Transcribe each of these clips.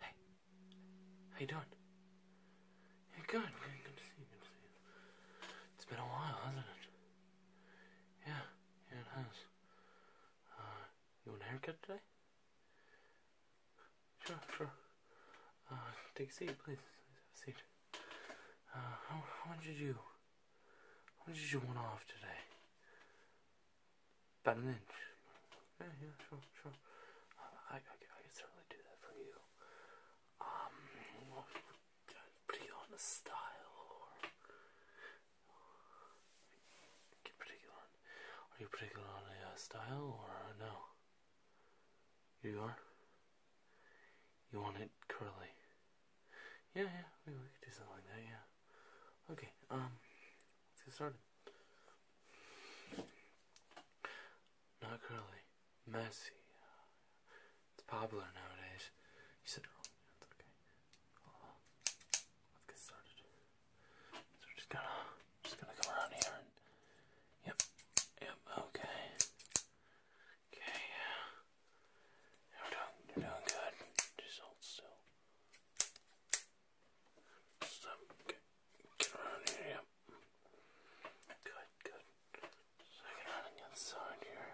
Hey, how you doing? You're good, good to see you, It's been a while, hasn't it? Yeah, yeah, it has. Uh, you want a haircut today? Sure, sure. Uh, take a seat, please. Have a seat. Uh, how, much did you, how much did you want off today? about an inch. Yeah, yeah, sure, sure. I, I, I could certainly do that for you. Um, well, put on a style, or get particular. On, are you particular on a uh, style, or uh, no? You are. You want it curly? Yeah, yeah. We, we could do something like that. Yeah. Okay. Um. Let's get started. Not curly, messy. It's popular nowadays. You said it wrong. okay. let's get started. So we're just gonna, just gonna come around here Yep. Yep. Okay. Okay. You're doing, you're doing good. Just hold still. So get, Good, good. So on the other side here.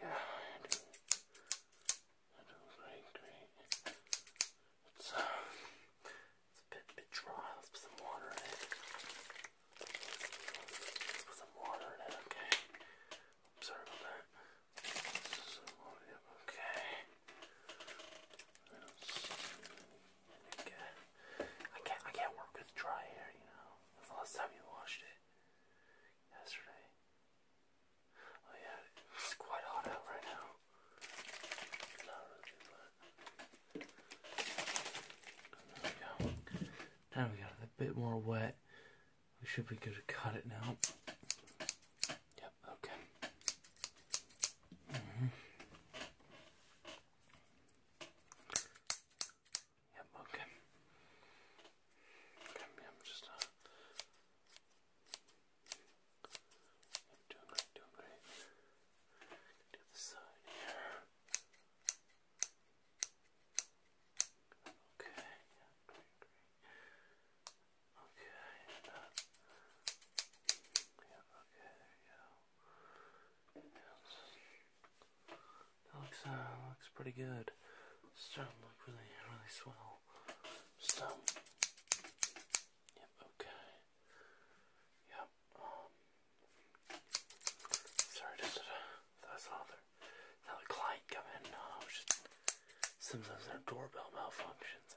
Yeah, I do. I do great, great. It's, a bit, bit dry. Let's put some water in Let's put some water in it, okay? Observe that. Some water, yep, okay. I can't, I can't, work with dry hair, you know. That's the last time you washed it. Yesterday. Oh yeah, it's quite hot out right now. There we go. Now we got a bit more wet. We should be good to cut it now. Yeah, okay. Mm-hmm. Yep, okay. Okay, I'm just uh doing doing the side here. Okay, Okay. Uh, okay, there you go. That looks, uh, looks pretty good. It's starting to look really, really swell. So, yep, okay. Yep, um. sorry, just that's another, another client come uh, sometimes their doorbell malfunctions.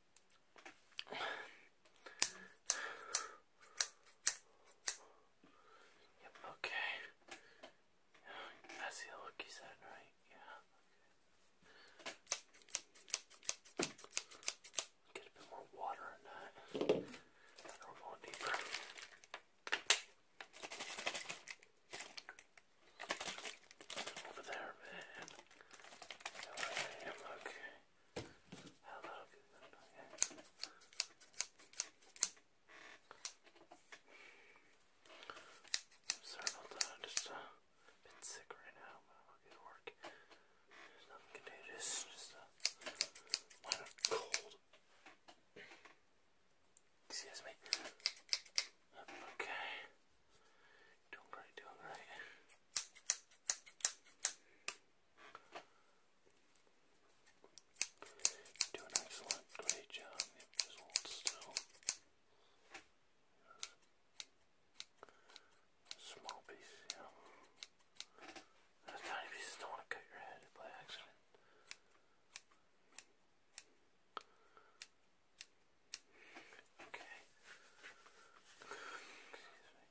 okay. I see the look you said, right? Yeah. Get a bit more water in that. that go deeper. Over there, man. okay. Hello, good night. i just uh, been sick right now, but I'll get to work. There's nothing contagious, just a minor cold. Excuse me. Okay. Doing great, doing great do an excellent, great job. Yep, just hold still. Small piece, you tiny pieces don't want to cut your head by accident. Okay. Excuse me.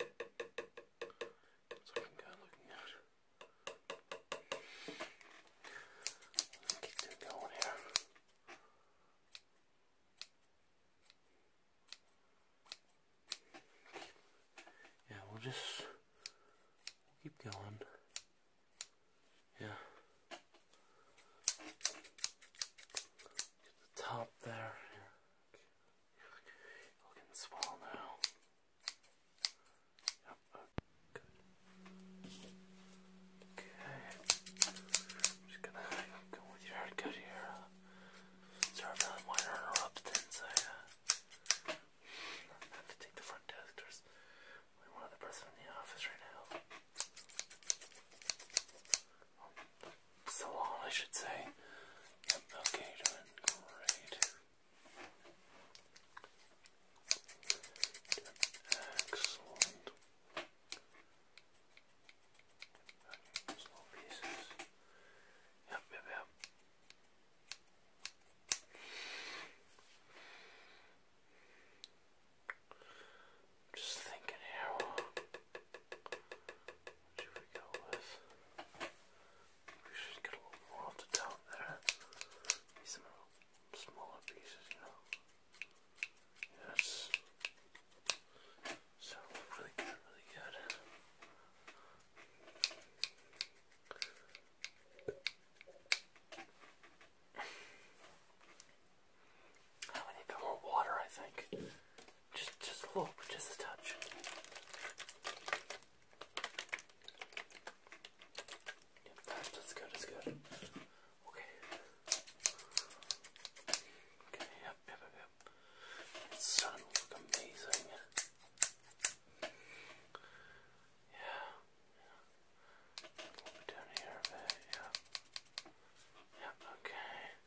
Let's get them going here. Yeah, we'll just keep going. Yeah. Get the top there. Looking swell now. Yep. Uh, okay. just gonna go with your haircut here. Sorry about my interruptions. I uh, have to take the front desk. There's only one other person in the office right now. So long, I should say. okay, doing great. Excellent. Small pieces. Yep, yep, yep. Just thinking here. Should we go with? We should get a little more off the top there. Maybe some smaller pieces, you know. Yes. So really good, really good. I need a bit more water, I think. Just, just look, just a touch. that's good, that's good. Okay. Okay, yep, yep, yep, It's starting to look amazing. Yeah. down here a bit, yeah. Yep, okay.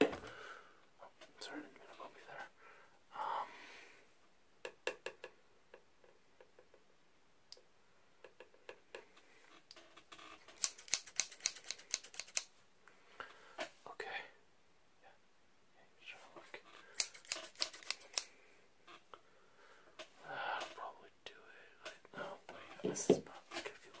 Oh, sorry, I didn't mean to bump you there. okay. Uh, probably do it. Like, no, wait, this is probably going you know.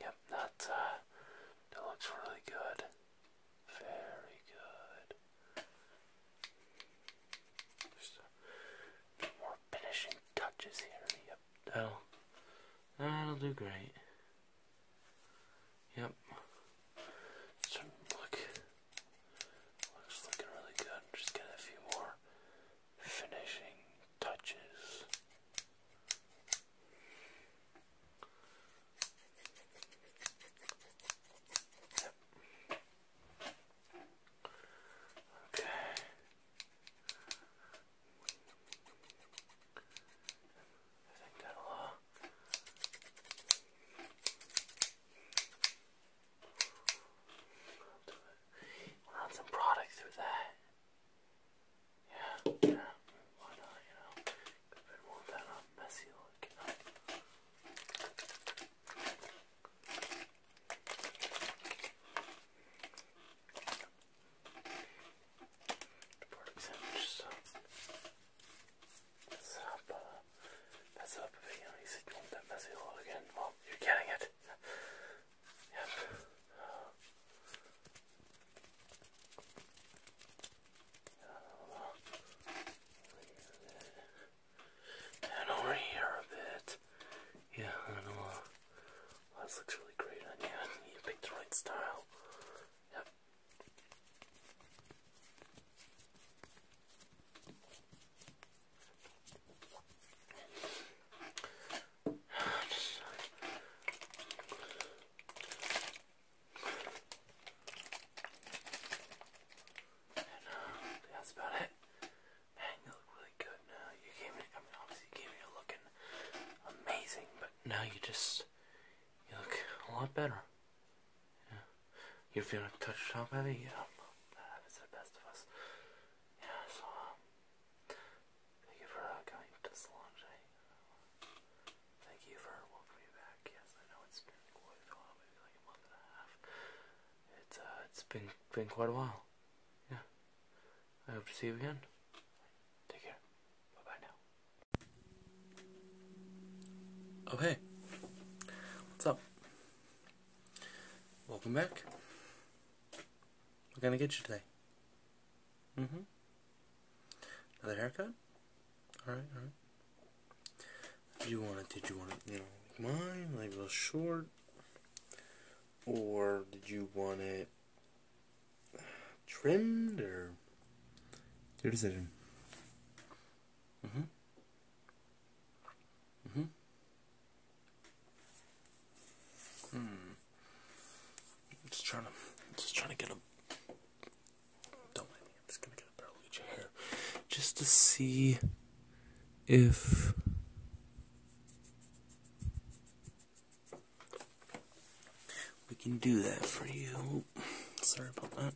Yep, uh, that, looks really good. Very good. Just a uh, bit more finishing touches here. Yep, that'll, that'll do great. Yep. So look, looks looking really good. Just get a few more finishing touches. Okay. I think that'll uh We'll run some product through that. Yeah, yeah, why not, you know? Could have been more of messy look, The pork sandwich up, uh, up, you know, you said you that messy look Well, you're getting it. Yep. And over here a bit. Yeah, I know. Oh, this looks really great on you. You picked the right style. Yep that's about it. Man, you look really good now. You gave me, I mean, obviously you gave me looking amazing, but now you just, you look a lot better. Yeah. You're feeling touched up, baby? Yeah. That happens to the best of us. Yeah, so, um, Thank you for coming to Solange. Thank you for welcoming me back. Yes, I know it's been quite a while, uh, it's been quite a while. Yeah. I hope to see you again. Take care. Bye bye now. Oh What's up? Welcome back. We're gonna get you today. Mm-hmm. Another haircut? Alright, alright. Did you want it? Did you want it? You know, like mine, like a little short, or did you want it trimmed? Or your decision. Mhm. Mhm. Hmm. Just trying to, just trying to get a. Don't mind me. I'm just gonna get a barrel just to see if. We can do that for you. Sorry about that.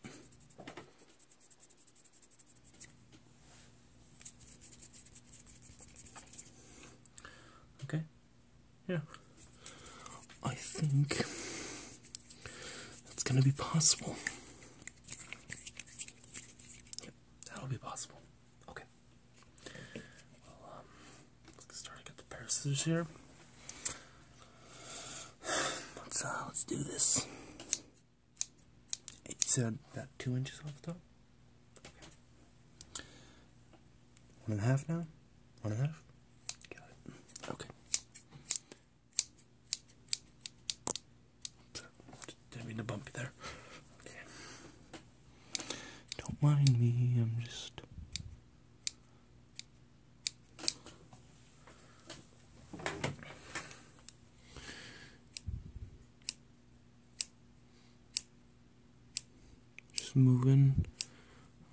Okay, yeah, I think that's going to be possible. that'll be possible. Okay, well, um, let's get started. Get the pair here. Uh, let's do this. It's about two inches off the top. One and a half now? One and a half? Got it. Okay. didn't mean to bump you there. Okay. Don't mind me, I'm just. Just moving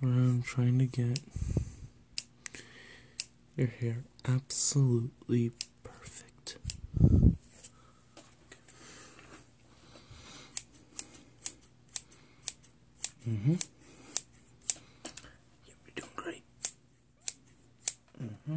around trying to get your hair absolutely perfect. hmm. you're doing great. hmm.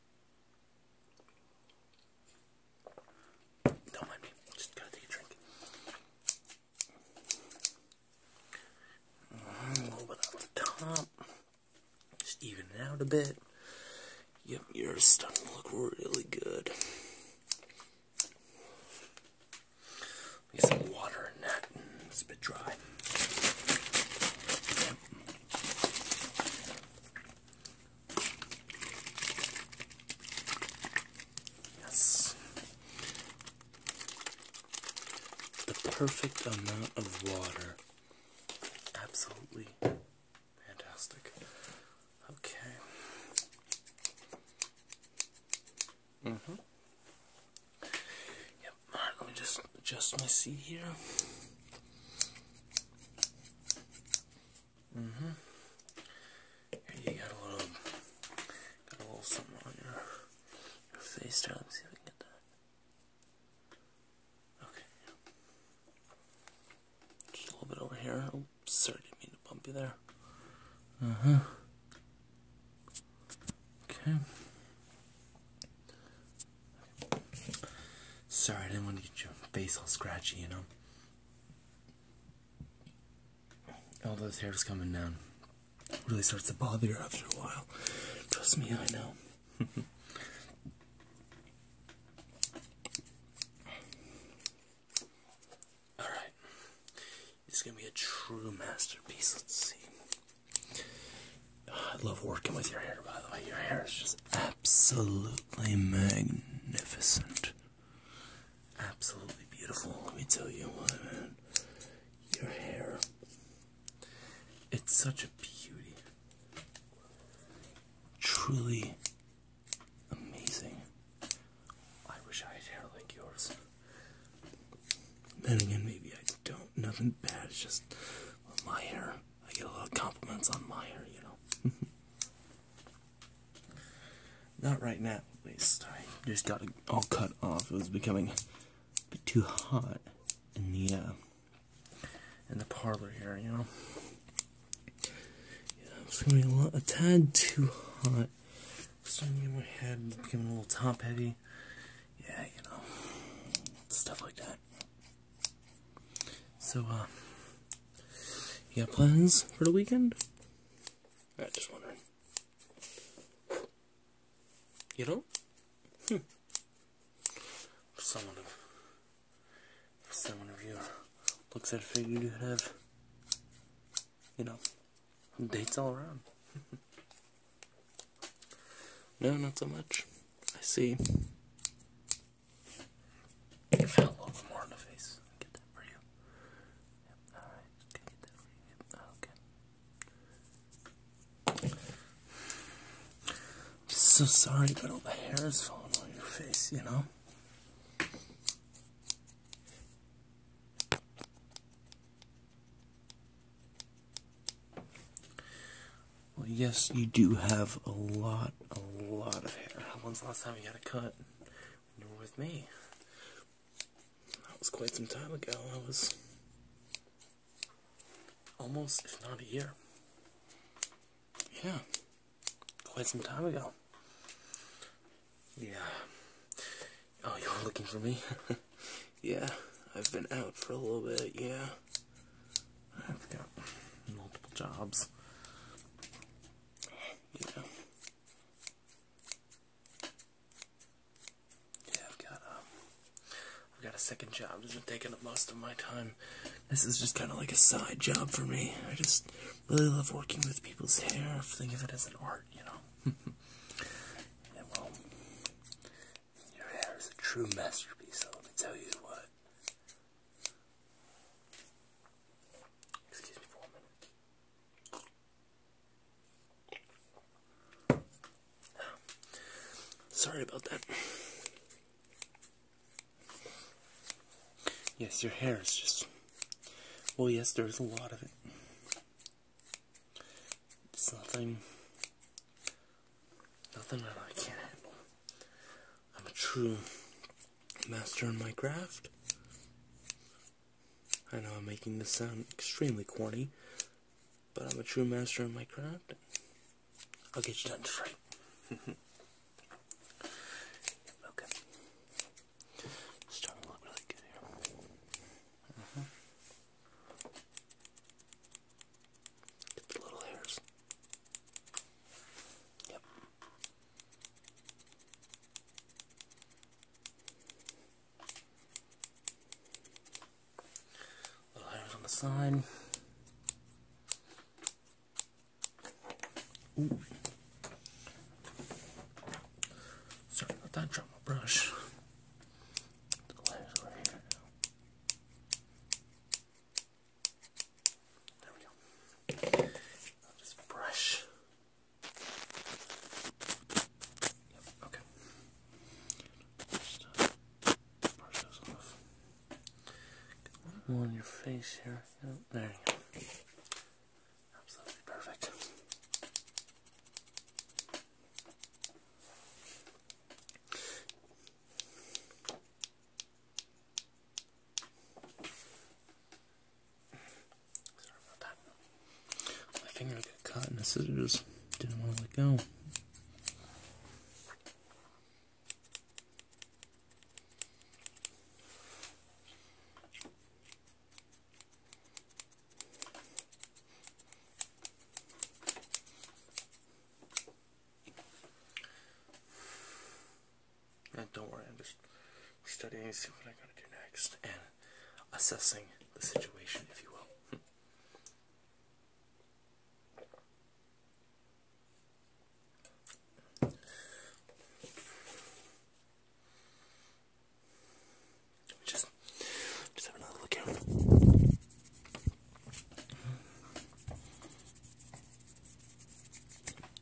Don't mind me, just gotta take a drink. Mm, a little the top. Just even it out a bit. Yep, your stuff look really good. Get some water in that. It's a bit dry. Yes. The perfect amount of water. Absolutely fantastic. Okay. Mm-hmm. Yep, alright, let me just adjust my seat here. Mm-hmm. Here you got a little, got a little something on your, face Let me see if I get that. Okay. Just a little bit over here. Oh, sorry, didn't mean to bump you there. Uh-huh. Okay. Sorry, I didn't want to get your face all scratchy, you know. All those hairs coming down really starts to bother you after a while. Trust me, I know. Alright. It's gonna be a true masterpiece. Let's see. I love working with your hair, by the way. Your hair is just absolutely magnificent. Absolutely beautiful. Let me tell you what, man. Your hair. It's such a beauty. Truly amazing. I wish I had hair like yours. Then again, maybe I don't. Nothing bad. It's just my hair. I get a lot of compliments on my hair, you know. Not right now, at least. I just got it all cut off. It was becoming too hot in the uh, in the parlor here, you know. Yeah, it's gonna be a, lot, a tad too hot. Starting to get my head becoming a little top heavy. Yeah, you know, stuff like that. So, uh, you have plans for the weekend? I uh, am just wondering. You know? Hmm. someone of, for of your looks, at would you have, you know, dates all around. no, not so much. I see a little bit more in the face. Get that for you. alright. okay. I'm so sorry but all the hair is falling on your face, you know? Well, yes, you do have a lot, a lot of hair. When's the last time you got a cut? When you were with me. That was quite some time ago. I was almost, if not a year. Yeah, quite some time ago. Yeah. Oh, you are looking for me? yeah, I've been out for a little bit, yeah. I've got multiple jobs. Yeah. Yeah, I've got um, I've got a second job. It's been taking up most of my time. This is just kind of like a side job for me. I just really love working with people's hair. Think of it as an art, you know. your hair is a true masterpiece. So let me tell you what. Excuse me for a minute. Sorry about that. Yes, your hair is just. Well, yes, there's a lot of it. It's nothing. Nothing that I can't handle. I'm a true master in my craft. I know I'm making this sound extremely corny, but I'm a true master in my craft. I'll get you done straight. okay. Starting to look really good here. Mm-hmm. Get the little hairs. Yep. Little on the side. Sorry about that, drop my brush. There we go. I'll just brush. Yep, okay. Uh, brush those off. more on your face here. there you go. Absolutely perfect. Sorry about that. My finger got caught in the scissors. Didn't want to let go. Eh, don't worry, I'm just studying, see what I gotta do next, and assessing the situation, if you will. Hmm. Just, just have another look at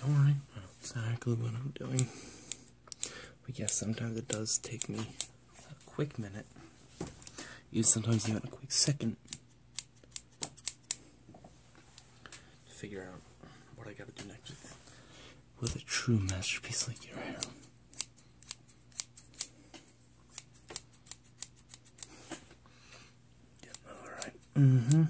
Don't worry, I know exactly what I'm doing. But yes, sometimes it does take me a quick minute. Even sometimes even a quick second to figure out what I gotta do next with a true masterpiece like your hair. alright. Mm-hmm.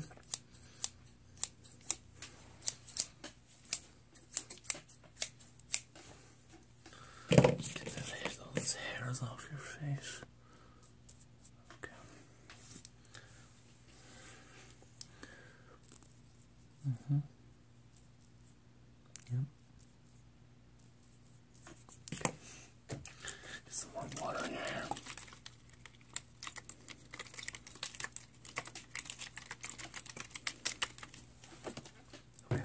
Get those hairs off your face. Okay. Mm-hmm. some warm water in Okay.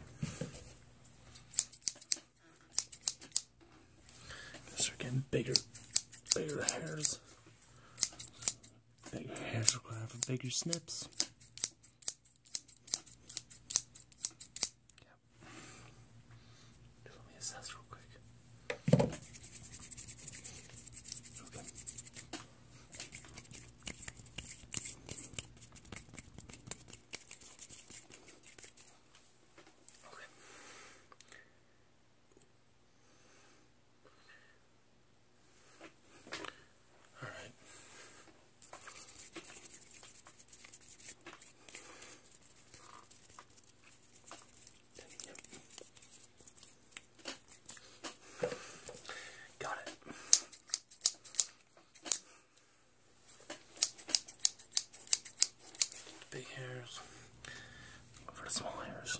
are getting bigger, bigger hairs. Bigger hairs require for bigger snips. Yep. Just let me assess real quick. Okay. Okay. All right. Yep. Got it. Big hairs over the small hairs.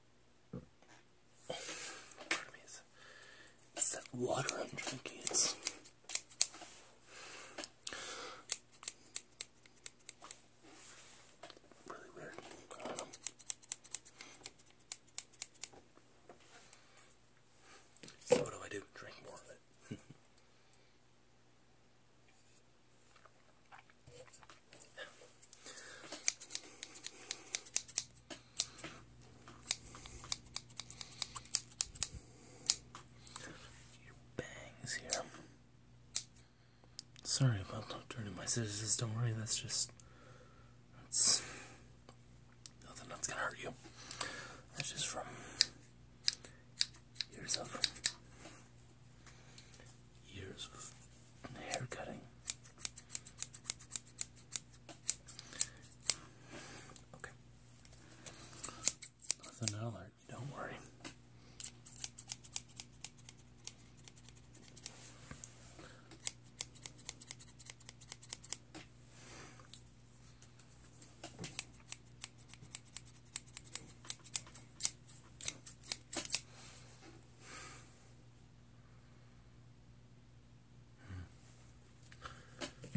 Pardon that water I'm drinking. It's really weird. So what do I do? Drink more of it. your bangs here. Sorry about not turning my scissors, don't worry, that's just that's nothing that's gonna hurt you. That's just from years of years of hair cutting. Okay. Nothing out alert, don't worry.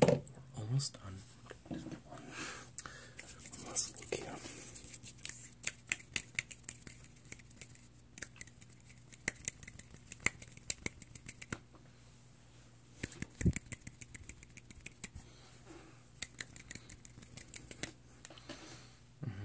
We're almost done. One last look here. Okay. Mm-hmm.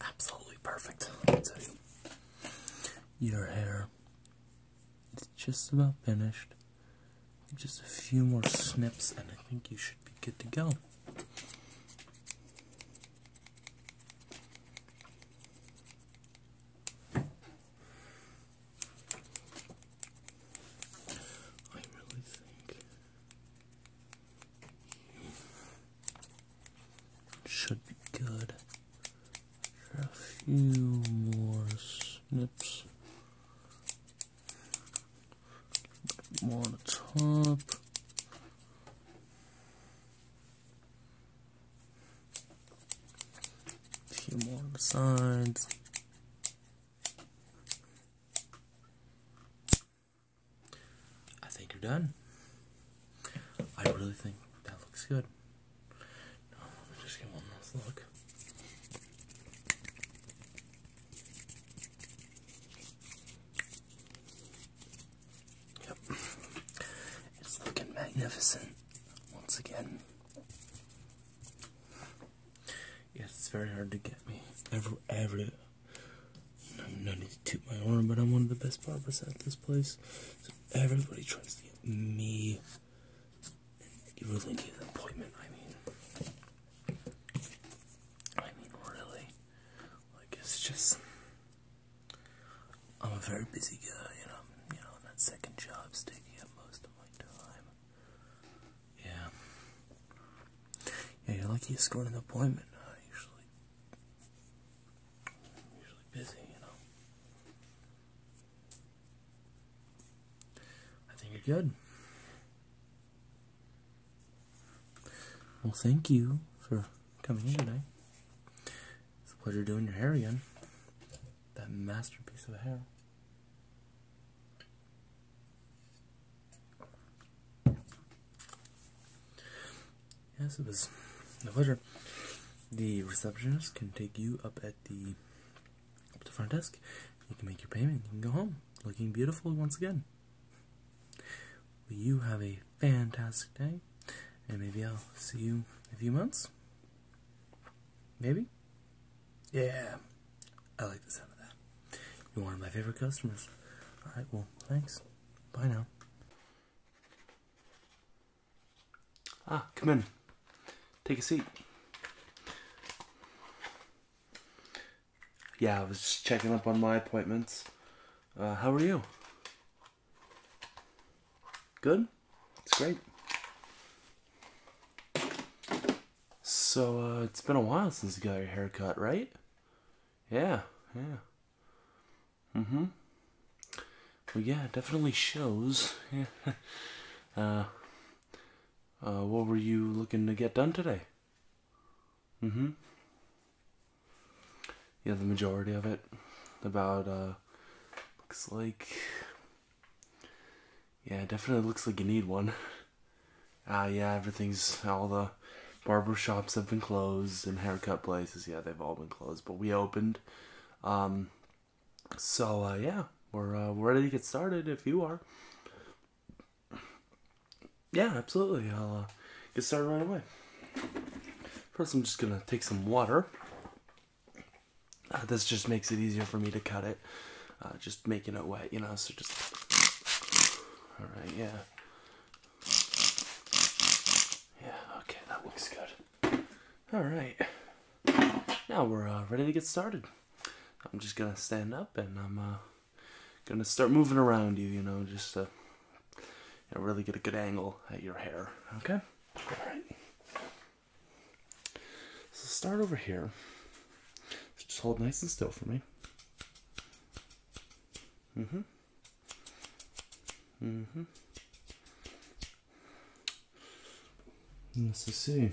Absolutely perfect. Your hair is just about finished. Just a few more snips, and I think you should be good to go. I really think should be good a few more snips. More on the top. A few more on sides. I think you're done. I really think that looks good. let me just give one last look. Yep. It's looking magnificent once again. Yes, it's very hard to get me. Ever, ever. No, no need to toot my horn, but I'm one of the best barbers at this place. So everybody tries to get me. You really need an appointment. I mean, I mean, really. Like, it's just. I'm a very busy guy, and I'm, you know, that second job's taking up most of my time. Yeah. Yeah, you're lucky you scored an appointment. I usually, am usually busy, you know. I think you're good. Well, thank you for coming in today. It's a pleasure doing your hair again. That masterpiece of hair. Yes, it was a pleasure. The receptionist can take you up at the up to front desk. You can make your payment. You can go home, looking beautiful once again. you have a fantastic day, and maybe I'll see you a few months. Maybe? Yeah, I like the sound of that. You're one of my favorite customers. Alright, well, thanks. Bye now. Ah, come in. Take a seat. Yeah, I was checking up on my appointments. Uh, how are you? Good. It's great. So uh, it's been a while since you got your haircut, right? Yeah, yeah. Mm-hmm. Well, yeah, definitely shows. Yeah. Uh, uh, what were you looking to get done today? Mm-hmm yeah, the majority of it. About, uh, looks like, yeah, definitely looks like you need one. Ah, yeah, everything's, all the barber shops have been closed and haircut places, yeah, they've all been closed, but we opened. Um, so, uh, yeah, we're, uh, we're ready to get started if you are. Yeah, absolutely. I'll uh, get started right away. First, I'm just gonna take some water uh, this just makes it easier for me to cut it. Uh, just making it wet, you know. So just all right, yeah, yeah. Okay, that looks good. All right, now we're uh, ready to get started. I'm just gonna stand up and I'm gonna start moving around you, you know, just to really get a good angle at your hair. Okay. All right. So start over here. Just hold nice and still for me. Mm-hmm. Mm-hmm. Let's see.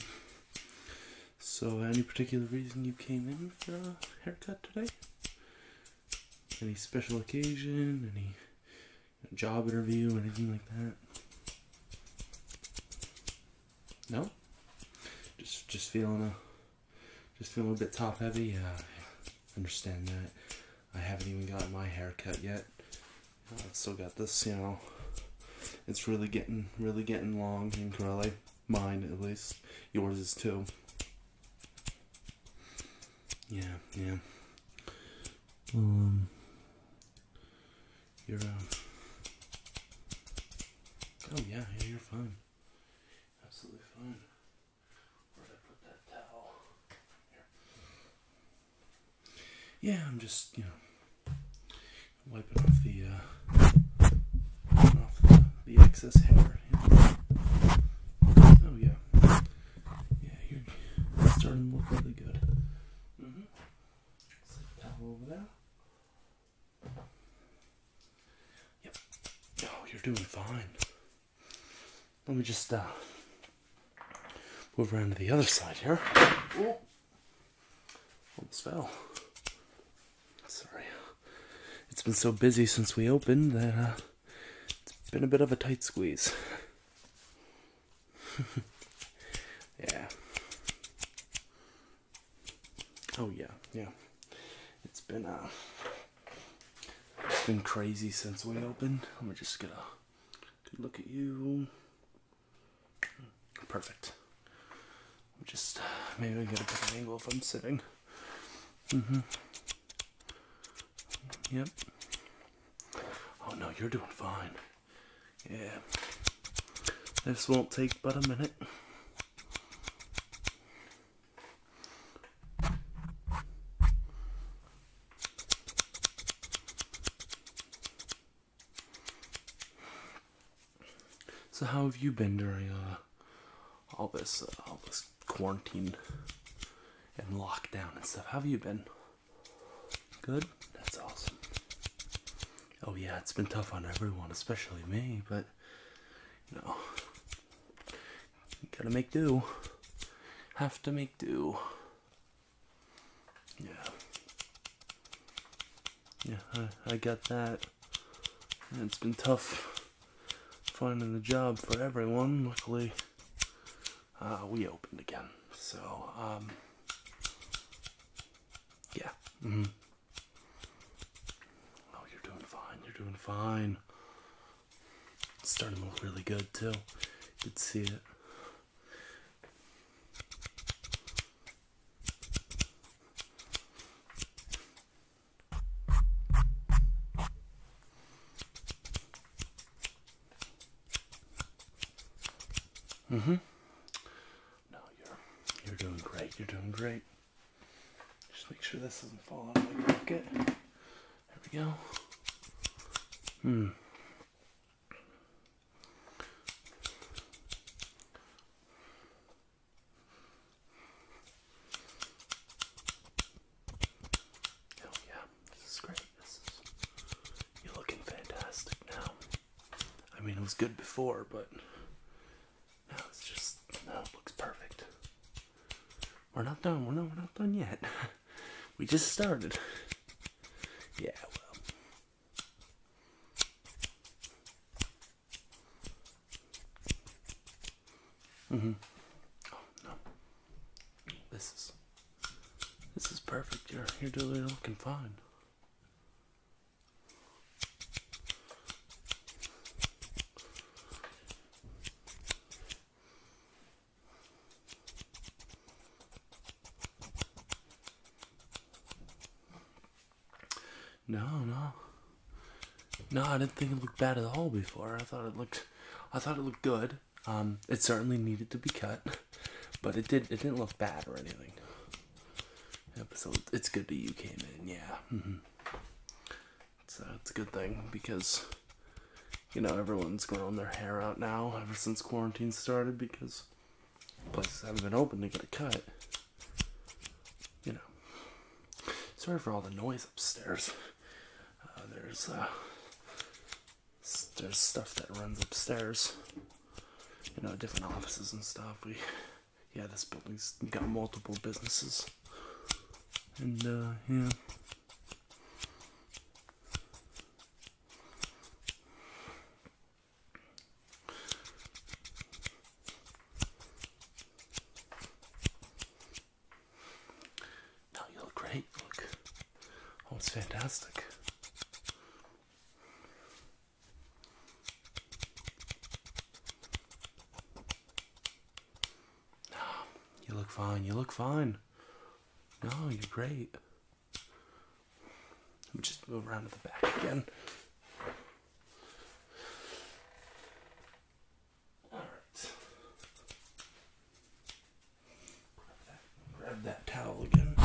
So, any particular reason you came in for a haircut today? Any special occasion? Any job interview, anything like that? No. Just just feeling a just feeling a bit top heavy. understand that. I haven't even gotten my haircut yet. I've still got this, you know. It's really getting really getting long and curly. Mine at least. Yours is too. Yeah, yeah. um, you're, uh, oh yeah, you're fine. Absolutely fine. Where did I put that towel? Yeah, I'm just, you know, wiping off the, uh, off the, excess hair. Oh yeah. Yeah, you're starting to look really good. Mm hmm Slip the over there. Yep. Oh, you're doing fine. Let me just uh, move around to the other side here. Oh. Almost fell. Sorry. It's been so busy since we opened that uh, it's been a bit of a tight squeeze. yeah. Oh yeah, yeah. It's been uh it's been crazy since we opened. We're just gonna look at you. Perfect. I'm just maybe I get a better angle if I'm sitting. Mm-hmm. Yep. Oh no, you're doing fine. Yeah. This won't take but a minute. So how have you been during uh, all this uh, all this quarantine and lockdown and stuff? have you been? Good? That's awesome. Oh, yeah, it's been tough on everyone, especially me, but you know, gotta make do. Have to make do. Yeah. Yeah, I, I got that. it's been tough finding a job for everyone. Luckily, uh, we opened again. So, um, yeah. -hmm. Oh, you're doing fine. You're doing fine. starting to look really good, too. You can see it. Mm-hmm. No, you're you're doing great. You're doing great. Just make sure this doesn't fall out of my pocket. There we go. Hmm. Oh yeah this is great. you're looking fantastic now. I mean, it was good before, but now it's just now it looks perfect. We're not done. We're not. We're not done yet. we just started. Yeah. Well. Mm-hmm. Oh, no. This is this is perfect. You're you're doing looking fine. No, no. No, I didn't think it looked bad at all before. I thought it looked I thought it looked good. Um, it certainly needed to be cut, but it did. It didn't look bad or anything. so it's good that you came in. Yeah, mm it's, a good thing because you know everyone's growing their hair out now ever since quarantine started because places haven't been open to get it cut. You know. Sorry for all the noise upstairs. Uh, there's uh, there's stuff that runs upstairs, you know, different offices and stuff. We, yeah, this building's got multiple businesses, and uh, yeah. No, you look great. Look, oh, it's fantastic. No, you look fine. You look fine. No, you're great. Let me just move around to the back again. All right. Grab that, grab that towel again.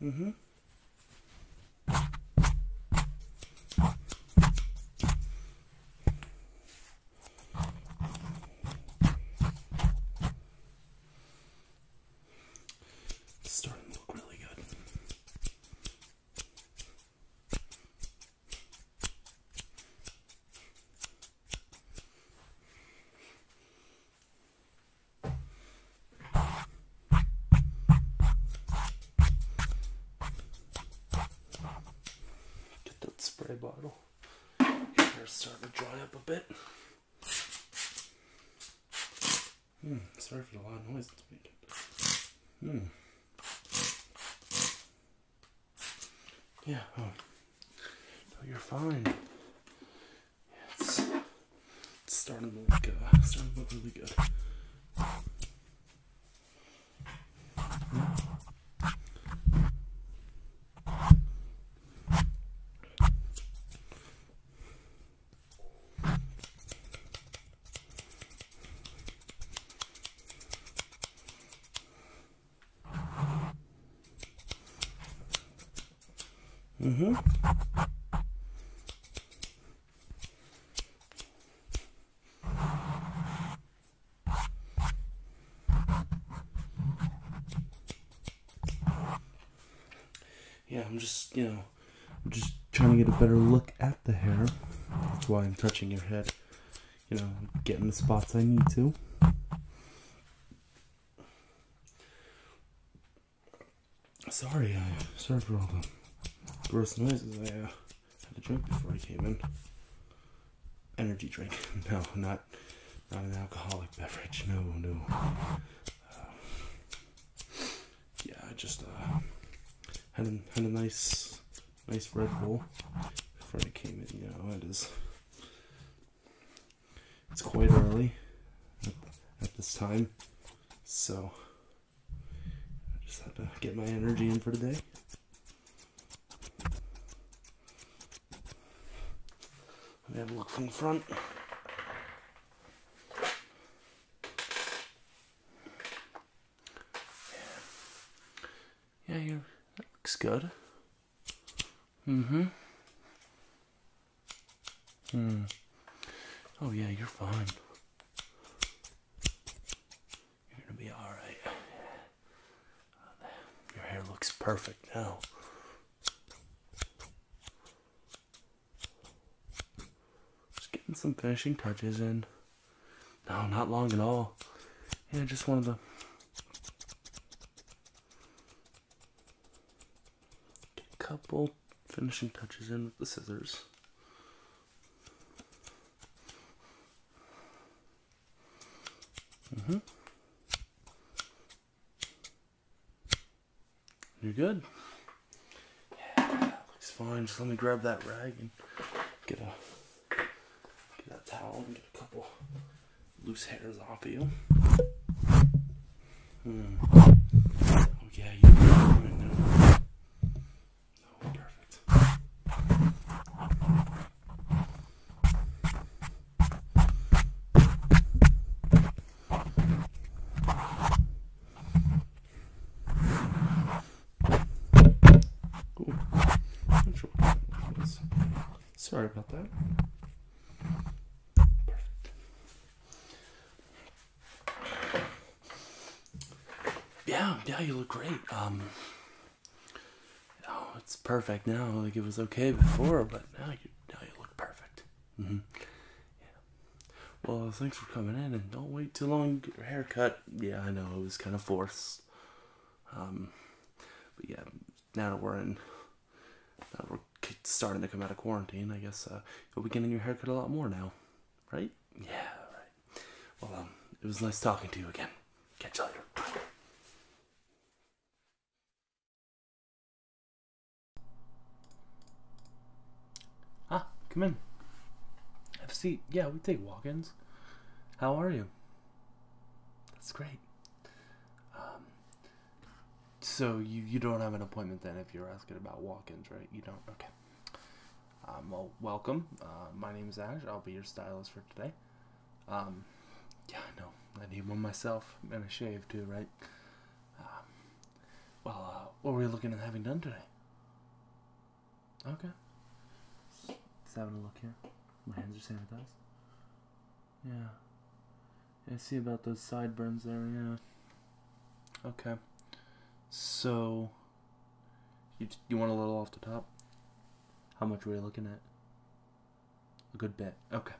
hmm starting to look really good. Get that spray bottle. Hair's starting to dry up a bit. Hmm, sorry for the loud noise Hmm. Yeah, oh. No, you're fine. It's, starting to look uh, starting to look really good. Mm-hmm. Yeah, I'm just, you know, I'm just trying to get a better look at the hair. That's why I'm touching your head. You know, getting the spots I need to. Sorry, uh, sorry for all the gross noises. I uh, had a drink before I came in. Energy drink. No, not not an alcoholic beverage. No, no. Uh, yeah, I just uh, had a, had a nice nice Red Bull before I came in. You know, it is it's quite early at this time, so I just have to get my energy in for today. Let me have a look from the front. Yeah, yeah looks good. Mm-hmm. Hmm. Oh yeah, you're fine. You're gonna be all right. Your hair looks perfect now. Just getting some finishing touches in. No, not long at all. Yeah, just one of the couple finishing touches in with the scissors. -hmm. You're good. Yeah, looks fine. Just let me grab that rag and get a get that towel and get a couple loose hairs off you. Hmm. Oh, oh perfect. Ooh. Sorry about that. Yeah, yeah, you look great. Um, oh, it's perfect now. Like it was okay before, but now you now you look perfect. Mm -hmm. Yeah. Well, thanks for coming in, and don't wait too long to get your haircut. Yeah, I know it was kind of forced. Um, but yeah, now that we're in we're starting to come out of quarantine, I guess uh, you'll be getting your haircut a lot more now, right? Yeah, Well, um, it was nice talking to you again. Catch you later. Ah, come in. Have a seat. Yeah, we take walk-ins. How are you? That's great. Um, so you, you don't have an appointment then if you're asking about walk-ins, right? You don't? Okay. Um, well, welcome. Uh, my name is Ash. I'll be your stylist for today. Um, yeah, I know. I need one myself and a shave too, right? Um, well, uh, what were you looking at having done today? Okay. Just having a look here. My hands are sanitized. Yeah. Yeah, see about those sideburns there, yeah. Okay. So, you, you want a little off the top? How much were you looking at? A good bit. Okay.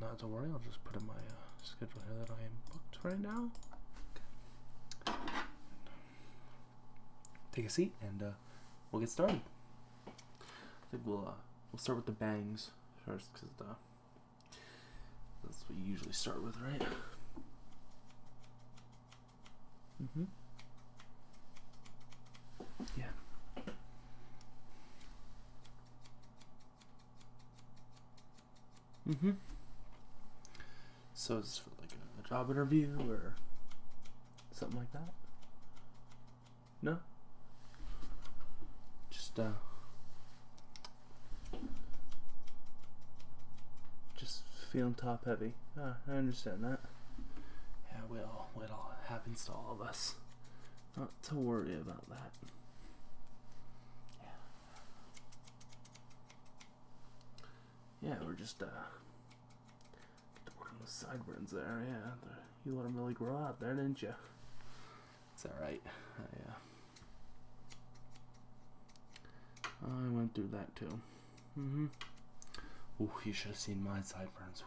Not to worry, I'll just put in my uh, schedule here that I am booked right now. Okay. Take a seat and uh, we'll get started. I think we'll, uh, we'll start with the bangs first because the that's what you usually start with, right? Mm-hmm. Yeah. Mm-hmm. So it's for like a job interview or something like that. No. Just uh. Just feeling top heavy. Ah, I understand that. Yeah, well, it all happens to all of us. Not to worry about that. Yeah. Yeah, we're just uh get the sideburns there. Yeah, you let them really grow out there, didn't you? It's alright. I, oh, I went through that too. Mm-hmm. Ooh, you should have seen my sideburns.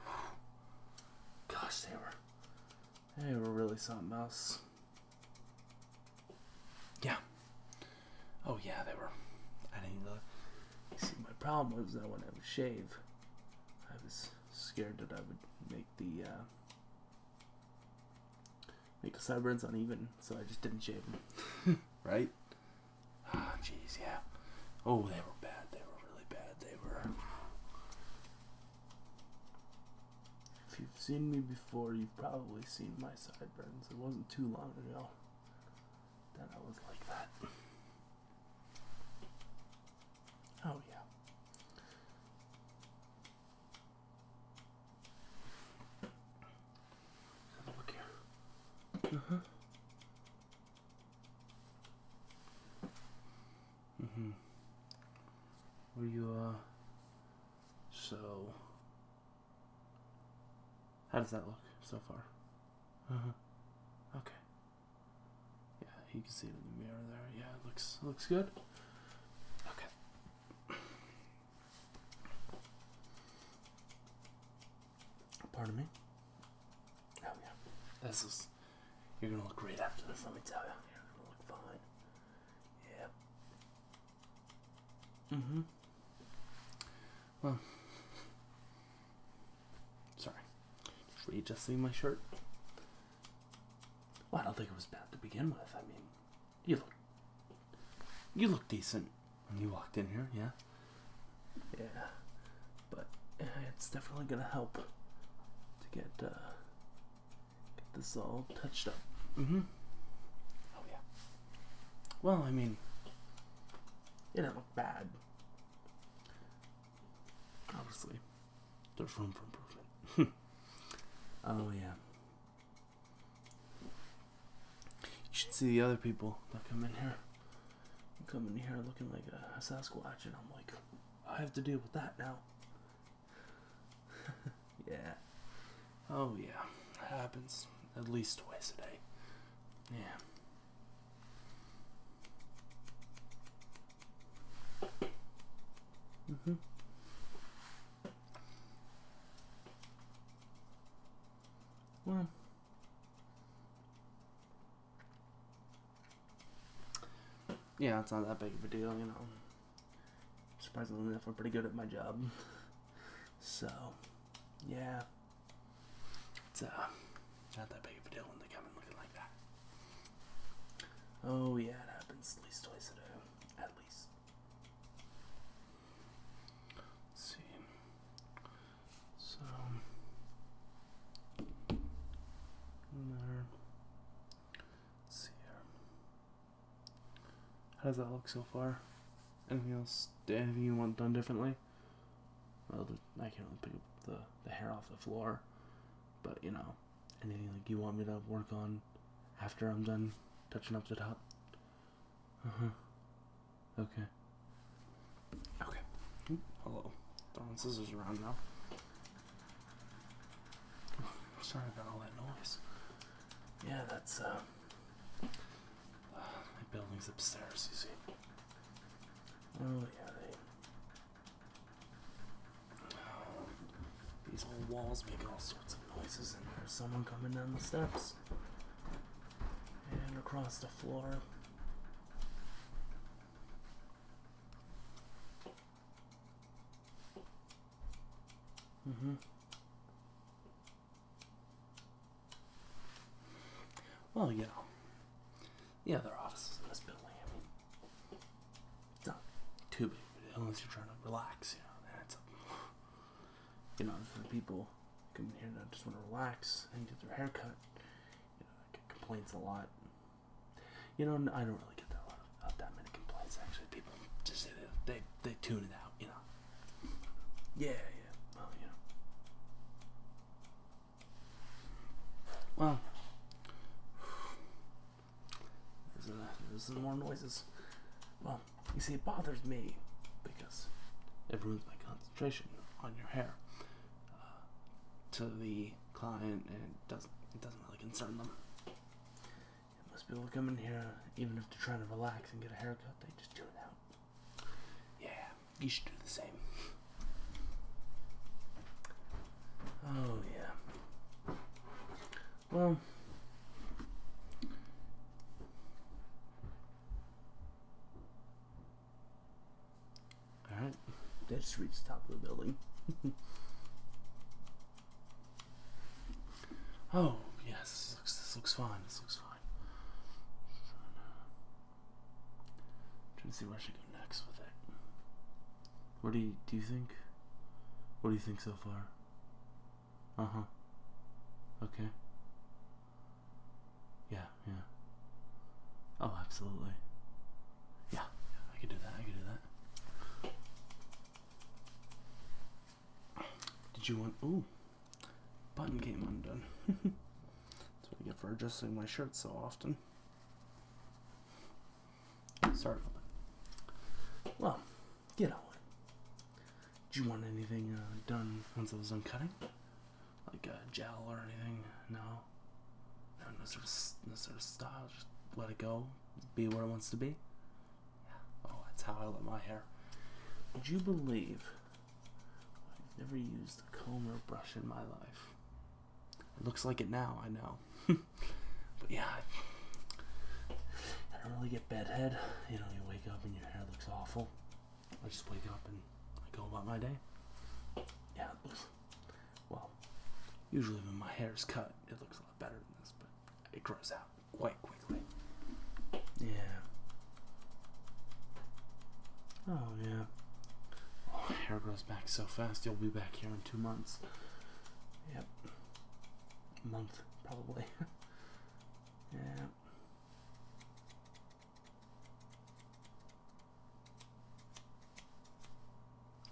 Gosh, they were, they were really something else. Yeah. Oh yeah, they were. I didn't look. See, my problem was that when I would shave, I was scared that I would make the uh, Make the sideburns uneven, so I just didn't shave them. right? Ah, oh, jeez, yeah. Oh, they were bad. They were really bad. They were. If you've seen me before, you've probably seen my sideburns. It wasn't too long ago that I was like that. Oh, yeah. Have a look here. Uh-huh. Mm-hmm. mm-hmm. Were you, uh, so, how does that look so far? Uh-huh. Okay. Yeah, you can see it in the mirror there. Yeah, it looks looks good. Okay. Part of me. Oh yeah, this is. You're gonna look great after this. Let me tell you, Yeah, are gonna look fine. Yeah. Mhm. Mm well. Sorry. just Readjusting my shirt. I don't think it was bad to begin with. I mean, you look, you look decent when you walked in here, yeah. Yeah, but it's definitely gonna help to uh, get this all touched up. Mm-hmm. Oh yeah. Well, I mean, it didn't look bad, obviously. There's room for improvement. oh yeah. You should see the other people that come in here. You come in here looking like a, Sasquatch, and I'm like, I have to deal with that now. yeah. Oh yeah. happens at least twice a day. Yeah. Mm-hmm. Well. Yeah, it's not that big of a deal, you know. Surprisingly enough, I'm pretty good at my job. So, yeah. It's uh, not that big of a deal when they come in looking like that. Oh, yeah, it happens at least twice a day. At least. see. So. There. see here. How does that look so far? Anything else? Anything you want done differently? Well, I can't really pick up the, the hair off the floor, but you know. Anything like you want me to work on after I'm done touching up the top? Uh mm-hmm. huh. Okay. Okay. hello. Throwing scissors around now. sorry about all that noise. Yeah, that's uh, uh my building's upstairs. You see. Oh yeah, they these old walls make all sorts of noises, and there's someone coming down the steps and across the floor. hmm Well, yeah. Yeah, there are offices in this building, it's not too big, unless you're trying to relax, you know. That's a, you know, for the people coming here that just want to relax and get their hair cut, you know, I complaints a lot. You know, I don't really get that a lot of uh, that many complaints. Actually, people just they, they tune it out. You know. Yeah, yeah. Well, you know. Well, there's, a, uh, more noises. Well, you see, it bothers me because it ruins my concentration on your hair. Uh, to the client, it doesn't it doesn't really concern them. Most people come in here, even if they're trying to relax and get a haircut, they just tune out. Yeah, you should do the same. Oh yeah. Well, alright, let's reach the top of the building. oh, yes, this looks, this looks fine, this looks fine. I'm trying to see where I should go next with it. What do you do you think? What do you think so far? Uh huh. Okay. Yeah, yeah. Oh, absolutely. Yeah, yeah, I could do that. I could do that. Did you want? Ooh, button came undone. That's what I get for adjusting my shirt so often. Sorry for that. Well, you know what? Did you want anything uh, done once it was done cutting? Like gel or anything? No? No, no sort of, no sort of style. Just let it go. Be where it wants to be. Yeah. Oh, that's how I let my hair. Would you believe I've never used a comb or brush in my life? It looks like it now, I know. but yeah, I don't really get bed head. You know, you wake up and your hair looks awful. I just wake up and I go about my day. Yeah, well. Usually when my hair is cut, it looks a lot better than this, but it grows out quite quickly. Yeah. Oh yeah. Oh, hair grows back so fast. You'll be back here in two months. Yep month probably. yeah.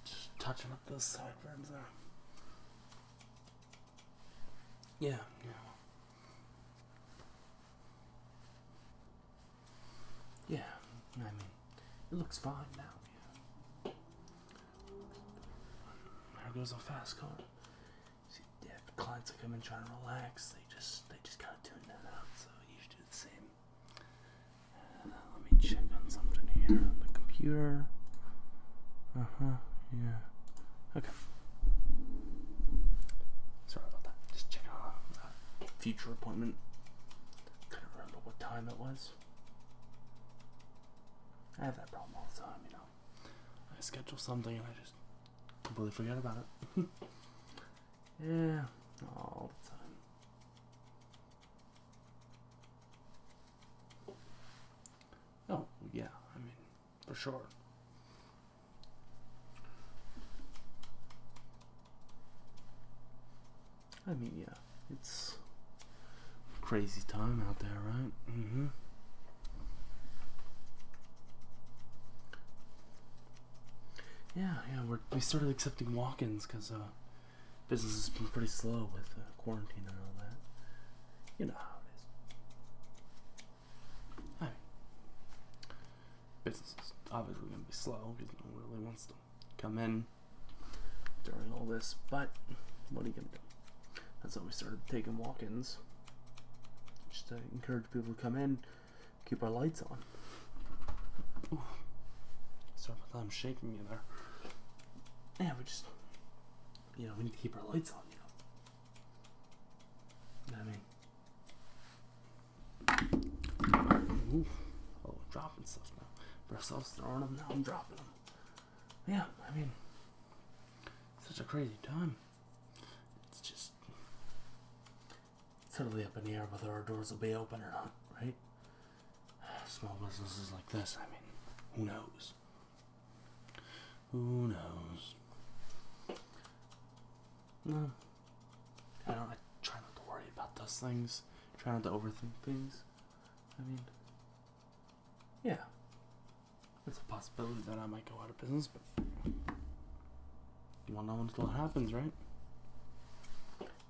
Just touching up those sideburns there. Yeah, yeah. Yeah, I mean, it looks fine now. There goes a fast car. See, yeah, clients that come in trying to relax, they just they just kind of tune that out. So you should do the same. Uh, let me check on something here on the computer. Uh huh. Yeah. Okay. Sorry about that. Just checking on a future appointment. Couldn't remember what time it was. I have that problem all the time, you know. I schedule something and I just completely forget about it. yeah, all the time. Oh, yeah, I mean, for sure. I mean, yeah, it's crazy time out there, right? Mm-hmm. Yeah, yeah, we're, we started accepting walk-ins because uh, business has been pretty slow with uh, quarantine and all that. You know how it is. I mean, business is obviously going to be slow because no one really wants to come in during all this, but what are you going to do? That's how we started taking walk-ins. Just to encourage people to come in, keep our lights on. Sorry about that, I'm shaking you there. Yeah, we just, you know, we need to keep our lights on, you know. You know what I mean? Oh, dropping stuff now. Breast throwing them, now I'm dropping them yeah, I mean, such a crazy time. It's just totally up in the air whether our doors will be open or not, right? Small businesses like this, I mean, who knows? Who knows? No. I don't I try not to worry about those things. Try not to overthink things. I mean yeah, it's a possibility that I might go out of business, but you won't know until it happens, right?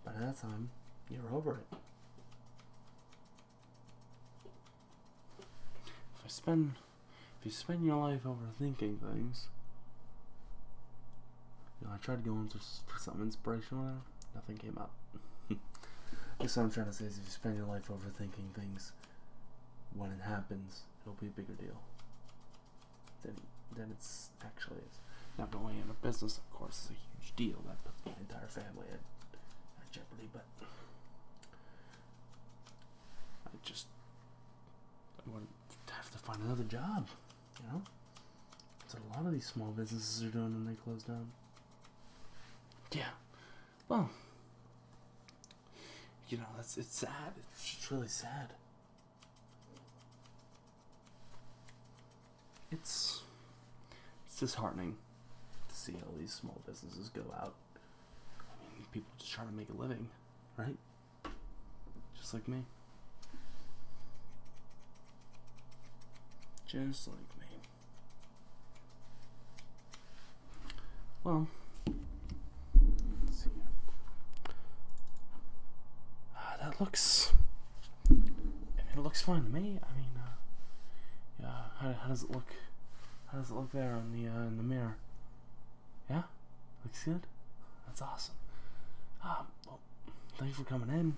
By that time, you're over it. If I spend, if you spend your life overthinking things, I tried to go into something inspirational. Nothing came up. I what I'm trying to say is if you spend your life overthinking things, when it happens, it'll be a bigger deal than, than it actually is. Now, going into business, of course, it's a huge deal. That puts my entire family at, jeopardy, but I just I would have to find another job, you know? So a lot of these small businesses are doing when they close down. Yeah, well, you know, that's it's sad. It's really sad. It's it's disheartening to see all these small businesses go out. people just trying to make a living, right? Just like me. Just like me. Well, let's see. Ah, that looks. I mean, it looks fine to me. I mean, uh, yeah. How, does it look? How does it look there in the uh, in the mirror? Yeah, looks good. That's awesome. Ah, well, thanks for coming in.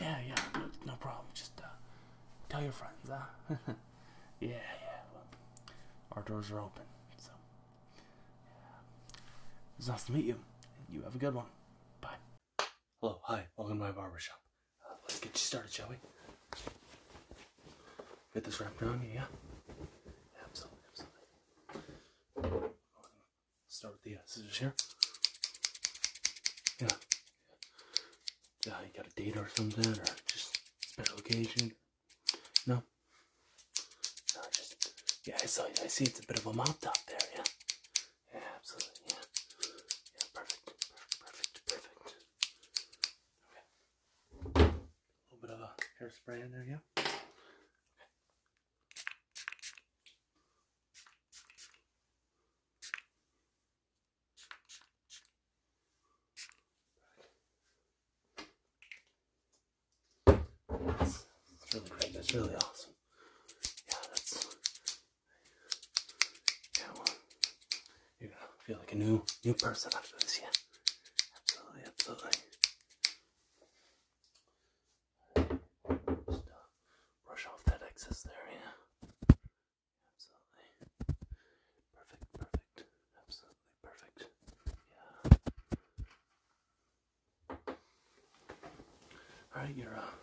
Yeah, yeah, no, problem. Just uh, tell your friends, huh? yeah, yeah. our doors are open, so yeah. it was nice to meet you. You have a good one. Bye. Hello, hi, welcome to my barbershop. Uh, let's get you started, shall we? Get this wrapped around you, yeah? Absolutely, absolutely. Start with the uh, scissors here. Yeah. Yeah, uh, you got a date or something, or just special occasion? No. No, just yeah. I saw. I see. It's a bit of a mop top there. Yeah. Yeah, absolutely. Yeah. Yeah. Perfect. Perfect. Perfect. Okay. A little bit of a hairspray in there. Yeah. That's, really awesome. Yeah, that's yeah. you're gonna feel like a new new person after this. Yeah, absolutely, absolutely. Just uh, brush off that excess there. Yeah. Absolutely. Perfect, perfect. Absolutely perfect. Yeah. Alright, you're uh,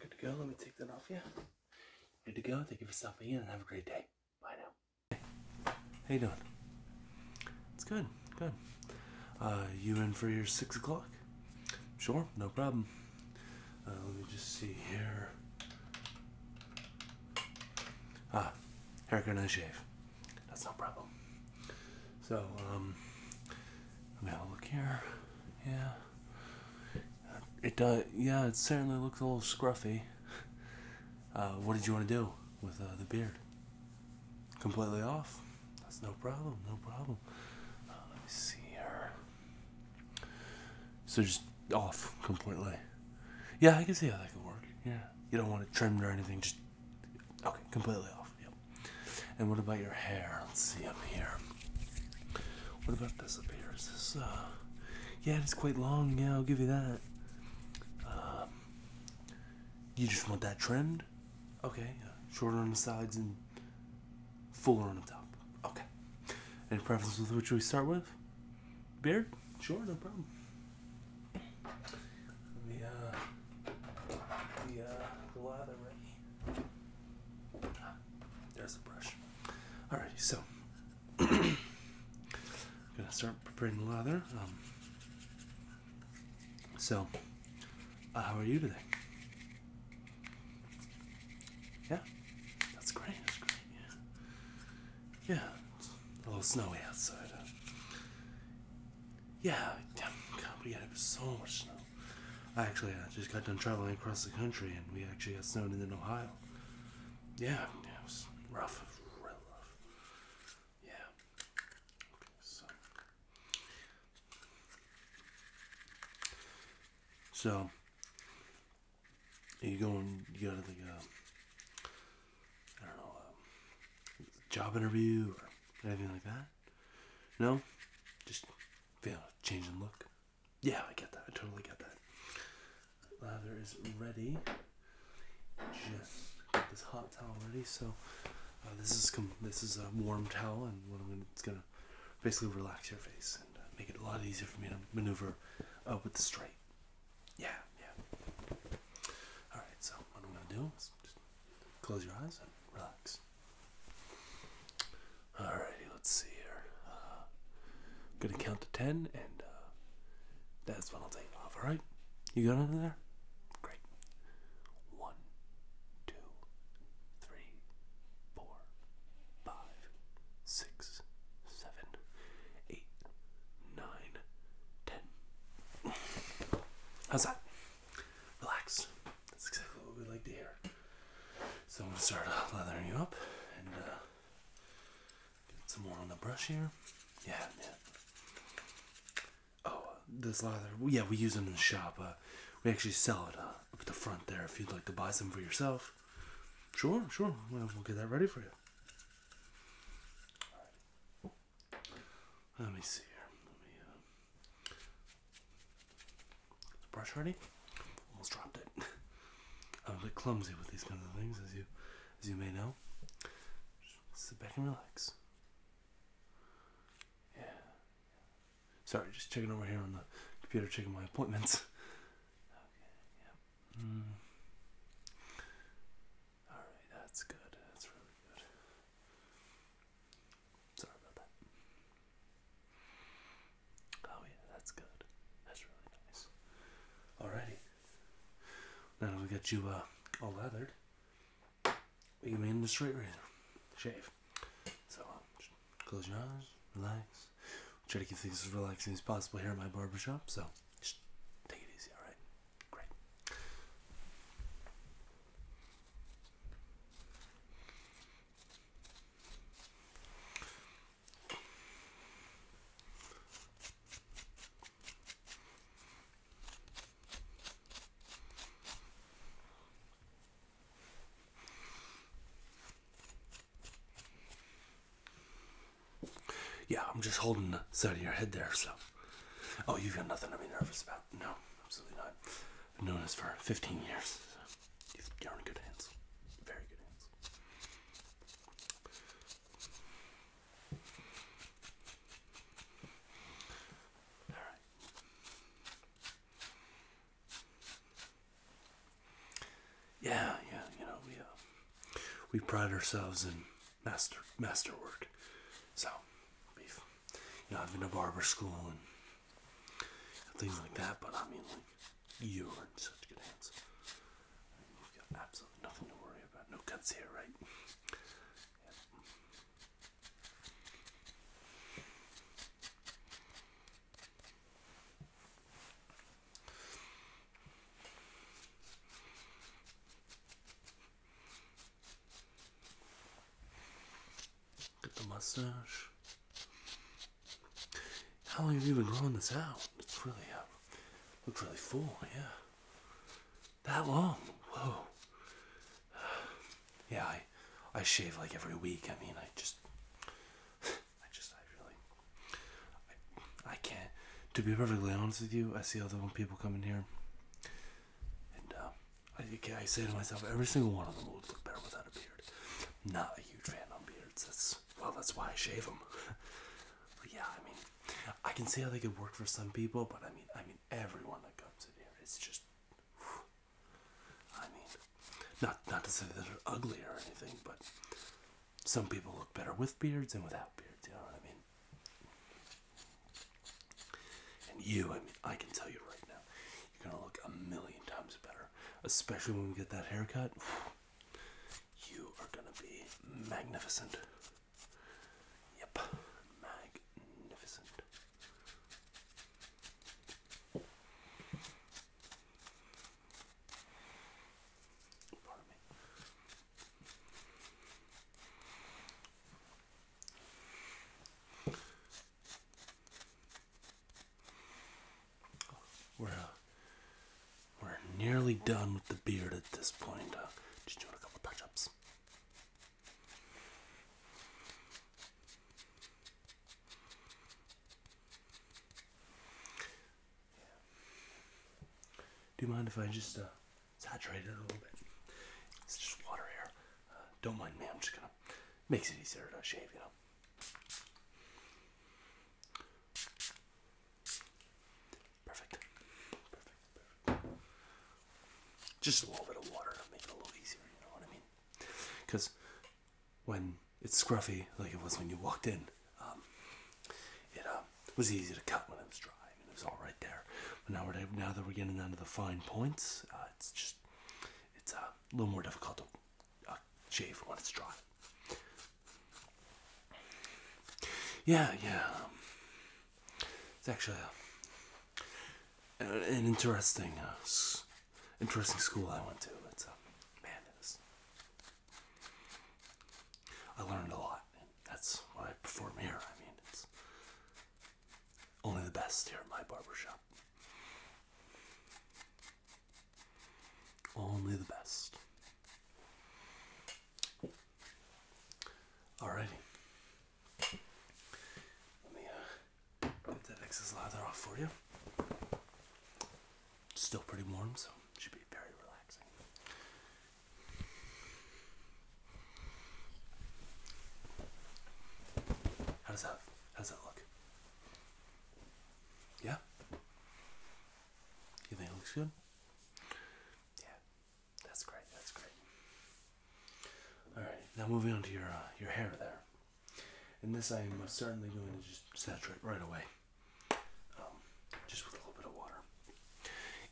good to go. Let me take that off yeah. Good to go. Thank you for stopping in and have a great day. Bye now. Hey. How you doing? It's good, good. Uh, you in for your six o'clock? Sure, no problem. Uh, let me just see here. Ah, haircut and shave. That's no problem. So, um, I'm going look here. Yeah. It does, yeah, it certainly looks a little scruffy. Uh, what did you want to do with uh, the beard? Completely off? That's no problem, no problem. let me see here. So just off completely. Yeah, I can see how that could work. Yeah. You don't want it trimmed or anything, just okay, completely off. Yep. And what about your hair? Let's see up here. What about this up here? Is this uh yeah, it's quite long, yeah, I'll give you that. Um, you just want that trimmed? Okay, yeah. shorter on the sides and fuller on the top. Okay. Any preference with which we start with? Beard? Sure, no problem. The uh, the uh, the lather ready. there's the brush. Alrighty, so I'm gonna start preparing the lather. Um, so, uh, how are you today? Yeah, that's great. That's great. Yeah, yeah. It's a little snowy outside. Huh? Yeah, damn God, we had so much snow. I actually I uh, just got done traveling across the country, and we actually got snowed in Ohio. Yeah, it was rough, real rough. Yeah. Okay, so. So, you going you got like a uh, I don't know uh, job interview or anything like that? No, just feel you change in look. Yeah, I get that. I totally get that. Lather is ready. Just get this hot towel ready. So uh, this is this is a warm towel, and what I'm gonna basically relax your face and uh, make it a lot easier for me to maneuver uh, with the straight. Yeah, yeah. All right. So what I'm gonna do is just close your eyes and relax. Alrighty, let's see here. I'm uh, gonna count to ten, and uh, that's when I'll take All right. You got under there? Great. One, two, three, four, five, six, seven, eight, nine, ten. How's that? Relax. That's exactly what we like to hear. So I'm gonna start uh, leathering you up and uh, get some more on the brush here. Yeah, Oh, this lather. Yeah, we use them in the shop. Uh, we actually sell it uh, up at the front there if you'd like to buy some for yourself. Sure, sure. we'll get that ready for you. Let me see here. Let me. Uh, brush ready? Almost dropped it. I'm a bit clumsy with these kind of things, as you, as you may know. sit back and relax. Yeah. Sorry, just checking over here on the computer, checking my appointments. Okay, yeah. Mm. Alright, that's good. That's really good. Sorry about that. Oh yeah, that's good. That's really nice. Alrighty. Now that we get you uh, all leathered, we can make the straight razor shave. So um, Close your eyes, relax. try to keep things as relaxing as possible here in my barber shop. so just take it easy, alright? Great. Yeah, I'm just holding the side of your head there, so. Oh, you've got nothing to be nervous about. No, absolutely not. I've known this for 15 years. you're in good hands. Very good hands. All right. Yeah, yeah, you know we uh, we pride ourselves in master master work, So we've you know I've been to barber school and things like that, but I mean like you are in such good hands. I have got absolutely nothing to worry about. No cuts here, right? Get the mustache. How long have you been growing this out? It's really uh, looks really full, yeah. That long? Whoa. Yeah, I I shave like every week. I mean, I just I just, I really, I, can't. To be perfectly honest with you, I see all the people coming here, and uh, I, say to myself, every single one of them would look better without a beard. Not a huge fan on beards. That's well, that's why I shave them. but yeah, I mean, I can see how they could work for some people, but I mean, I mean, everyone that comes in here, it's just. I mean, not not to say that they're ugly or anything, but some people look better with beards and without beards. You know what I mean? And you, I mean, I can tell you right now, you're gonna look a million times better, especially when we get that haircut. You are gonna be magnificent. Yep, magnificent. We're uh, we're nearly done with the beard at this point. Uh, just doing a couple touch-ups. Do you mind if I just uh, saturate it a little bit? It's just water here. Uh, don't mind me. I'm just gonna makes it easier to shave, you know. Perfect. Perfect. Perfect. Just a little bit of water to make it a little easier. You know what I mean? Because when it's scruffy like it was when you walked in. Um, it uh, was easy to cut when it was dry. and it was all right there. But now, we're, now that we're getting down to the fine points, uh, it's just it's uh, a little more difficult to shave when it's dry. Yeah, yeah. Um, it's actually an interesting, interesting school I went to. It's a man, I learned a lot. That's why I perform here. I mean, it's only the best here at my barber shop. Only the best. Alrighty. Let me get uh, that excess lather off for you still pretty warm, so it should be very relaxing. How does that how does that look? Yeah? You think it looks good? Yeah. That's great, that's great. Alright, now moving on to your uh, your hair there. In this I am certainly going to just saturate right away. Um, just with a little bit of water.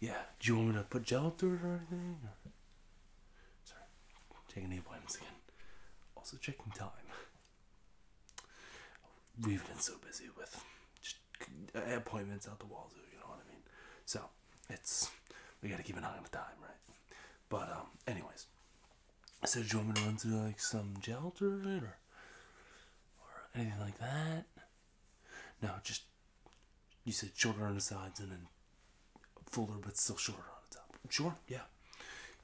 Yeah, do you want me to put gel through it or anything? Sorry, checking the appointments again. Also checking time. We've been so busy with just uh, appointments out the wazoo, you know what I mean? So it's we gotta keep an eye on the time, right? But um, anyways, so do you want me to run through like some gel through it or? or anything like that. No, just you said shorter on the sides and then fuller but still shorter on the top. Sure, yeah.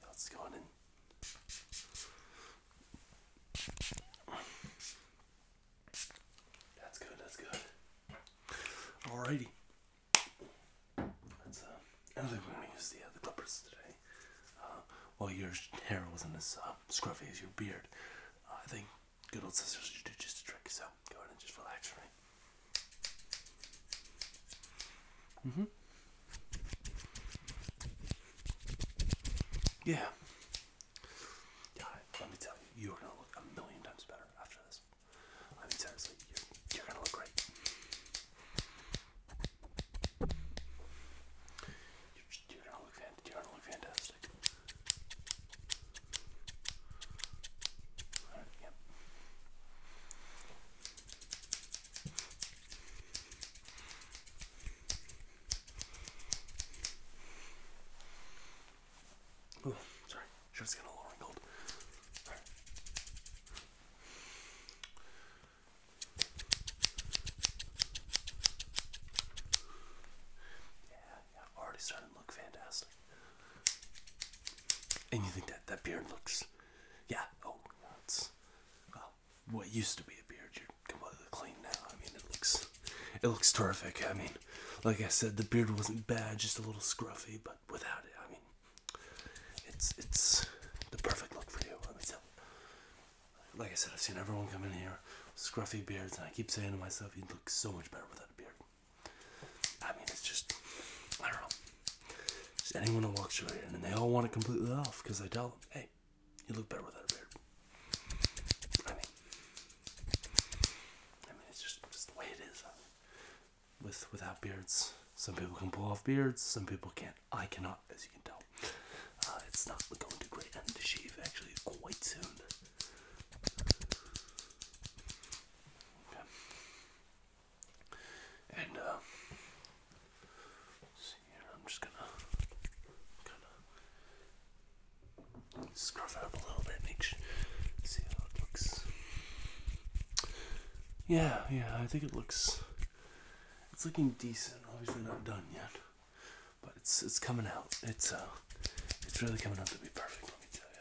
Let's go on in. That's good, that's good. Alrighty. That's uh, I don't think we're gonna use the other uh, clippers today recently. Uh, while your hair wasn't as uh, scruffy as your beard, I think good old scissors do just a trick. So go ahead and just relax, hmm Yeah. God, let me tell you, you are gonna look a million times better after this. I mean, seriously, you you're gonna look great. You're gonna look fantastic. yep. Oh, sorry. Shirt's getting a little wrinkled. Yeah, yeah, already starting to look fantastic. And you think that that beard looks, yeah, oh, that's well, what used to be a beard. You're completely clean now. I mean, it looks, it looks terrific. I mean, like I said, the beard wasn't bad, just a little scruffy, but without it, I mean, it's it's the perfect look for you. Let me tell you like I said, I've seen everyone come in here with scruffy beards, and I keep saying to myself, you'd look so much better without a beard. I mean, it's just, I don't know. Just anyone who walks through here, and they all want it completely off because I tell them, hey, you look better without a beard. I mean, I mean, it's just, just the way it is. with without beards, some people can pull off beards, some people can't. I cannot, as you can tell. Uh, it's not going to great end to shave actually quite soon. And uh, see here, I'm just gonna kind of scruff it up a little bit, see how it looks. Yeah, yeah, I think it looks. It's looking decent. Obviously not done yet but it's it's coming out. It's uh, it's really coming out to be perfect. Let me tell you.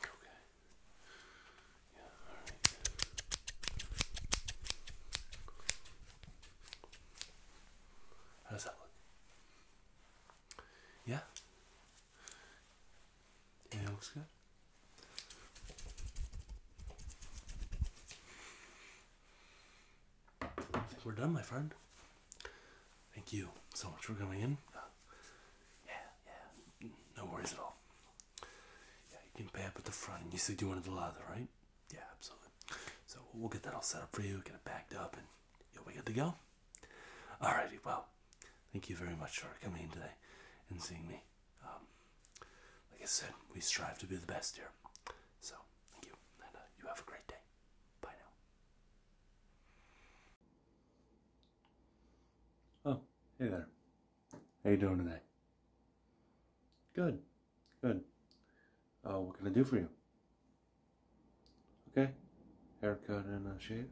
Okay. Yeah. All right. How that look? Yeah. Yeah, looks good. we're done, my friend. Thank you so much for coming in. Uh, yeah, yeah, no worries at all. Yeah, you can pay up at the front, and you said you wanted the leather, right? Yeah, absolutely. So we'll get that all set up for you, get it backed up, and you'll be good to go. Alrighty, well, thank you very much for coming in today and seeing me. Um, like I said, we strive to be the best here. So, thank you, and uh, you have a great day. Bye now. Oh, hey there. How you doing today? Good, good. Uh, what can I do for you? Okay, haircut and a shave.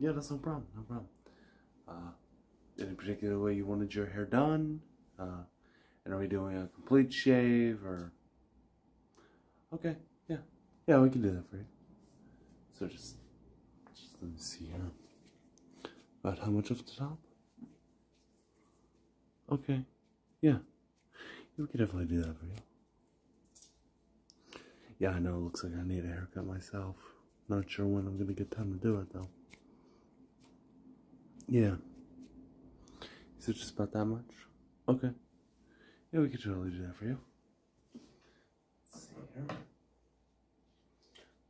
Yeah, that's no problem. No problem. Uh, any particular way you wanted your hair done? Uh, and are we doing a complete shave or? Okay, yeah. Yeah, we can do that for you. So just, just let me see here. About how much of the top? Okay, yeah. We can definitely do that for you. Yeah, I know. It looks like I need a haircut myself. Not sure when I'm gonna get time to do it though. Yeah. Is it just about that much? Okay. Yeah, we could totally do that for you. Let's see here.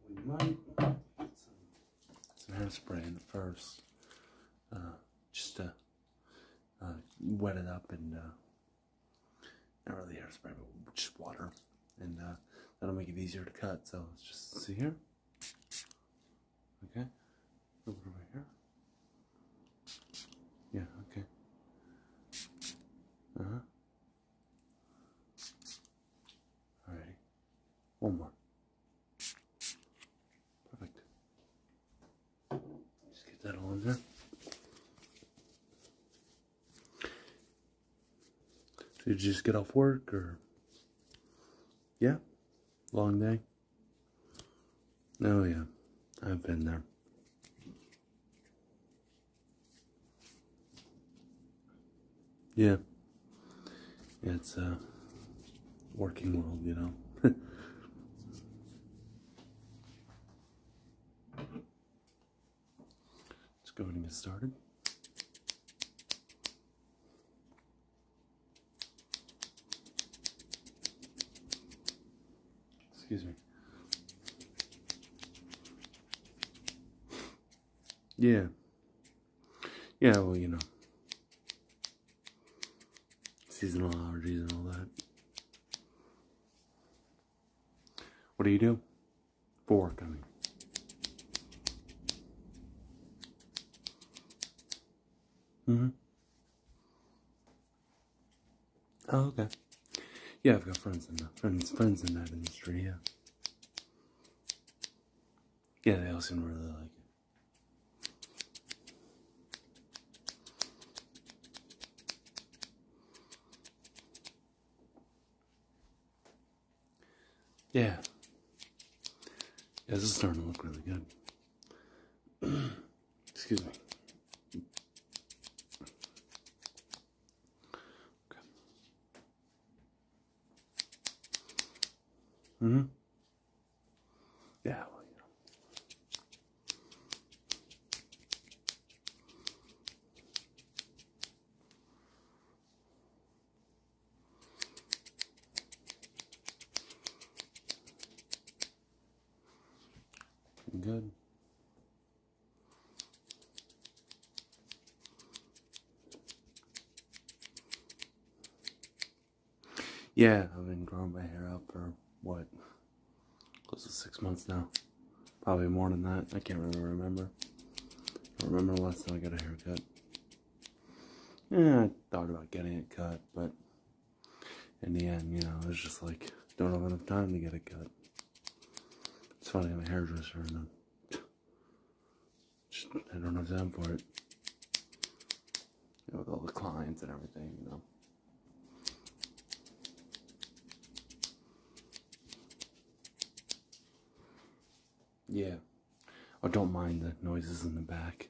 We might put some, some hairspray in first. Uh, just to uh, wet it up and uh, not really hairspray, but just water. And uh, that'll make it easier to cut. So let's just see here. Okay. A little here. Yeah, okay. Uh-huh. Alrighty. One more. Perfect. Just get that all in there. Did you just get off work or? Yeah, long day. Oh, yeah, I've been there. Yeah. it's a uh, working world, you know. Let's go ahead and get started. Excuse me. Yeah. Yeah, well, you know. Seasonal allergies and all that. What do you do? Four coming. Mm-hmm. Oh, okay. Yeah, I've got friends in the friends friends in that industry, yeah. Yeah, they all seem really like it. Yeah. Yeah, this is starting to look really good. Excuse me. hmm Yeah, Good. Yeah, I've been growing my hair out for what? Close to six months now. Probably more than that. I can't really remember. I remember last time I got a haircut. Yeah, I thought about getting it cut, but in the end, you know, it was just like, don't have enough time to get it cut. It's funny, I'm a hairdresser and i I don't have time for it. You know, with all the clients and everything, you know. Yeah. I don't mind the noises in the back.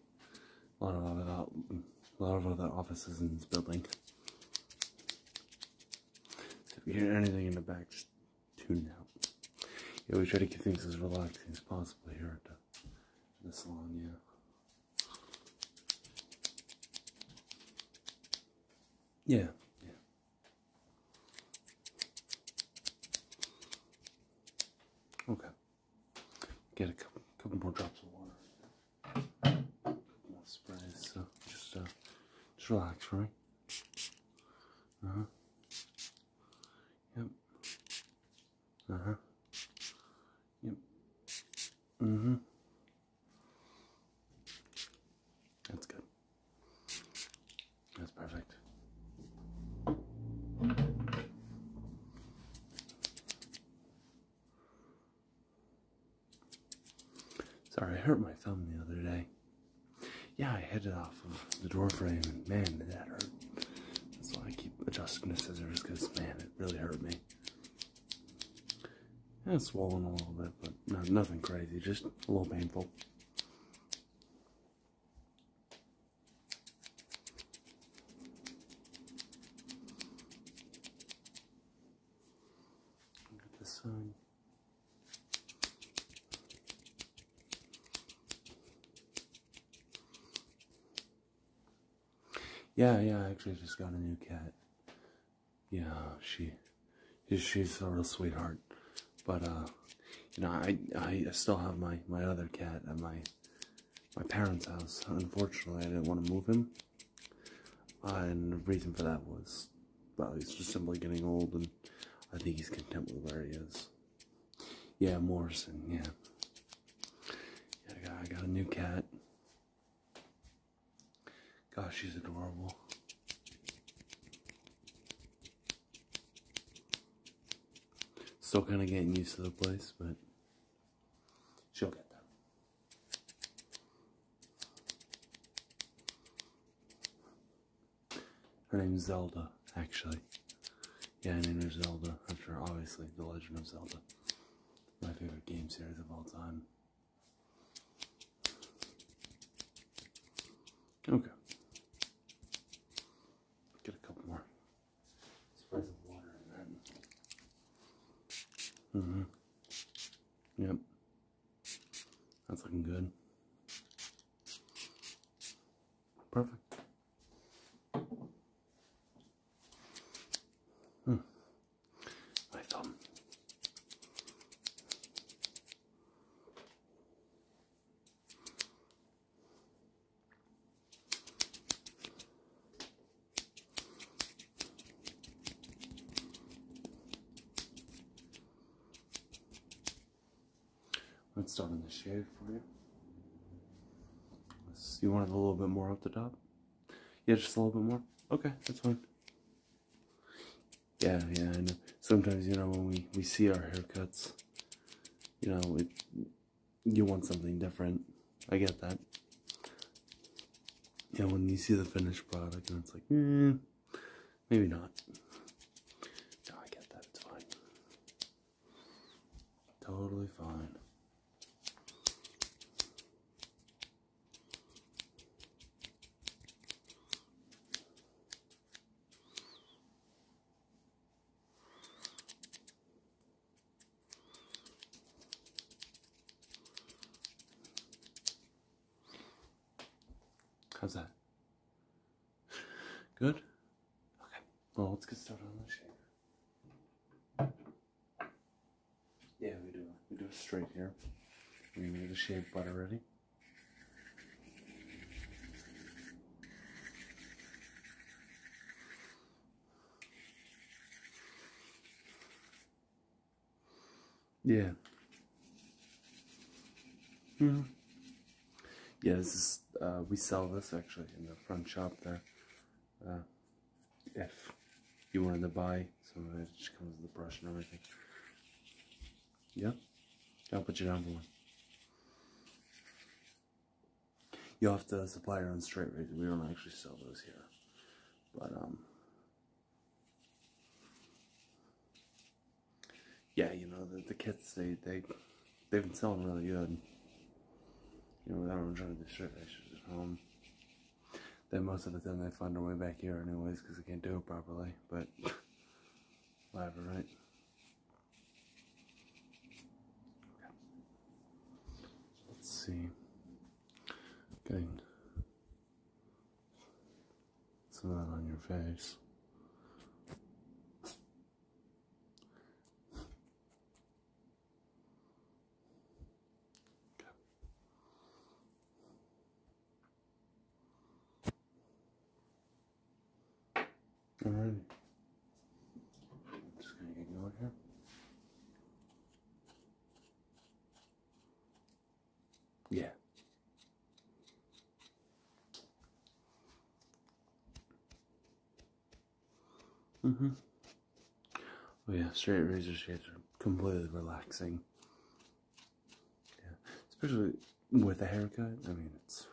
A lot of other, a lot of other offices in this building. So if you hear anything in the back, just tune out. Yeah, we try to keep things as relaxing as possible here at the, the salon, yeah. Yeah, yeah. Okay. Get a couple, more drops of water. More So just, uh, just relax, right? Uh huh. Yep. Uh huh. Yep. Mm hmm. That's good. That's perfect. Sorry, I hurt my thumb the other day. Yeah, I hit it off of the door frame, and man, that hurt. That's why I keep adjusting the scissors, because man, it really hurt me. Yeah, it's swollen a little bit, but no, nothing crazy, just a little painful. Look at the sun. Yeah, yeah, I actually just got a new cat yeah, she, she's a real sweetheart. But uh, you know, I I still have my my other cat at my my parents' house. Unfortunately, I didn't want to move him, and the reason for that was, well, he's just simply getting old, and I think he's content with where he is. Yeah, Morrison. Yeah, yeah I got I got a new cat. Gosh, she's adorable. Still kind of getting used to the place, but she'll get there. Her name's Zelda, actually. Yeah, her named her Zelda after, obviously, The Legend of Zelda. My favorite game series of all time. Okay. Get a couple more Spray some water in that. hmm Yep. That's looking good. Perfect. My hmm. thumb. Let's start in the shade for you. You wanted a little bit more up the top? Yeah, just a little bit more? Okay, that's fine. Yeah, yeah, I know. Sometimes, you know, when we, we see our haircuts, you know, it, you want something different. I get that. Yeah, when you see the finished product and it's like, mm, maybe not. No, I get that. It's fine. Totally fine. How's that? Good? Okay. Well, let's get started on this shape. Yeah, we do. We do a straight here. We need the shave butter ready. Yeah. Mm. Yeah, this is, uh, we sell this actually in the front shop there. Uh, if you wanted to buy some of it, just comes with the brush and everything. Yeah? I'll put you down for one. You'll have to supply your own straight razor. We don't actually sell those here. But, um... Yeah, you know, the, the kits, they, they, they've been selling really good. You know, without trying to do straight razors at home. Then most of the time they find their way back here anyways because they can't do it properly. But Labradorite. Okay. Let's see. Getting some of that on your face. Okay. Alright, Just gonna get going here. Yeah. Mm-hmm. Oh yeah, straight razor shades are completely relaxing. Yeah, especially with a haircut. I mean, it's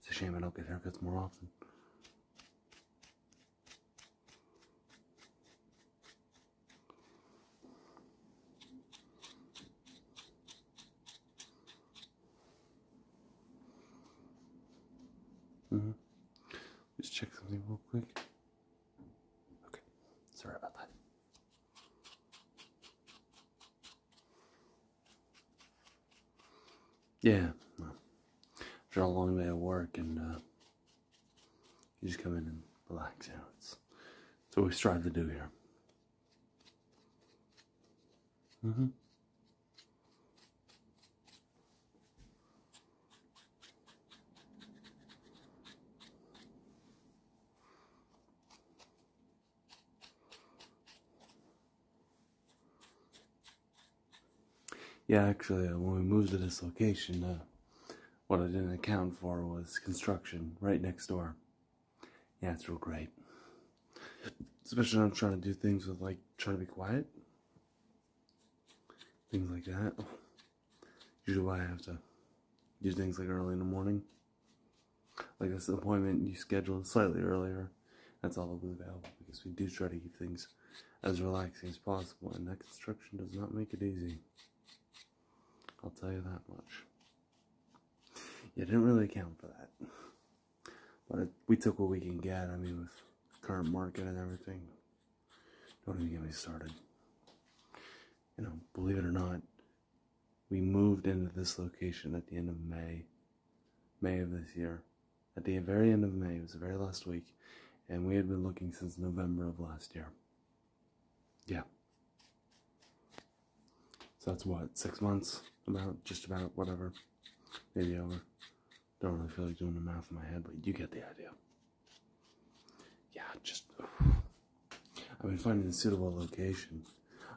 it's a shame I don't get haircuts more often. Mm -hmm. let check something real quick. Okay, sorry about that. Yeah, well, a long way of work, and uh, you just come in and relax. You know, it's, it's what we strive to do here. Mm hmm yeah, actually, uh, when we moved to this location, uh, what I didn't account for was construction right next door. Yeah, it's real great. Especially when I'm trying to do things with, like, trying to be quiet. Things like that. Usually I have to do things like early in the morning. Like this appointment you scheduled slightly earlier. That's all that was available because we do try to keep things as relaxing as possible and that construction does not make it easy. I'll tell you that much. You didn't really account for that. But we took what we can get, I mean, with current market and everything. Don't even get me started you know, believe it or not, we moved into this location at the end of May, May of this year. At the very end of May, it was the very last week, and we had been looking since November of last year. Yeah. So that's what, six months? About, just about, whatever. Maybe over. Don't really feel like doing the math in my head, but you get the idea yeah, just I've been finding a suitable location.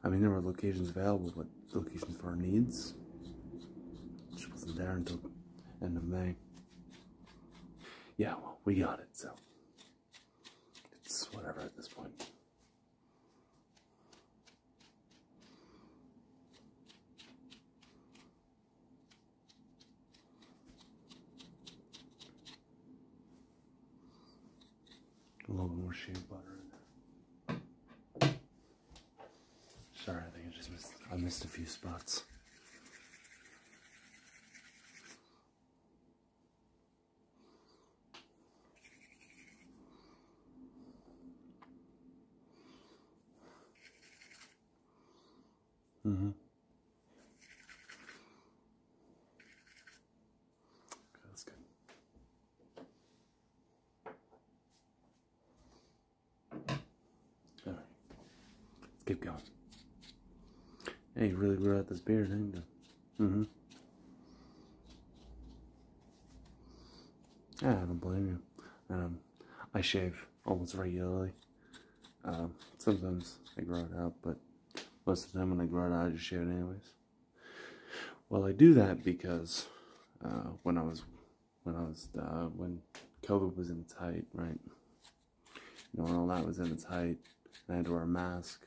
I mean, there were locations available, but locations for our needs which wasn't there until end of May. Yeah, well, we got it, so it's whatever at this point. A little more shea butter in there. Sorry, I think I just missed, I missed a few spots. Mm-hmm right, let's keep going. Hey, you really grew out this beard, did Mm-hmm. I don't blame you. Um, I shave almost regularly. Um, sometimes I grow it out, but most of the time when I grow it out, I just shave it anyways. Well, I do that because uh, when I was when I was uh, when COVID was in its height, right? You know, when all that was in its height, and I had to wear a mask.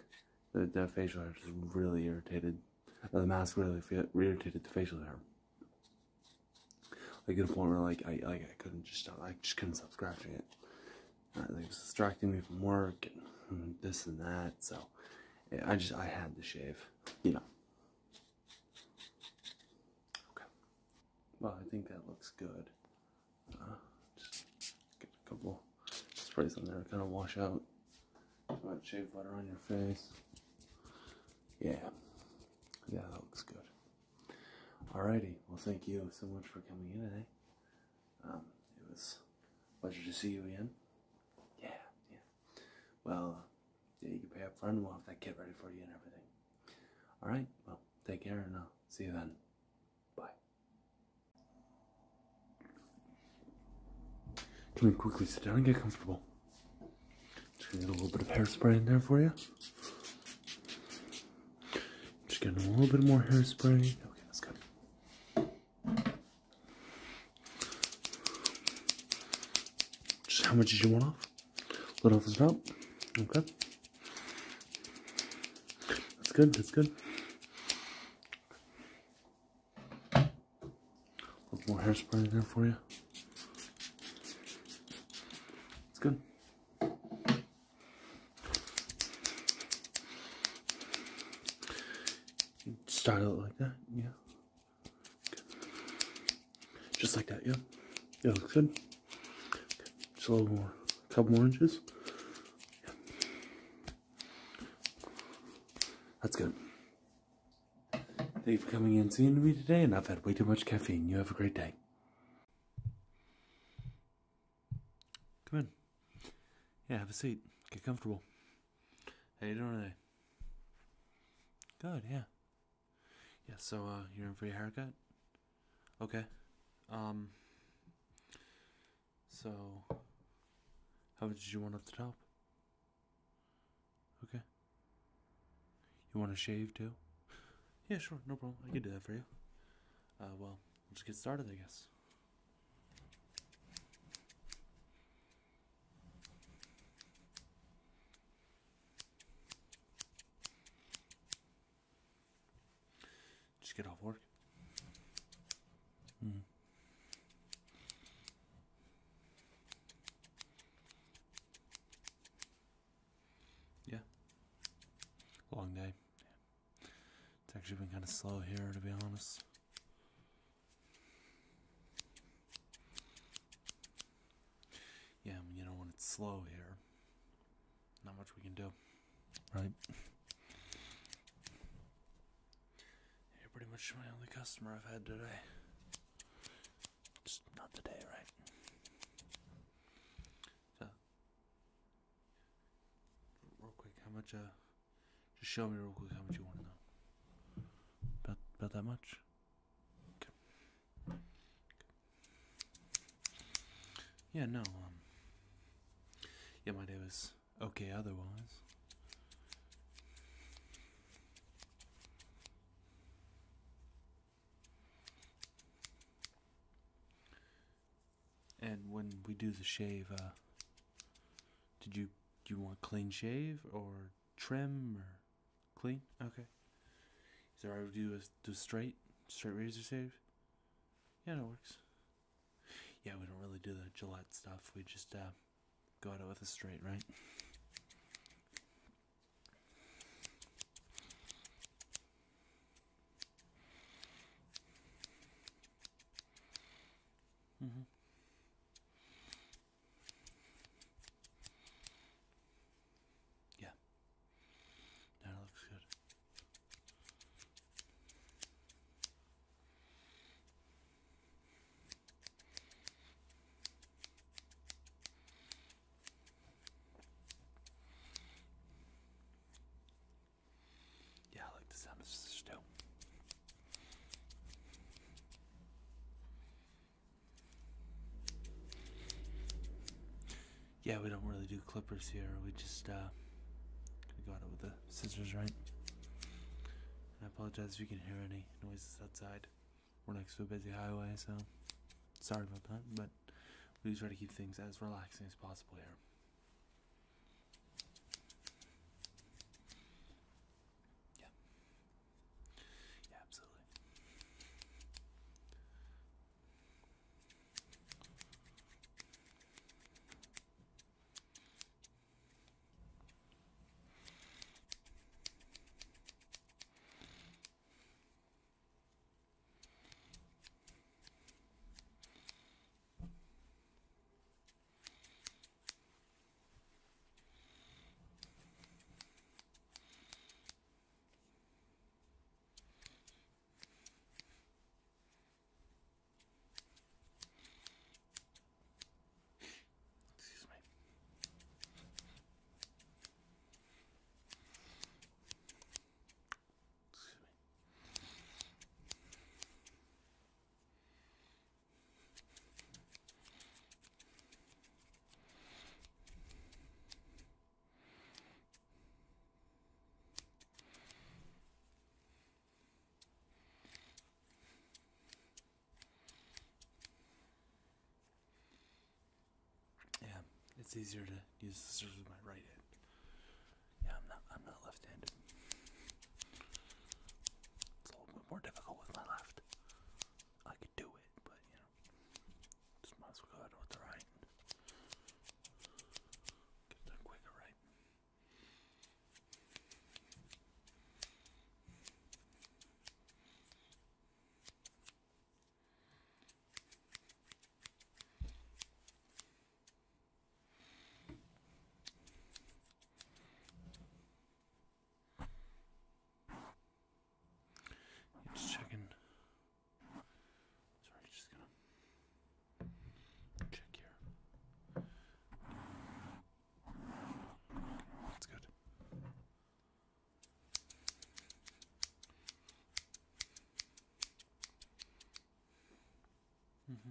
The, facial hair was really irritated. Uh, the mask really irritated the facial hair. Like to the point where like I like I couldn't just stop. I just couldn't stop scratching it. Uh, it was distracting me from work and this and that. So I just I had to shave, you know. Okay. Well, I think that looks good. Uh, just get a couple sprays on there to kind of wash out some shave butter on your face. Yeah. Yeah, that looks good. All righty. Well, thank you so much for coming in today. Um, it was a pleasure to see you again. Yeah, yeah. Well, uh, yeah, you can pay up front and we'll have that kit ready for you and everything. Alright, well, take care and I'll uh, see you then. Bye. Come in quickly, sit down and get comfortable. Just gonna get a little bit of hairspray in there for you. Just getting a little bit more hairspray. Okay, that's good. Just how much did you want off? Let off is about. Okay. That's good, that's good. A little more hairspray there for you. That's good. Start out like that, yeah. Just like that, yeah. Yeah, looks good. Just a little more, a couple more inches. That's good. Thank you for coming in, seeing me today, and I've had way too much caffeine. You have a great day. Come in. Yeah, have a seat. Get comfortable. How you doing today? Good, yeah. Yeah, so uh you're in for your haircut? Okay. Um so how much did you want up the top? Okay. You want to shave too? Yeah, sure, no problem. I can do that for you. Uh well, We'll just get started, I guess. Just get off work. Mm. Yeah. Long day. It's actually been kind of slow here, to be honest. Yeah, you know, when it's slow here, not much we can do, right? You're pretty much my only customer I've had today. Just not today, right? So, real quick, how much, uh, just show me real quick how much you want to know. About about that much. Yeah, no. Um, yeah, my day was okay otherwise. And when we do the shave, uh, did you do you want clean shave or trim or clean? Okay. Is there I would do a do straight straight razor shave? Yeah, that works. Yeah, we don't really do the Gillette stuff. We just uh, go at it with a straight, right? Mm-hmm. Yeah. That looks good. Yeah, like the sound of Yeah, we don't really do clippers here. We just uh, got it with the scissors, right? I apologize if you can hear any noises outside. We're next to a busy highway, so sorry about that. But we do try to keep things as relaxing as possible here. Yeah. Yeah, absolutely. Excuse me. Excuse me. Yeah, it's easier to use the scissors with my right hand. Yeah, I'm not. I'm not left-handed. It's a little bit more difficult with my left. I could do it, but you know, just might as well go out with the right. Get done quicker, right? Just checking. Sorry, just gonna check here. That's good. Mm-hmm.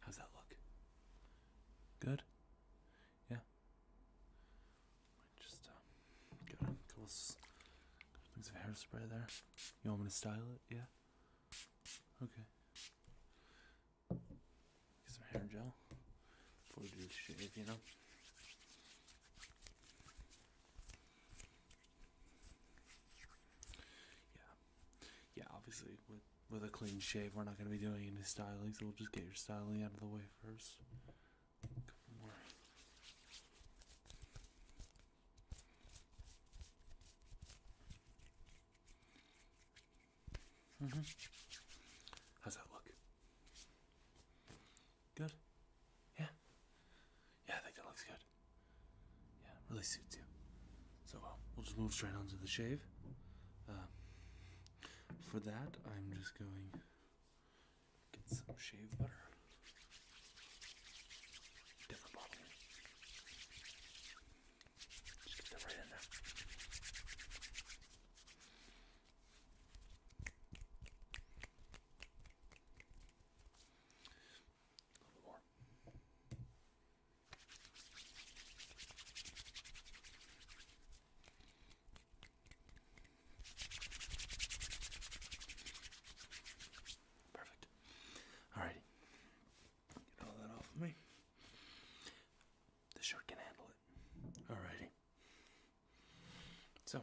How's that look? Good? Yeah. Just uh, a couple things of hairspray there. You want me to style it? Yeah. Okay. some hair gel before we do the shave, you know. Yeah, yeah. Obviously, with with a clean shave, we're not gonna be doing any styling, so we'll just get your styling out of the way first. Mm-hmm. How's that look? Good? Yeah. Yeah, I think that looks good. Yeah, really suits you. So we'll just move straight on to the shave. Uh, for that, I'm just going get some shave butter. Different bottle. Just get that right in there. A little bit Get all that off of me. The shirt can handle it. Alrighty. So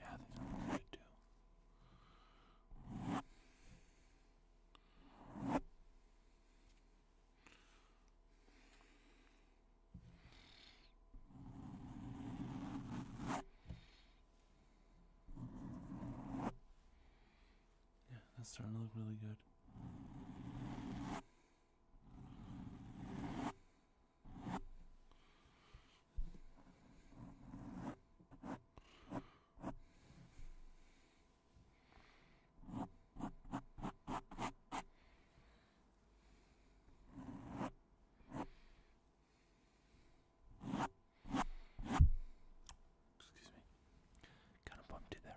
Yeah, these are good Yeah, that's starting to look really good. Excuse me. Kind of bumped it there.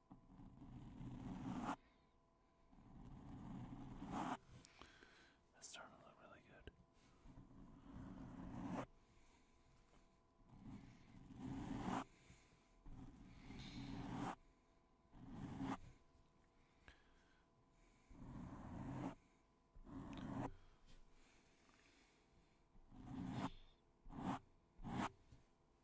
That's starting to look really good.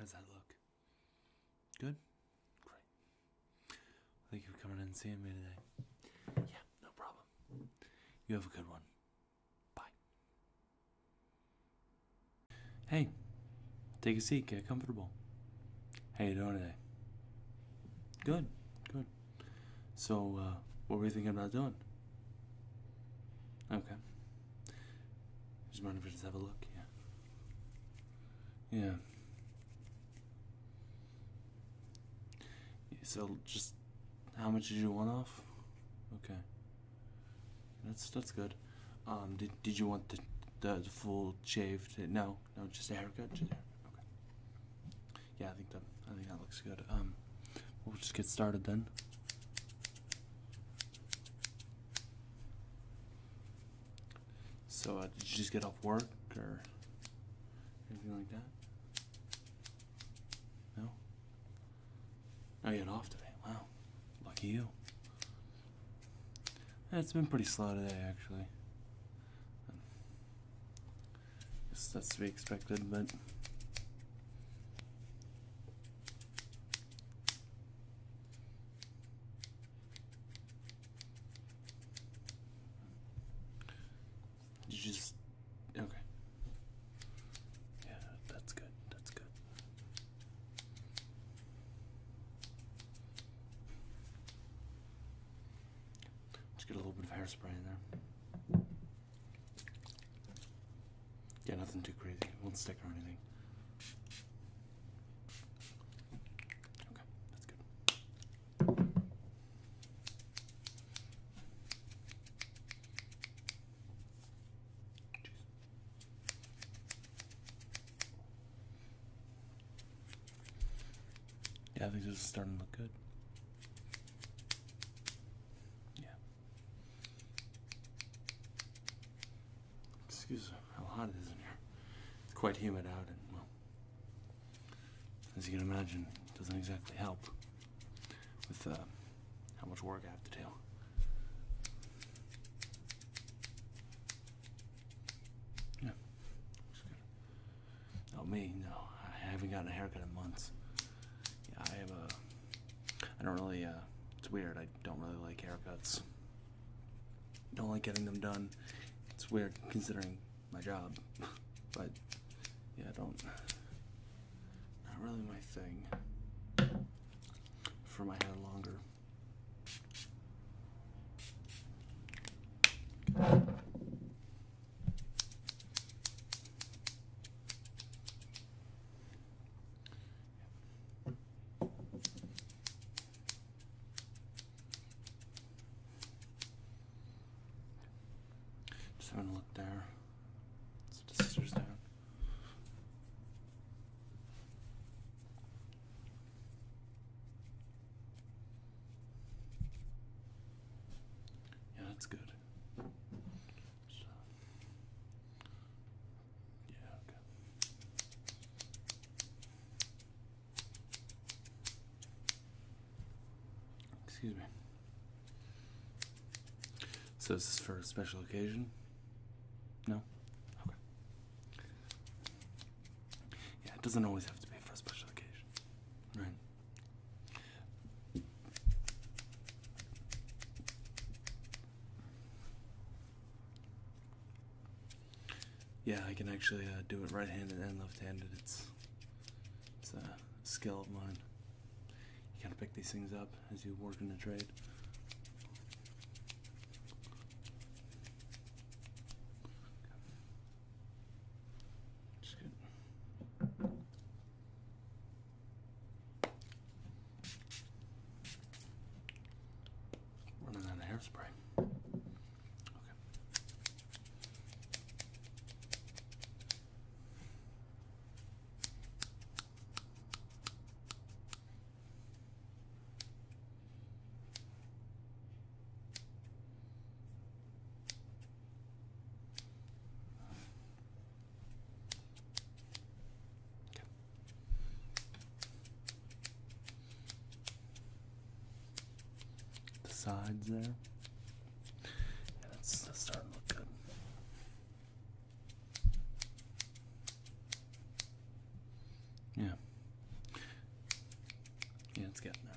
How does that look? Good? Great. Thank you for coming in and seeing me today. Yeah, no problem. You have a good one. Bye. Hey, take a seat, get comfortable. How you doing today? Good, good. So, uh, what were you thinking about doing? Okay. Just mind if we just have a look? Yeah. Yeah. So just how much did you want off? Okay, that's that's good. Um, did did you want the the, full shave? No, no, just a haircut. Yeah, I think that I think that looks good. Um, we'll just get started then. So uh, did you just get off work or anything like that? No? Oh, you had off today. Wow. Lucky you. it's been pretty slow today, actually. that's to be expected, but. You just okay. Yeah, that's good. That's good. Just get a little bit of hairspray in there. Yeah, nothing too crazy. won't stick or anything. Okay, that's good. Yeah, I think this is starting to look good. Yeah. Excuse how hot it is in here. It's quite humid out and well as you can imagine, doesn't exactly help with uh, how much work I have to do. Yeah, looks me, no. I haven't gotten a haircut in months. Yeah, I have a. I don't really. Uh, it's weird. I don't really like haircuts. Don't like getting them done. It's weird considering my job, but yeah, I don't. Not really my thing. For my hair longer. Just having a look there. Set the Yeah, that's good. yeah, okay. Excuse me. So is this for a special occasion? No? Okay. Yeah, it doesn't always have to be for a special occasion. Right. Yeah, I can actually uh, do it right-handed and left-handed. It's a skill of mine. You gotta pick these things up as you work in the trade. Just good. Running out of hairspray. Okay. The sides there yeah, Yeah. it's getting there.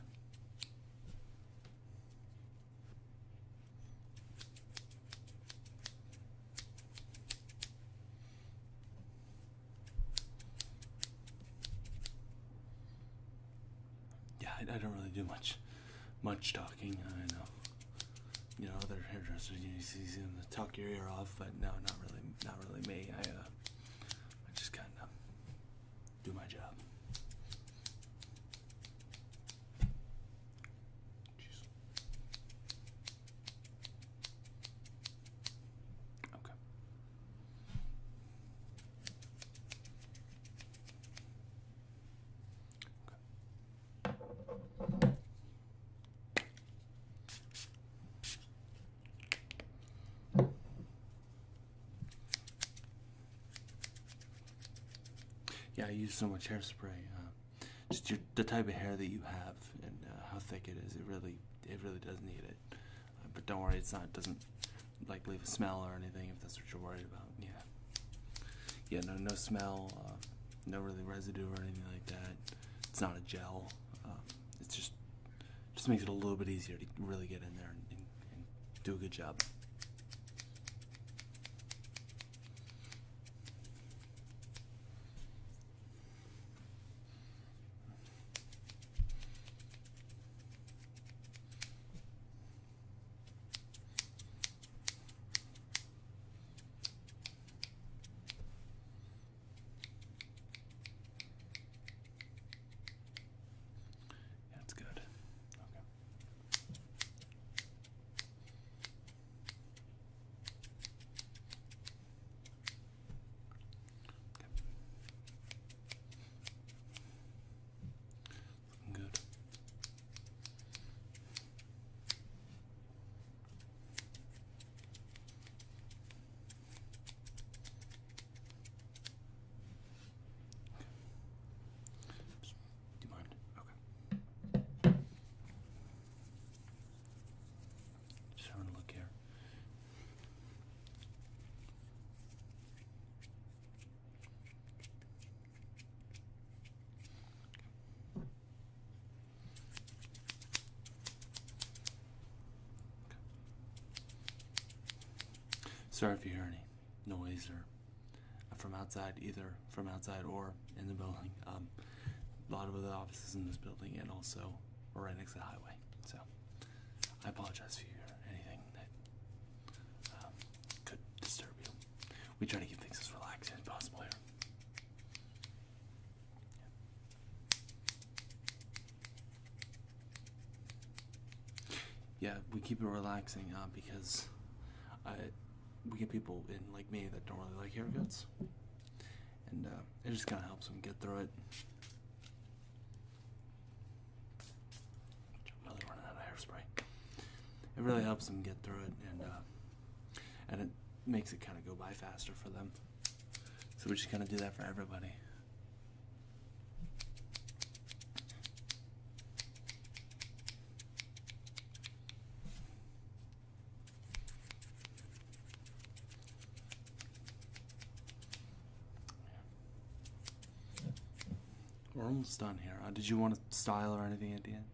Yeah, I don't really do much much talking. I know, you know, other hairdressers you see them talk your ear off, but no, not really, not really me. I, uh, I just kind of do my job. Okay. Yeah, I use so much hairspray. Uh, just the type of hair that you have and uh, how thick it is. It really, it really does need it. Uh, but don't worry, it's not. It doesn't like leave a smell or anything if that's what you're worried about. Yeah yeah, no, no smell, uh, no really residue or anything like that. It's not a gel. Uh, um, it's just just makes it a little bit easier to really get in there and do a good job. That's good. Okay. Looking good. Do you mind? Okay. Just having a look here. Sorry if you hear any noise or from outside, either from outside or in the building. Um, a lot of other offices in this building and also right next to the highway. So I apologize if you hear anything that um, could disturb you. We try to keep things as relaxed as possible here. Yeah, we keep it relaxing uh, because we get people in like me that don't really like haircuts, and uh, it just kind of helps them get through it. I'm really running hairspray. It really helps them get through it, and uh, and it makes it kind of go by faster for them. So we're just gonna do that for everybody. We're almost done here. Uh, did you want a style or anything at the end?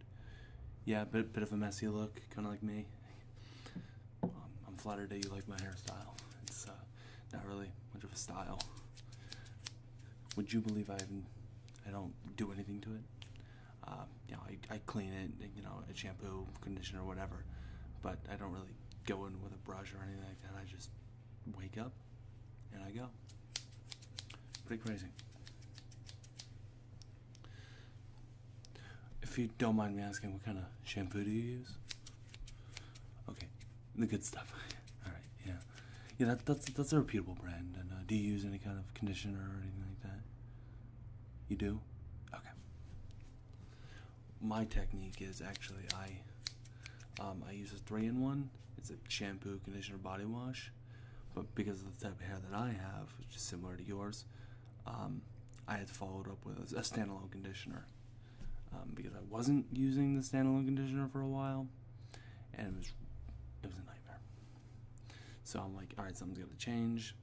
Yeah, bit bit of a messy look, kind of like me. Um, I'm flattered that you like my hairstyle. It's uh, not really much of a style. Would you believe I even I don't do anything to it? Uh, I clean it, you know, a shampoo, conditioner, whatever. But I don't really go in with a brush or anything like that. I just wake up and I go. Pretty crazy. If you don't mind me asking, what kind of shampoo do you use? Okay, the good stuff. All right, yeah, yeah. that's that's a reputable brand. And uh, do you use any kind of conditioner or anything like that? You do? Okay. My technique is actually I um, I use a three in one. It's a shampoo, conditioner, body wash, but because of the type of hair that I have, which is similar to yours, um, I had followed up with a standalone conditioner um, because I wasn't using the standalone conditioner for a while, and it was it was a nightmare. So I'm like, all right, right, something's got to change.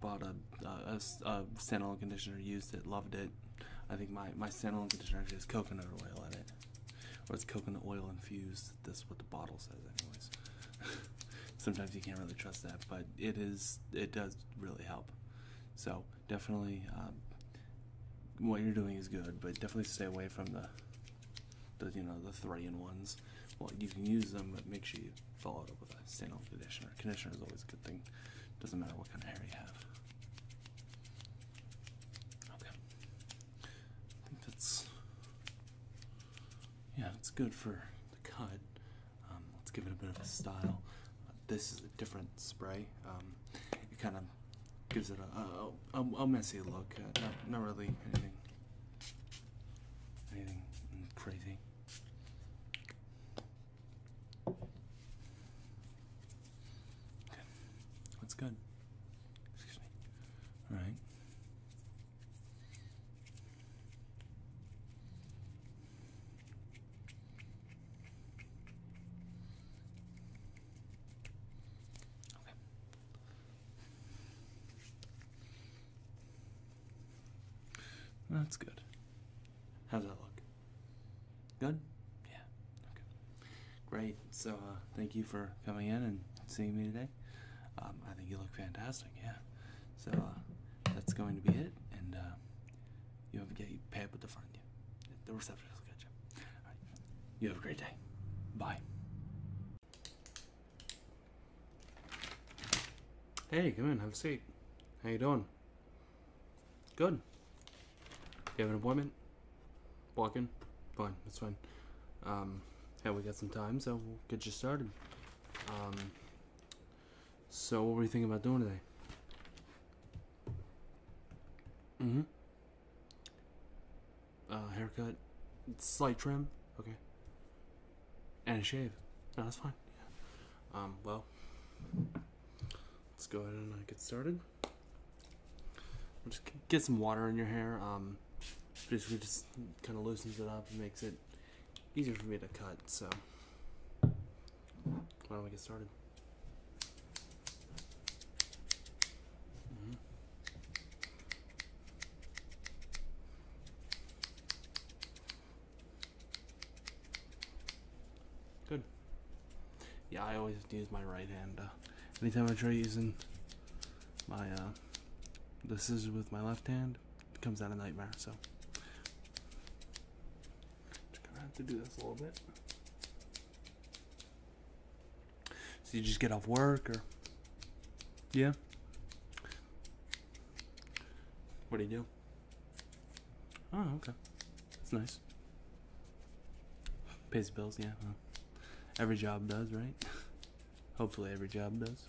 Bought a, standalone conditioner, used it, loved it. I think my my standalone conditioner has coconut oil in it, or it's coconut oil infused this is what the bottle says anyways sometimes you can't really trust that but it is it does really help so definitely um, what you're doing is good but definitely stay away from the the you know the three in ones well you can use them but make sure you follow it up with a stand-on conditioner conditioner is always a good thing doesn't matter what kind of hair you have Okay. I think that's yeah, it's good for the cut. Um, let's give it a bit of a style. this is a different spray. Um, it kind of gives it a, a, messy look. Uh, not, really anything, anything crazy. Okay. That's good. Excuse me. All right. That's good. How's that look? Good? Yeah. Okay. Great. So, uh, thank you for coming in and seeing me today. Um, I think you look fantastic, yeah. So uh, that's going to be it, and uh, you have to get people to find you. The receptionist will get you. All right. You have a great day. Bye. Hey, come in, have a seat. How you doing? Good. You have an appointment? Walk in? Fine, that's fine. Um, and we got some time, so we'll get you started. Um, so, what were you thinking about doing today? Mm-hmm. Uh, haircut, slight trim, okay. And a shave. No, that's fine. Um, well, let's go ahead and uh, get started. Just get some water in your hair. Um, basically just kind of loosens it up and makes it easier for me to cut. So why don't we get started? Mm-hmm. Good. Yeah, I always use my right hand. Uh, anytime I try using my uh, this is with my left hand Comes out a nightmare. So gonna have to do this a little bit. So you just get off work or yeah. What do you do? Oh, okay. It's nice. Pays bills, yeah. every job does, right? Hopefully every job does.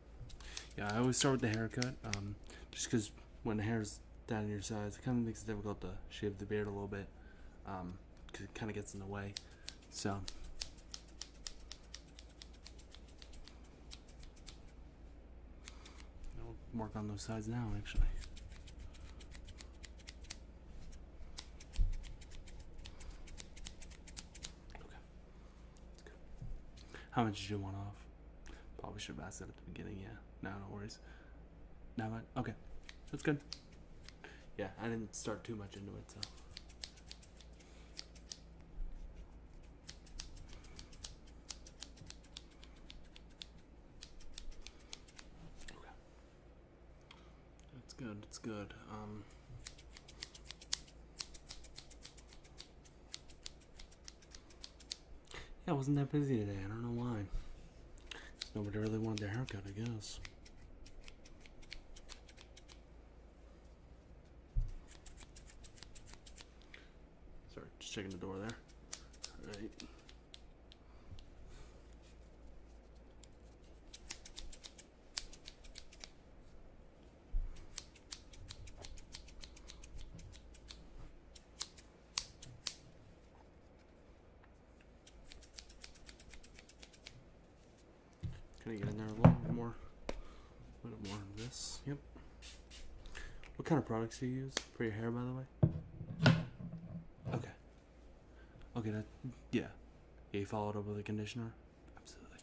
Yeah, I always start with the haircut, um, just because when the is down to your sides, it kind of makes it difficult to shave the beard a little bit, because um, it kind of gets in the way. So. I'll work on those sides now, actually. Okay. How much did you want off? Probably should have asked that at the beginning, yeah. No, no worries. No, that okay. That's good. Yeah, I didn't start too much into it, so That's good, it's good. Um I wasn't that busy today. I don't know why. Nobody really wanted their haircut, I guess. Sorry, just checking the door there. All right. Can I get in there a little more? A little more of this. Yep. What kind of products do you use for your hair, by the way? Okay. Okay, yeah. Yeah, you followed up with a conditioner? Absolutely.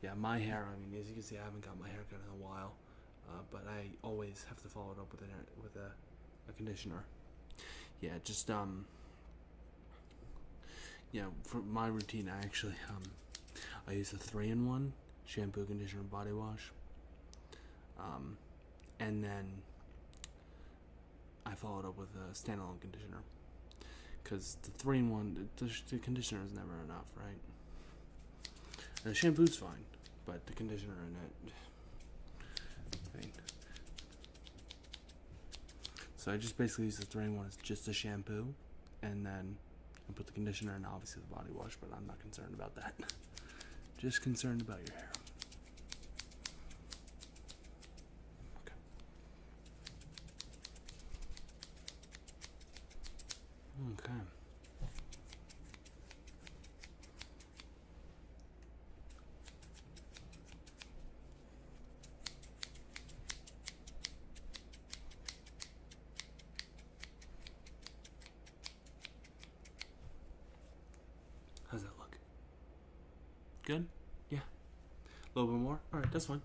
Yeah, my hair, I mean, as you can see, I haven't got my hair cut in a while. Uh, but I always have to follow it up with an with a, a conditioner. Yeah, just um, yeah. For my routine, I actually um, I use a three in one shampoo, conditioner, body wash. Um, and then I followed up with a standalone conditioner because the three in one the conditioner is never enough, right? And the shampoo's fine but the conditioner in it. So I just basically use the drain one as just a shampoo, and then I put the conditioner and obviously the body wash, but I'm not concerned about that. Just concerned about your hair. Okay. How's that look? Good? Yeah. A little bit more? Alright, that's one.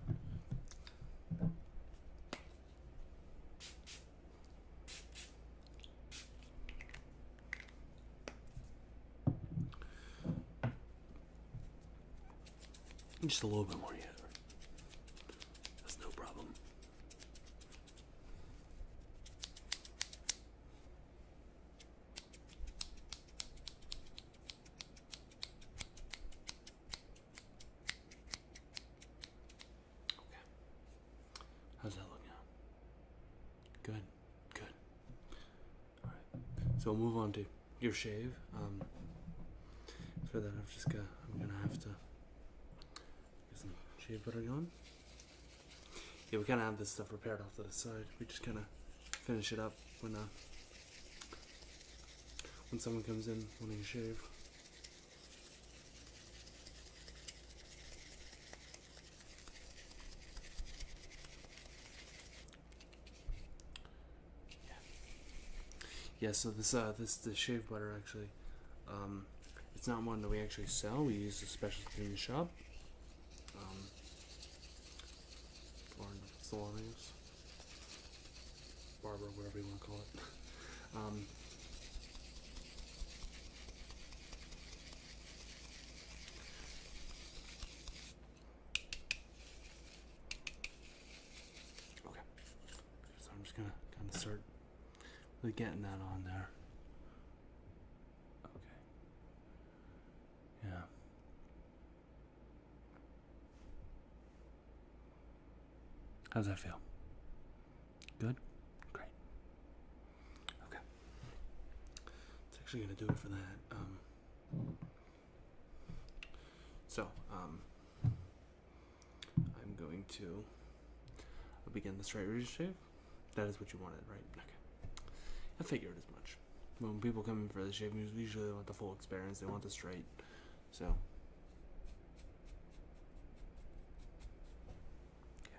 Just a little bit more, yeah. That's no problem. Okay. How's that look now? Good. Good. All right. So we'll move on to your shave. Um, for that, I've just got. I'm gonna have to get some shave butter on. Yeah, we kind of have this stuff prepared off to the side. We just kind of finish it up when uh, when someone comes in wanting to shave. Yeah. So this uh this the shave butter actually, um, it's not one that we actually sell. We use a specialty in the shop. Um, or barber, whatever you want to call it. Um, Okay, so I'm just gonna kind of start getting that on there. Okay. Yeah. How's that feel? Good? Great. Okay. It's actually going to do it for that. Um, so, um, I'm going to begin the straight razor shave. That is what you wanted, right? Okay. I figured as much. When people come in for the shave, usually they want the full experience. They want the straight. So, yeah.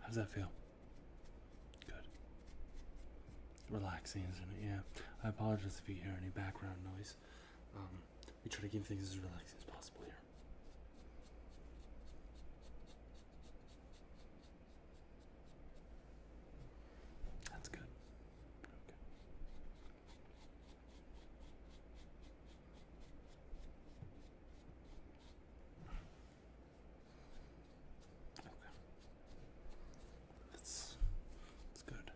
How does that feel? Good. Relaxing, isn't it? Yeah. I apologize if you hear any background noise. we um, try to keep things as relaxing as possible here. That's good. Okay. That's that's good.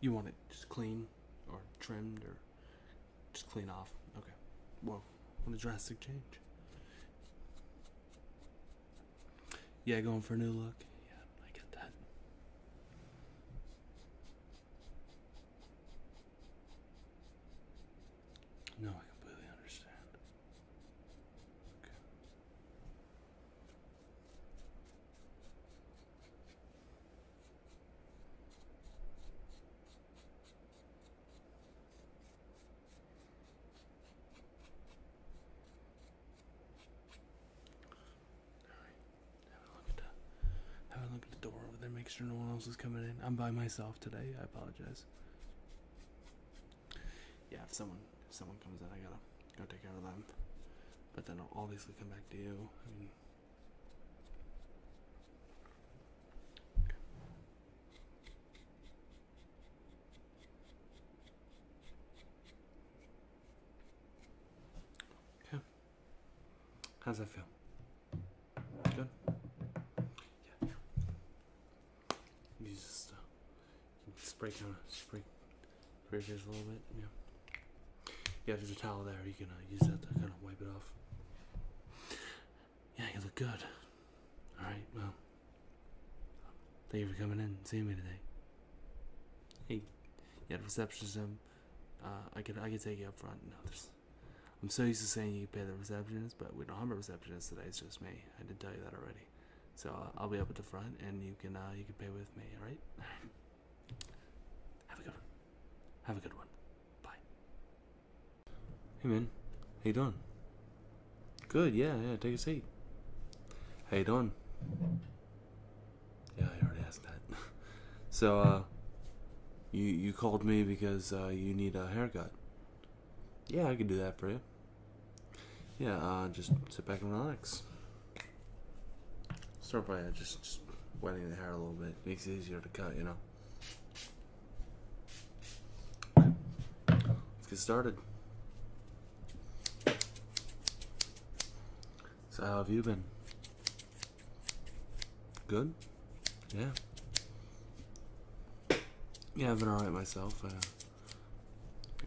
You want it just clean or trimmed or just clean off. Okay. Whoa, what a drastic change. Yeah, going for a new look. Yeah, I get that. No, I completely understand. Okay. Alright. Have a look at the door over there, make sure no one else is coming in. I'm by myself today, I apologize. Yeah, if someone someone comes in I gotta gotta take care of them. But then I'll obviously come back to you. Okay. How's that feel? Good. Yeah. You just uh, spray kind of spray, spray your face a little bit. Yeah. Yeah, there's a towel there. You can uh, use that to kind of wipe it off. Yeah, you look good. All right. Well, thank you for coming in and seeing me today. Hey, yeah, the receptionist uh, I could I could take you up front and I'm so used to saying you pay the receptionist, but we don't have a receptionist today. It's just me. I did tell you that already. So uh, I'll be up at the front, and you can uh, you can pay with me. All right. have a good one. Have a good one. Bye. Hey man, how you doing? Good. Yeah, yeah. Take a seat. How you doing? Yeah, I already asked that. so, uh, you you called me because uh, you need a haircut. Yeah, I could do that for you. Yeah, uh, just sit back and relax. Start by just wetting the hair a little bit. Makes it easier to cut, you know. Let's get started. So how have you been? Good? Yeah. Yeah, I've been alright myself. Uh,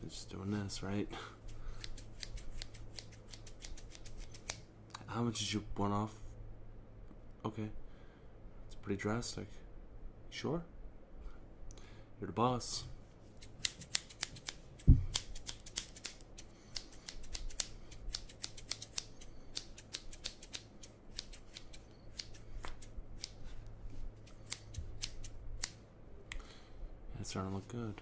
just doing this, right? How much is your one off? Okay. It's pretty drastic. Sure? You're the boss. It's starting to look good.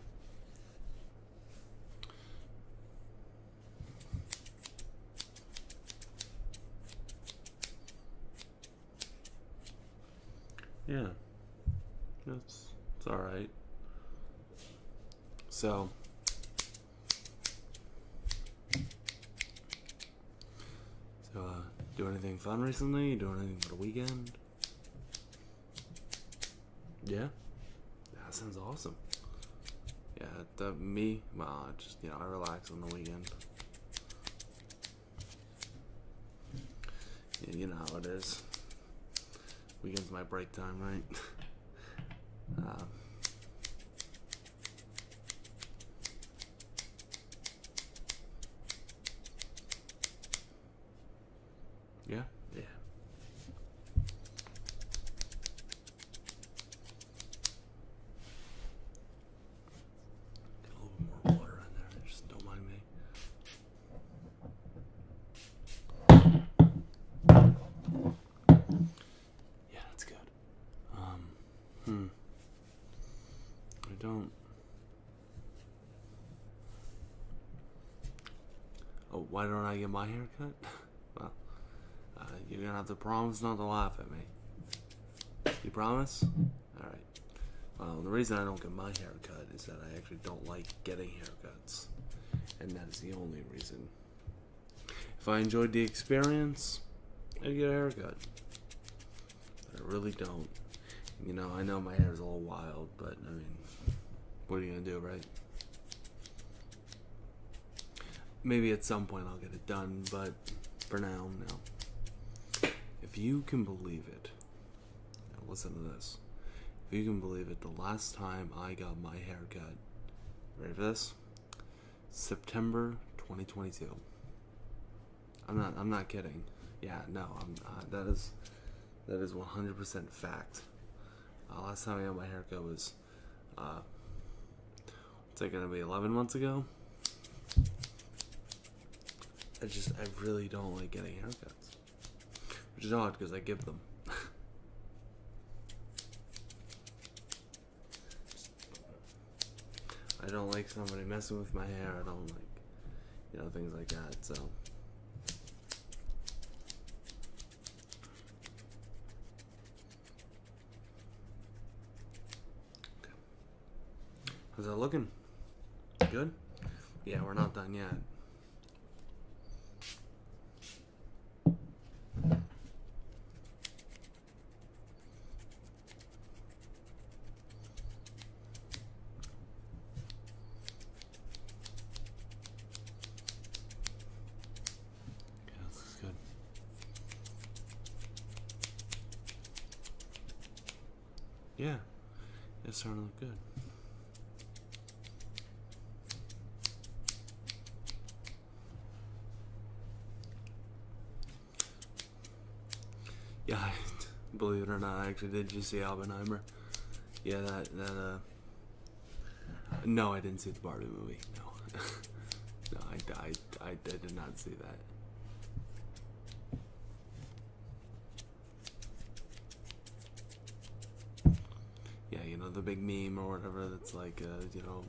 Yeah. That's it's all right. So so, uh, do anything fun recently? Do anything for the weekend? Yeah, that sounds awesome. Yeah, the, uh, me, well, just you know, I relax on the weekend. you know how it is. Weekend's my break time, right? um, yeah, yeah. Get a little more water in there. Just don't mind me. Yeah, that's good. Um, hmm. I don't. Oh, why don't I get my haircut? well, uh, you're gonna have to promise not to laugh at me. You promise? All right. Well, the reason I don't get my haircut is that I actually don't like getting haircuts, and that is the only reason. If I enjoyed the experience, I'd get a haircut. But I really don't. You know, I know my hair is all wild, but I mean, what are you going to do, right? Maybe at some point I'll get it done, but for now, no. If you can believe it, listen to this. If you can believe it, the last time I got my haircut. Ready for this? September 2022. I'm not. I'm not kidding. Yeah, no. I'm. Not. Uh, that is. That is 100% fact. Uh, last time I got my haircut was. It's uh, like gonna be? 11 months ago. I just. I really don't like getting haircuts, which is odd because I give them. I don't like somebody messing with my hair. I don't like, you know, things like that. So. How's that looking? Good? Yeah, we're not done yet. Yeah, it's starting to look good. Yeah, believe it or not, I actually did just see Albenheimer. Yeah, that that uh, No, I didn't see the Barbie movie. No, no, I, I, I did not see that yeah, you know, the big meme or whatever that's like, uh, you know,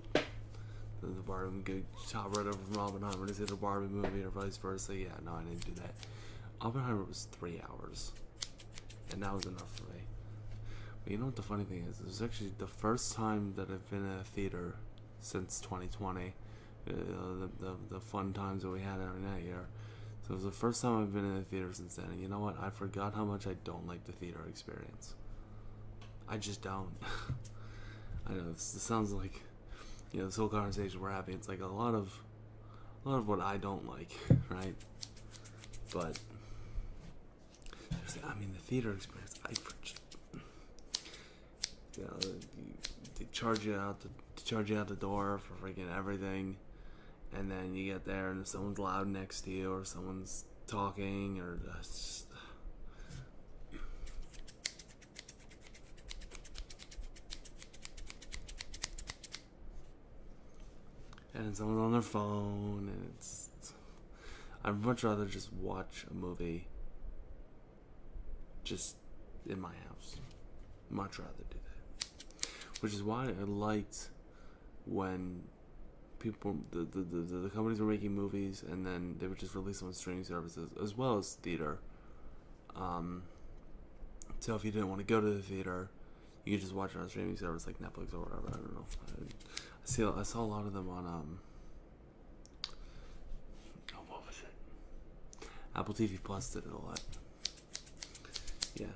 the, the Barbie good top right over from Oppenheimer to see the Barbie movie or vice versa. Yeah, no, I didn't do that. Oppenheimer was three hours, and that was enough for me. But you know what the funny thing is? It was actually the first time that I've been in a theater since 2020. Uh, the, the, fun times that we had every night here. So it was the first time I've been in a theater since then, you know what? I forgot how much I don't like the theater experience. I just don't. I know this, sounds like you know this whole conversation we're having. It's like a lot of a lot of what I don't like, right? But I mean, the theater experience. I you know, they charge you out the charge you out the door for freaking everything, and then you get there and someone's loud next to you or someone's talking or just and someone's on their phone and it's I'd much rather just watch a movie just in my house. Much rather do that. Which is why I liked when people the, the, the, companies were making movies and then they would just release them on streaming services as well as theater um, so if you didn't want to go to the theater you could just watch it on streaming services like netflix or whatever i don't know i, see i saw a lot of them on um, oh, what was it? apple tv plus did a lot yeah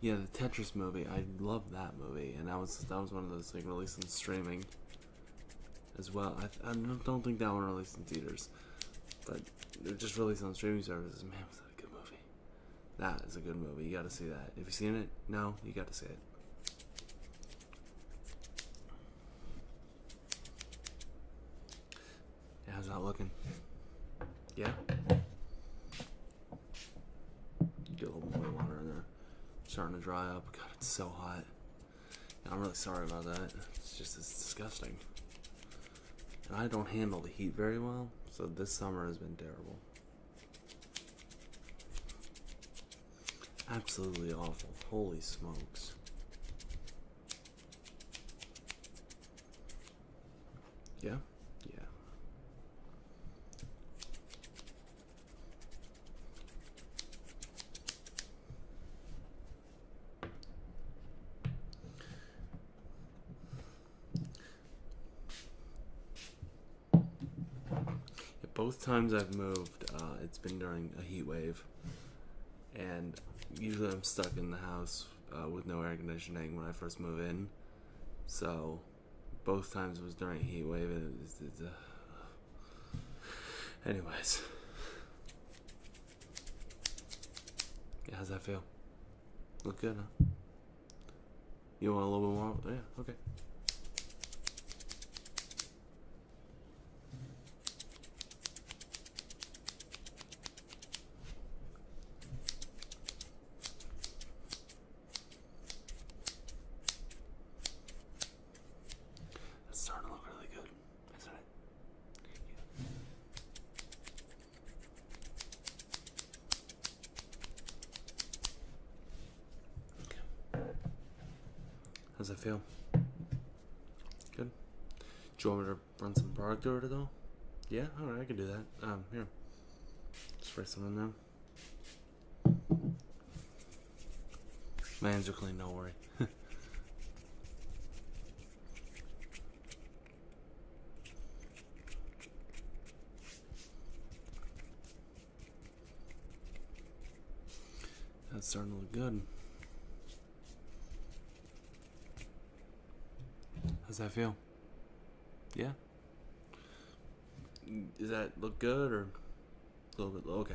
yeah, the Tetris movie. I love that movie, and that was that was one of those like released on streaming as well. I, I don't think that one released in theaters, but it just released on streaming services. Man, was that a good movie? That is a good movie. You got to see that. Have you seen it? No, you got to see it. Yeah, how's that looking? Yeah. Get a little more water in there. It's starting to dry up. God, it's so hot. I'm really sorry about that. It's just it's disgusting. I don't handle the heat very well, so this summer has been terrible. Absolutely awful. Holy smokes. Yeah, yeah. Both times I've moved, uh, it's been during a heat wave, and usually I'm stuck in the house uh, with no air conditioning when I first move in, so both times was during heat wave. anyways, how's that feel? Look good, huh? You want a little bit more? Oh, yeah, okay. That's starting to look really good, isn't it? How's that feel? Good. Do you want me to run some product over it though? Yeah, alright, I can do that. Um, here spray some on them. My hands clean, do worry. That's starting to look good. How's that feel? Yeah. Does that look good or a little bit low? Okay.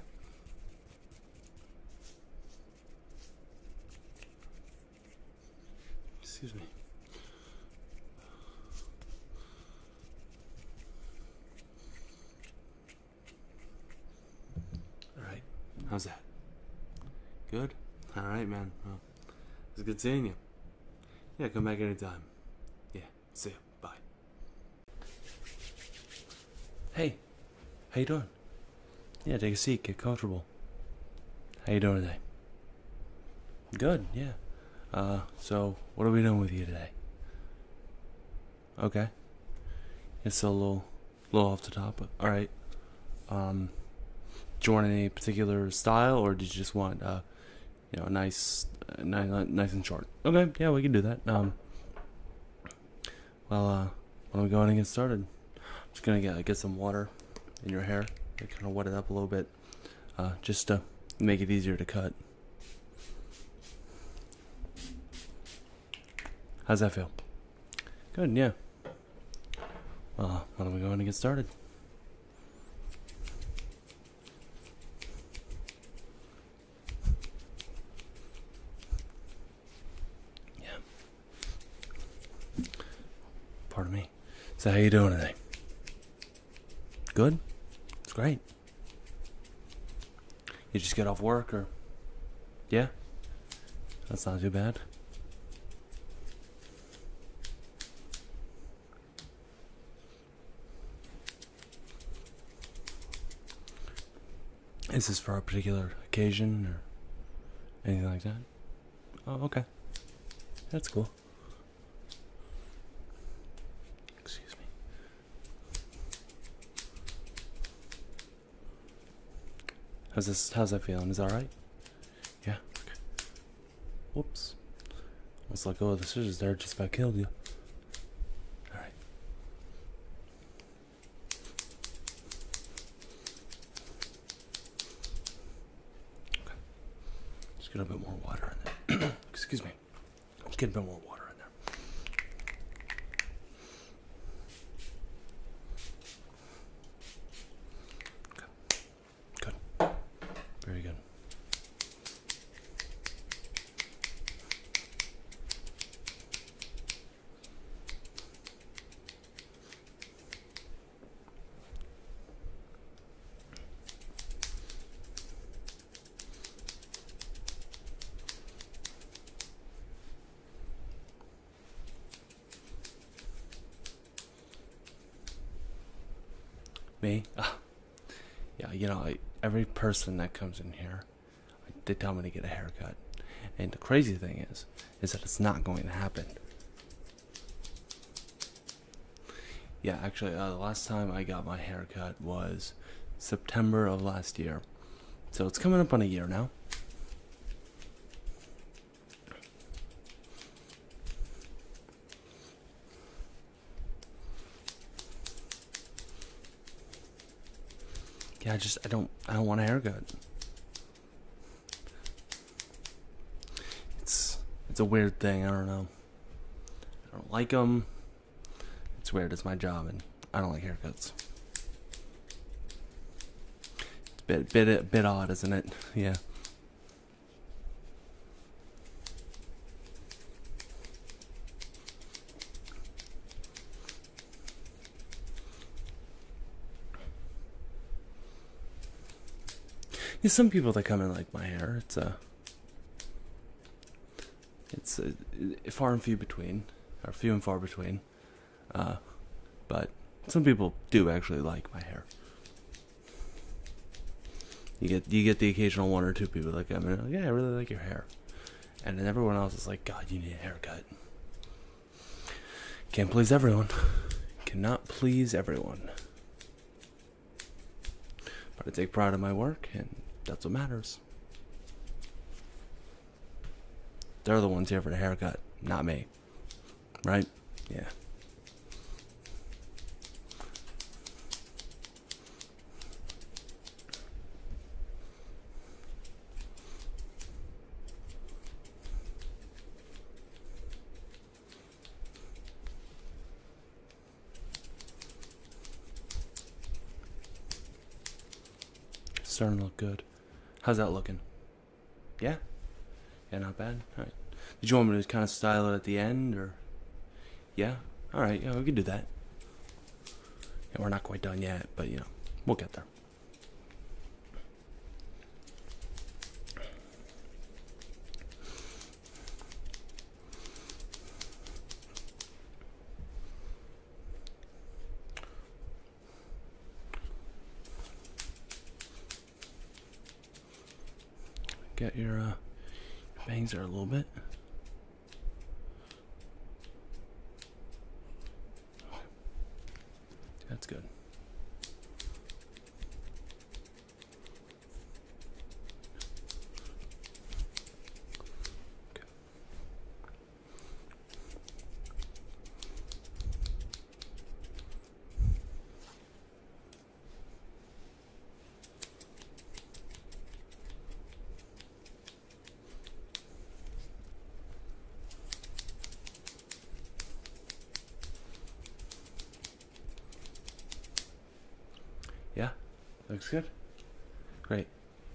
Excuse me. All right. How's that? Good? All right, man. it's good seeing you. Yeah, come back anytime. Yeah, see you. Bye. Hey, how you doing? Yeah, take a seat, get comfortable. How you doing today? Good, yeah. Uh, so what are we doing with you today? Okay. It's a little, little off the top, but all right. Um, do you want any particular style, or did you just want uh, you know, nice, nice, nice and short. Okay, yeah, we can do that. Um, well, uh, when are we going to get started? I'm just gonna get get some water in your hair, kind of wet it up a little bit, uh, just to make it easier to cut. How's that feel? Good, yeah. Well, when are we going to get started? Yeah. Pardon me. So how you doing today? Good? It's great. You just get off work or Yeah? That's not too bad. Is this for a particular occasion or anything like that? Oh, okay. That's cool. Excuse me. How's this? How's that feeling? Is that all right? Yeah. Whoops. I was like, oh, the scissors there just about killed you. Alright. Okay. Just get a bit more water in there. Excuse me. Just get a bit more water. in there. Good. Very good. Me? Ah, yeah, you know, every person that comes in here, they tell me to get a haircut. And the crazy thing is, is that it's not going to happen. Yeah, actually, uh, the last time I got my haircut was September of last year. So it's coming up on a year now. Yeah, I just I don't I don't want a haircut. It's it's a weird thing. I don't know. I don't like them. It's weird. It's my job, and I don't like haircuts. It's a bit bit a bit odd, isn't it? Yeah. Yeah, some people that come in like my hair, it's a, uh, it's a, uh, far and few between, or few and far between, uh, but some people do actually like my hair. You get you get the occasional one or two people like, I mean, yeah, I really like your hair, and then everyone else is like, God, you need a haircut. Can't please everyone. Cannot please everyone. But I take pride in my work, and that's what matters. They're the ones here for the haircut, not me. Right? Yeah starting to look good. How's that looking? Yeah? Yeah, not bad. All right. Did you want me to kind of style it at the end, or yeah. All right. Yeah, we can do that. And we're not quite done yet, but you know, we'll get there. Get your uh, bangs there a little bit. That's good. Yeah, looks good. Great.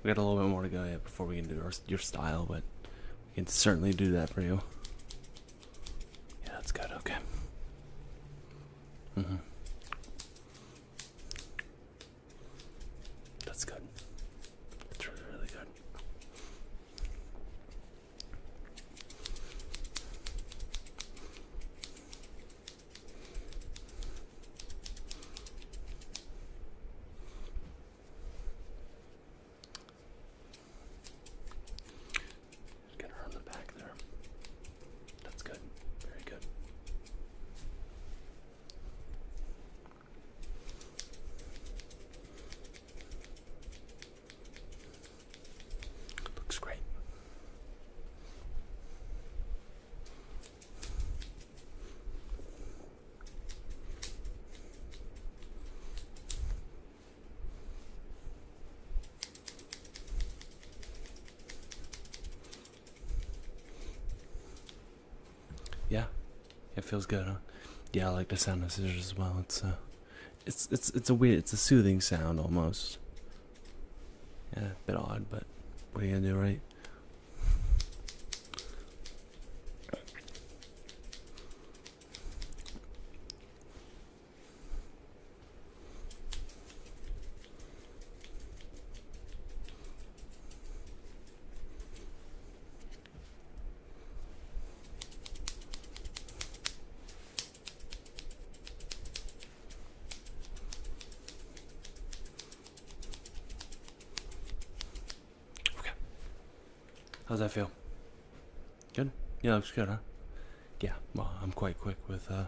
We got a little bit more to go yet before we can do your style, but we can certainly do that for you. Yeah, that's good. Okay. Mm-hmm. That's good. That's really good get her on the back there. That's good. Very good. Looks great. Yeah, it feels good, huh? Yeah, I like the sound of scissors as well. It's a, uh, it's it's it's a weird, it's a soothing sound almost. Yeah, a bit odd, but what are you gonna do, right? Okay. How's that feel? Good? Yeah, looks good, huh? yeah, well, I'm quite quick with, uh,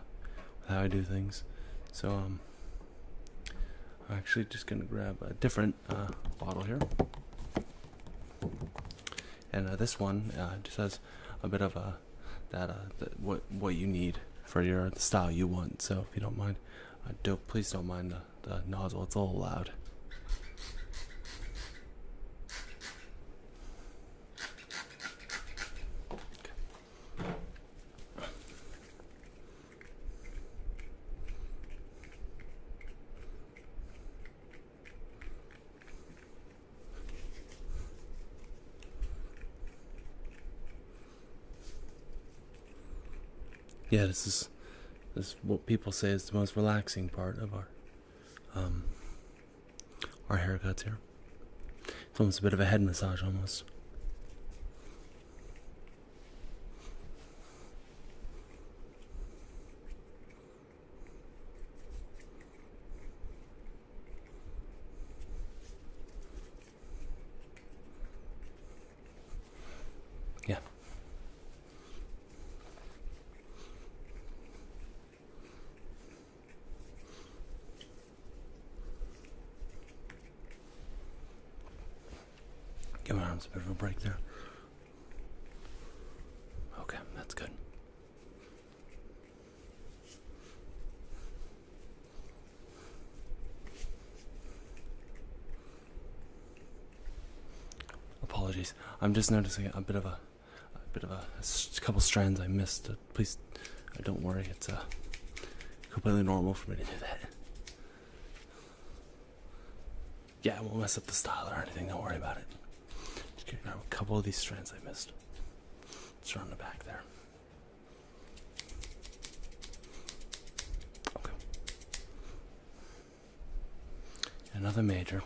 how I do things. So, um, I'm actually just going to grab a different uh, bottle here. And uh, this one uh, just has a bit of a that, uh, what what you need for your style you want. So if you don't mind, uh, don't please don't mind the, the nozzle. It's a little loud. Yeah, this is this what people say is the most relaxing part of our um, our haircuts here. It's almost a bit of a head massage, almost. Yeah. Give our arms a bit of a break there. Okay, that's good. Apologies. I'm just noticing a bit of a, bit of a, couple strands I missed please uh, don't worry, it's uh, completely normal for me to do that. Yeah, I won't mess up the style or anything, don't worry about it. Just getting a couple of these strands I missed. It's around the back there. Okay. Another major.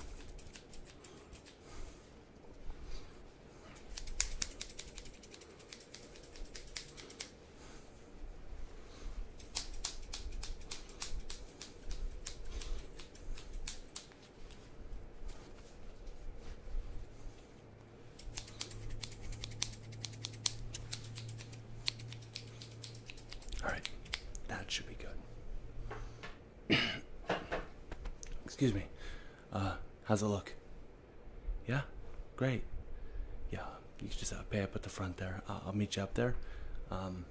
All right, that should be good. Excuse me. Uh, how's it look? Yeah, great. Yeah, you can just uh, pay up at the front there. I'll meet you up there. Um,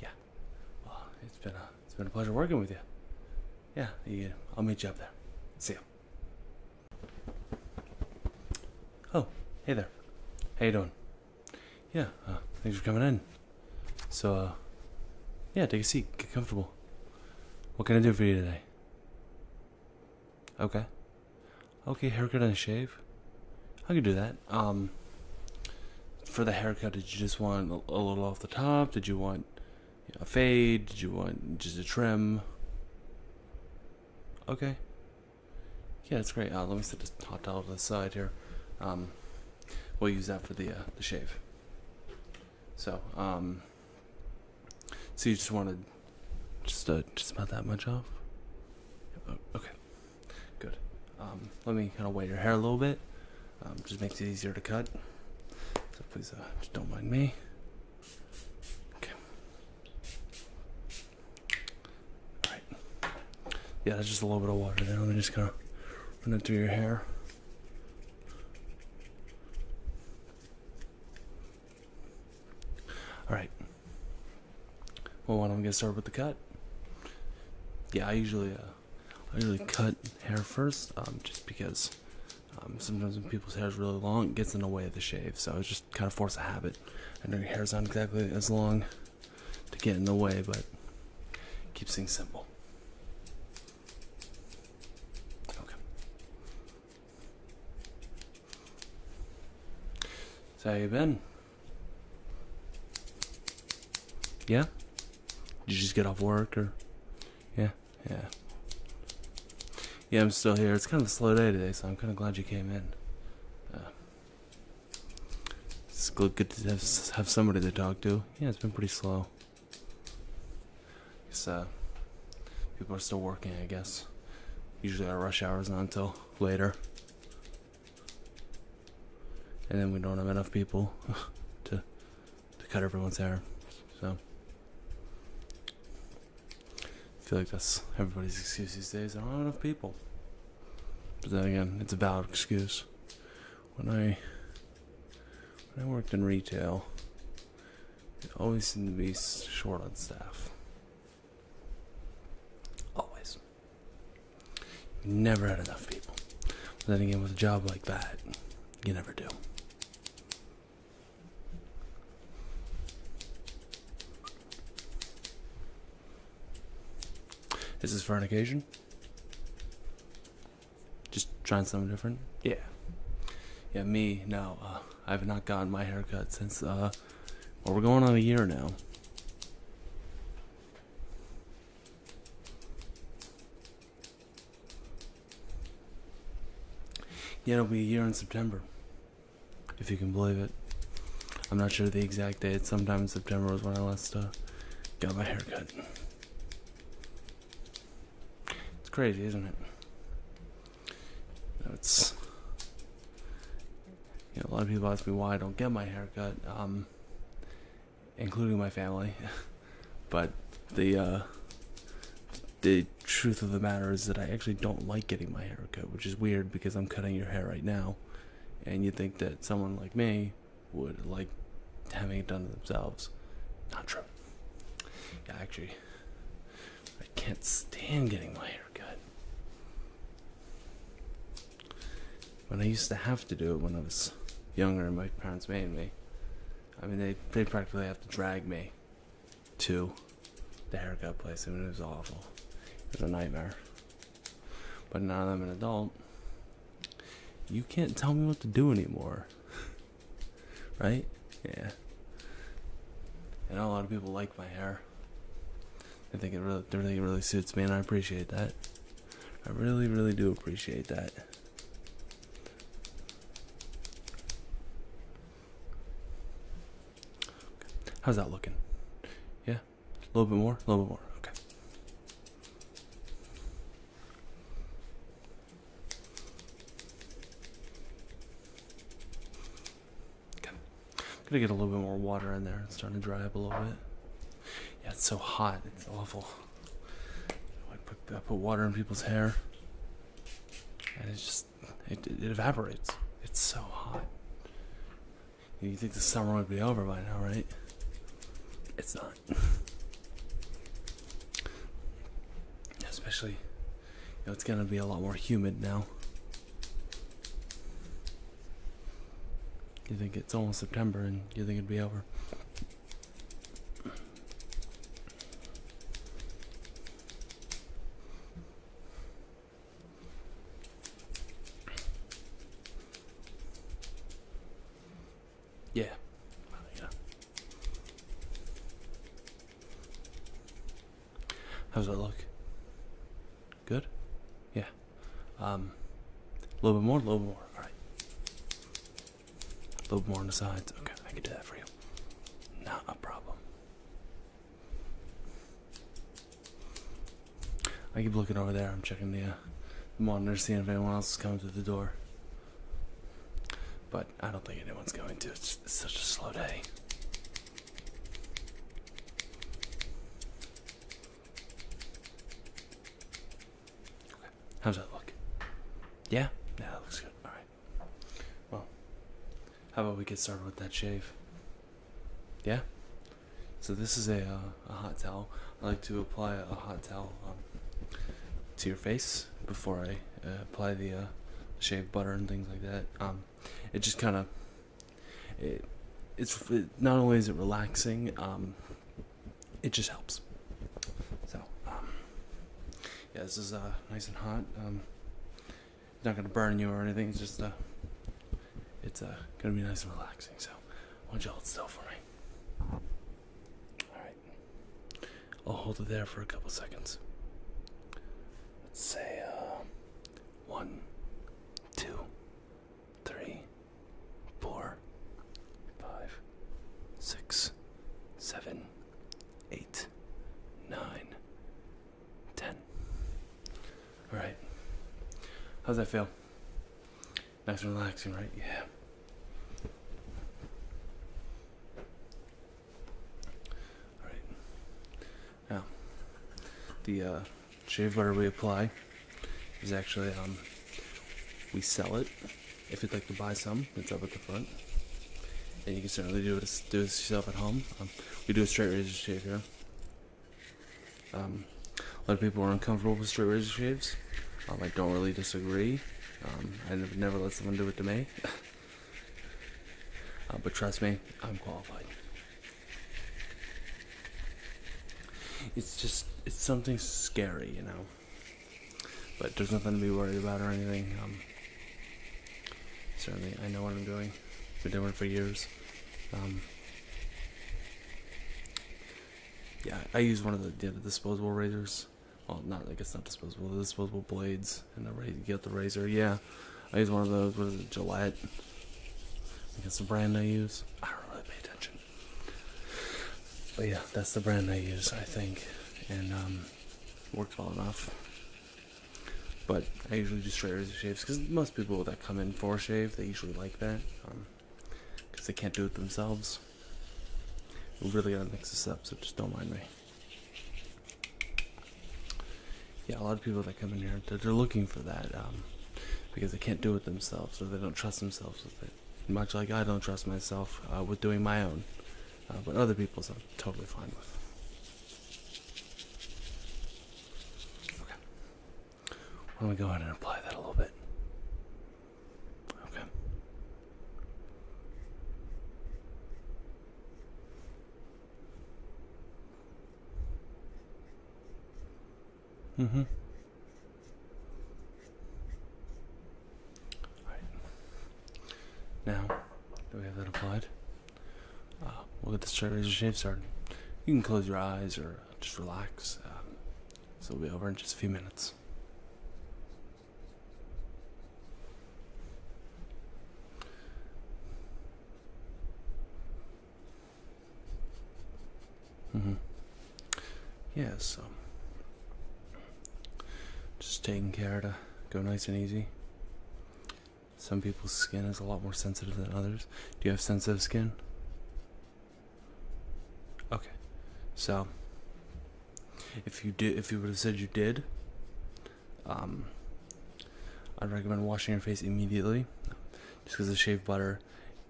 yeah. it's been a it's been a pleasure working with you. Yeah, I'll meet you up there. See you. Oh, hey there. How you doing? Yeah, uh, thanks for coming in. So, uh, yeah, take a seat, get comfortable. What can I do for you today? Okay. Okay, haircut and shave. I could do that. Um, for the haircut, did you just want a, little off the top? Did you want a fade? Did you want just a trim? Okay. Yeah, that's great. Uh, let me set this hot towel to the side here. Um, we'll use that for the uh, the shave. So, um, so you just wanted just uh, just about that much off? Oh, okay, good. Um, let me kind of wet your hair a little bit. Um, just makes it easier to cut. So please, uh, don't mind me. Okay. All right. Yeah, that's just a little bit of water there. Let me just kind of run it through your hair. All right. Well, why don't we get started with the cut? Yeah, I usually, uh, usually cut hair first, um, just because um, sometimes when people's hair is really long, it gets in the way of the shave. So I just kind of force a habit. I know your hair's not exactly as long to get in the way, but keeps things simple. Okay. So how you been? Yeah? Did you just get off work or yeah? Yeah. Yeah, I'm still here. It's kind of a slow day today, so I'm kind of glad you came in. Uh, it's good to have somebody to talk to. Yeah, it's been pretty slow. Because uh, people are still working, I guess. Usually our rush hours is not until later. And then we don't have enough people to, to cut everyone's hair. So, I feel like that's everybody's excuse these days. I don't have enough people. But then again, it's a valid excuse. When I when I worked in retail, they always seem to be short on staff. Always. Never had enough people. But then again, with a job like that, you never do. This Is for an occasion? Just trying something different? Yeah. Yeah, me, now. Uh, I have not gotten my haircut since, uh, well, we're going on a year now. Yeah, it'll be a year in September. If you can believe it. I'm not sure the exact date. Sometime in September was when I last uh, got my haircut. It's crazy, isn't it? it's a lot of people ask me why I don't get my haircut, um, including my family. but the uh, the truth of the matter is that I actually don't like getting my haircut, which is weird because I'm cutting your hair right now, and you would think that someone like me would like having it done to themselves. Not true. Yeah, actually I can't stand getting my hair cut. When I used to have to do it when I was younger and my parents made me. I mean they they practically have to drag me to the haircut place. I mean it was awful. It was a nightmare. But now I'm an adult, you can't tell me what to do anymore. Right? Yeah. And a lot of people like my hair. I think it really, think it really suits me, and I appreciate that. I really, really do appreciate that. How's that looking? Yeah? A little bit more? A little bit more. Okay. I'm gonna get a little bit more water in there. It's starting to dry up a little bit. Yeah, it's so hot. It's awful. I put, water in people's hair, and it just it evaporates. It's so hot. You think the summer would be over by now, right? It's not. Especially it's gonna be a lot more humid now. You think it's almost September and you think it'd be over. Yeah. yeah. How does that look? Good? Yeah. Um a little bit more, a little bit more. Alright. A little bit more on the sides. Okay, I can do that for you. Not a problem. I keep looking over there. I'm checking the, uh, the monitor, seeing if anyone else is coming through the door. But I don't think anyone's going to. it's such a slow day how's that look? Yeah, yeah, that looks good. All right. Well, how about we get started with that shave? Yeah. So this is a, uh, a hot towel. I like to apply a hot towel um, to your face before I uh, apply the uh, shave butter and things like that. Um, it just kind of it, it's not only is it relaxing, um, it just helps. So um, yeah, this is uh, nice and hot. Um, not gonna burn you or anything. It's just uh, it's uh, gonna be nice and relaxing. So want you to still for me. All right, I'll hold it there for a couple seconds let's say uh, one, two, three, four, five, six, seven, eight, nine, ten. All right. How's that feel? Nice and relaxing, right? Yeah. All right. Now, the uh, shave butter we apply is actually um, we sell it. If you'd like to buy some, it's up at the front. And you can certainly do it do this yourself at home. Um, we do a straight razor shave here. Um, a lot of people are uncomfortable with straight razor shaves. I don't really disagree. I never let someone do it to me. Uh, but trust me, I'm qualified. It's just, it's something scary, you know. But there's nothing to be worried about or anything. Um, certainly, I know what I'm doing. Been doing it for years. Um, yeah, I use one of the, disposable razors. Well, not like it's not disposable, the disposable blades, and the you get the razor. Yeah, I use one of those. What is it? Gillette. I think it's the brand I use. I don't really pay attention. But yeah, that's the brand I use, I think. And um, works well enough. But I usually do straight razor shaves because most people that come in for a shave, they usually like that. Because um, they can't do it themselves. We're really to mix this up, so just don't mind me yeah, a lot of people that come in here, they're, looking for that um, because they can't do it themselves, or they don't trust themselves with it. Much like I don't trust myself uh, with doing my own, uh, but other people's I'm totally fine with. Okay, why don't we go ahead and apply that a little bit? Okay. Mm-hmm. All right. Now do we have that applied, uh, we'll get the razor shave started. You can close your eyes or just relax. Um, so we'll be over in just a few minutes. Mm-hmm. Yeah, so um, just taking care to go nice and easy. Some people's skin is a lot more sensitive than others. Do you have sensitive skin? Okay. So if you did if you would have said you did, um, I'd recommend washing your face immediately, just because the shave butter,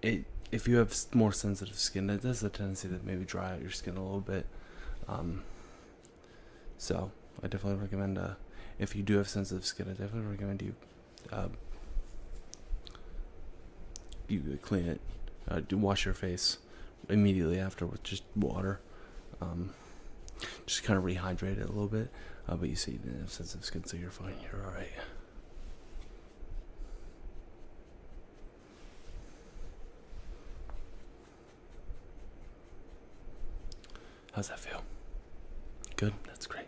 it if you have more sensitive skin, it does a tendency to maybe dry out your skin a little bit. Um, so I definitely recommend uh, if you do have sensitive skin, I definitely recommend you uh, you clean it, uh, do wash your face immediately after with just water. Um, just kind of rehydrate it a little bit. Uh, but you see, the didn't sensitive skin, so you're fine. You're all right. How's that feel? Good. That's great.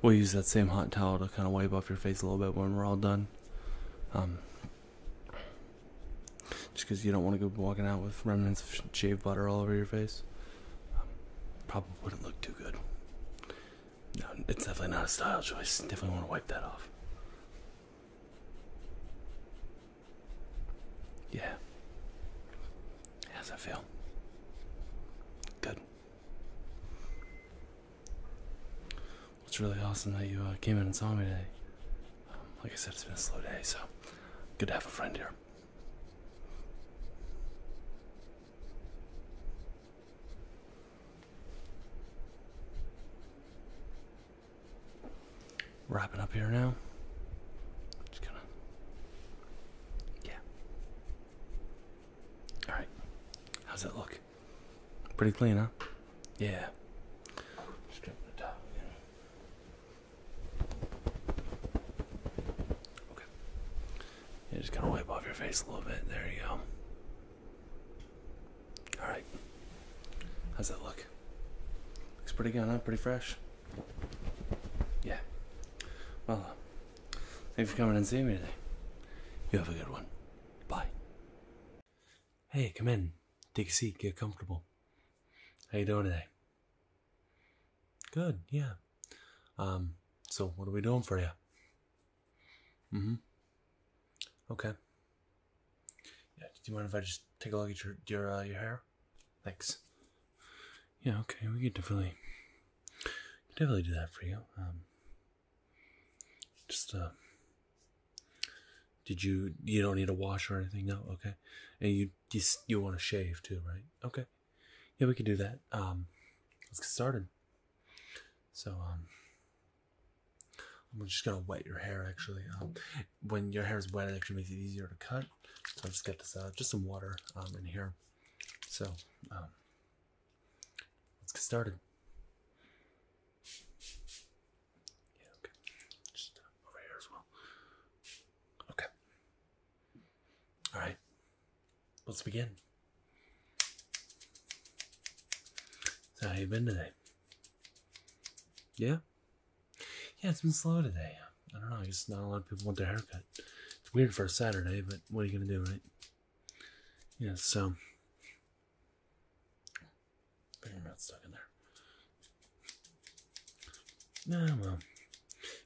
We'll use that same hot towel to kind of wipe off your face a little bit when we're all done. Um, just because you don't want to go walking out with remnants of shave butter all over your face. Um, probably wouldn't look too good. No, it's definitely not a style choice. Definitely want to wipe that off. Yeah. How's that feel? Good. It's really awesome that you uh, came in and saw me today. Um, like I said, it's been a slow day, so good to have a friend here. Wrapping up here now. Just gonna. Yeah. Alright. How's that look? Pretty clean, huh? Yeah. Just the top Okay. You just kind of wipe off your face a little bit. There you go. All right. How's that look? Looks pretty good, huh? Pretty fresh. Yeah. Well, uh, thank you for coming and seeing me today. You have a good one. Bye. Hey, come in. Take a seat. Get comfortable. How you doing today? Good, yeah. Um, so what are we doing for you? Mm-hmm. Okay. Yeah, do you mind if I just take a look at your your uh, your hair? Thanks. Yeah, okay, we can definitely definitely do that for you. Um just uh did you you don't need a wash or anything? No, okay. And you just you want to shave too, right? Okay yeah, we can do that. Um, let's get started. So, um, I'm just gonna wet your hair actually. Um, when your hair is wet, it actually makes it easier to cut. So I'll just get this out, uh, just some water in here. So, let's get started. Yeah, okay. Just uh, over here as well. Okay. All right, let's begin. So, how you been today? Yeah? Yeah, it's been slow today. I don't know, I guess not a lot of people want their haircut. It's weird for a Saturday, but what are you gonna do, right? Yeah, so. I think stuck in there. No, well,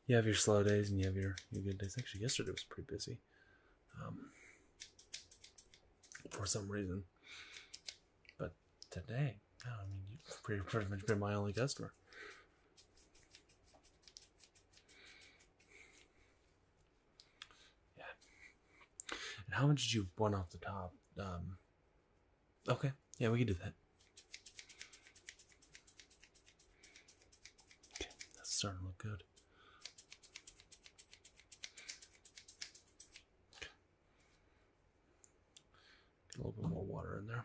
you have your slow days and you have your, your good days. Actually, yesterday was pretty busy. Um, for some reason. But today, I mean, you've pretty, pretty much been my only customer. Yeah. And how much did you want off the top? Um, okay. Yeah, we can do that. Okay, that's starting to look good. a little bit more water in there.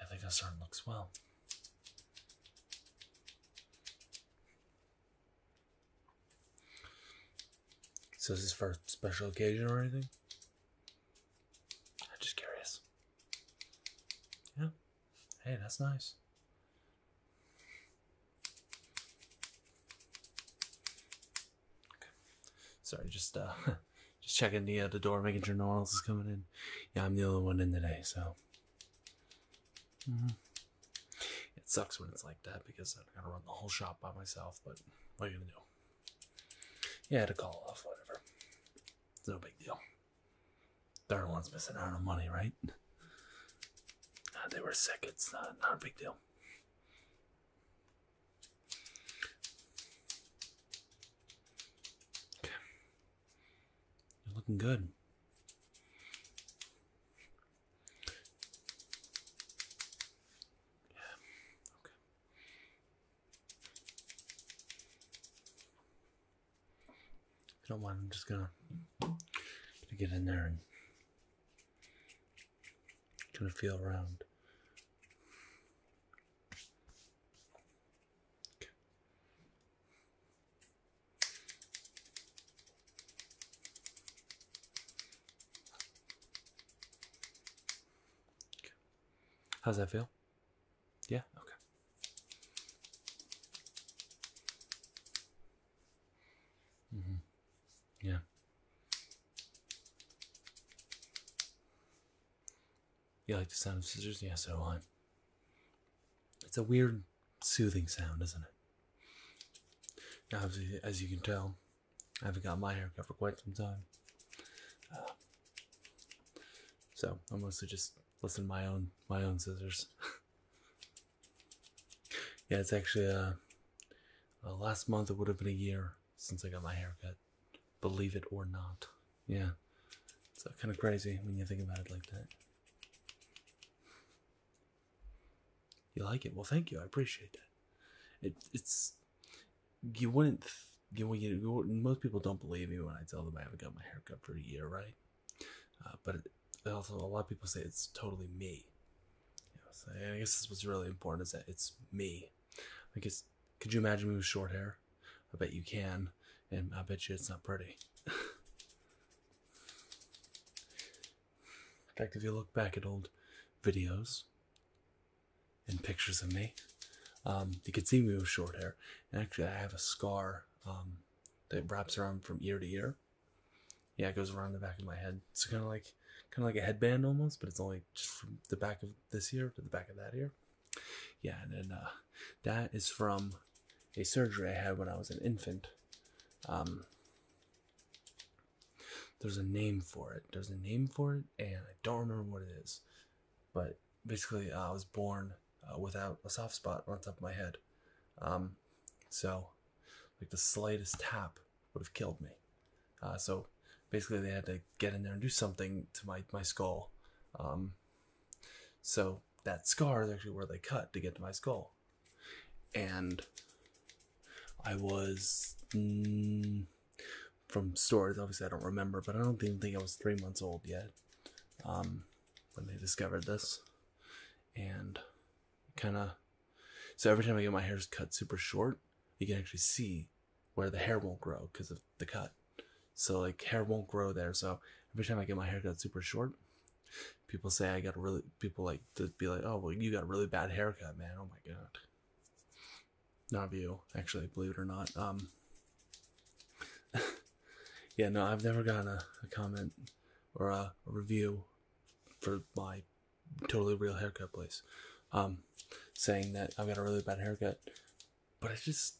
I think that certainly looks well. So is this for a special occasion or anything? I'm just curious. Yeah. Hey, that's nice. Okay. Sorry, just uh just checking the uh, the door, making sure no one else is coming in. Yeah, I'm the only one in today, so. Mm-hmm. It sucks when it's like that because I gotta run the whole shop by myself. But what are you gonna do? Yeah, I had to call off. Whatever. no big deal. Third one's missing out on money, right? they were sick. It's not not a big deal. Okay. You're looking good. Okay. If you don't mind, I'm just gonna, gonna get in there and gonna feel around. How's that feel? Yeah, okay. Mm-hmm. Yeah. You like the sound of scissors? yes? so do I. It's a weird, soothing sound, isn't it? Now, as you can tell, I haven't got my haircut for quite some time. Uh, so I am mostly just listening to my own my own scissors. yeah, it's actually uh, uh, last month. It would have been a year since I got my haircut. Believe it or not. Yeah. It's kind of crazy when you think about it like that. You like it? Well, thank you. I appreciate that. It, it's you wouldn't you, know, you, most people don't believe me when I tell them I haven't got my hair cut for a year, right? Uh, but also a lot of people say it's totally me. I guess what's really important is that it's me. I guess could you imagine me with short hair? I bet you can, and I bet you it's not pretty. In fact, if you look back at old videos and pictures of me, um, you can see me with short hair. And actually, I have a scar um, that wraps around from ear to ear. Yeah, it goes around the back of my head. It's kind of like kind of like a headband almost, but it's only just from the back of this ear to the back of that ear. Yeah, and then uh, that is from a surgery I had when I was an infant. Um, there's a name for it. There's a name for it, and I don't remember what it is. But basically, uh, I was born uh, without a soft spot on top of my head. Um, so, like the slightest tap would have killed me. so basically, they had to get in there and do something to my my skull. Um, so that scar is actually where they cut to get to my skull. And I was mm, from stories, obviously, I don't remember, but I don't even think I was three months old yet um, when they discovered this. And kind of, so every time I get my hairs cut super short, you can actually see where the hair won't grow because of the cut. So like hair won't grow there. So every time I get my hair cut super short, people say I got really people like to be like, oh well, you got a really bad haircut, man. Oh my god. Not you, actually, believe it or not. Um. yeah, no, I've never gotten a, comment or a, a review for my totally real haircut place, um, saying that I've got a really bad haircut but I just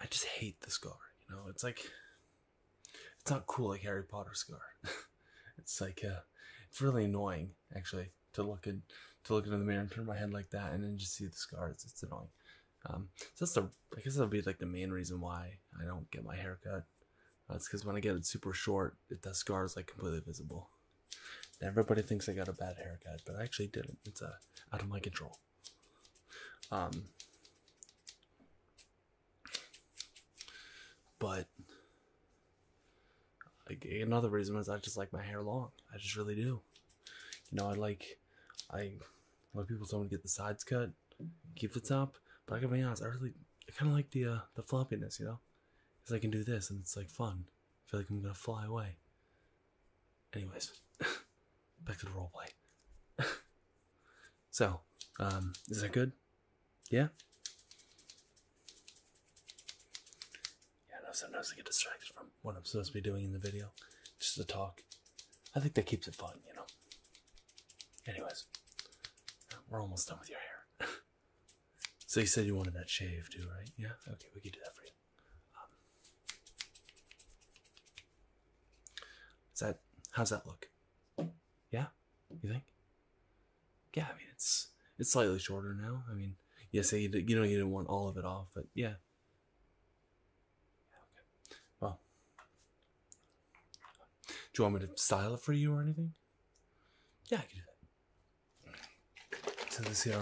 I just hate the scar, you know. It's like it's not cool like Harry Potter scar. it's like uh it's really annoying actually to look in, to look into the mirror and turn my head like that and then just see the scars. It's annoying. Um, so that's the I guess that'll be like the main reason why I don't get my hair cut. That's uh, because when I get it super short, it, the scar is like completely visible. everybody thinks I got a bad haircut, but I actually didn't. It's uh, out of my control. Um, but like, another reason is I just like my hair long. I just really do. You know, I like I. lot people tell me to get the sides cut, keep the top, but I gotta be honest, I really I kinda like the uh the floppiness, you know? Because I can do this and it's like fun. I feel like I'm gonna fly away anyways, back to the roleplay. so, um, is that good? Yeah? Yeah, I know sometimes I get distracted from what I'm supposed to be doing in the video. Just to talk. I think that keeps it fun, you know? Anyways, uh, we're almost done with your hair. so you said you wanted that shave too, right? Yeah? Okay, we can do that for you. Um, is that how's that look? Yeah, you think? Yeah, I mean it's it's slightly shorter now. I mean, yes, you, you know you didn't want all of it off, but yeah. Well, do you want me to style it for you or anything? Yeah, I can do that. So this here,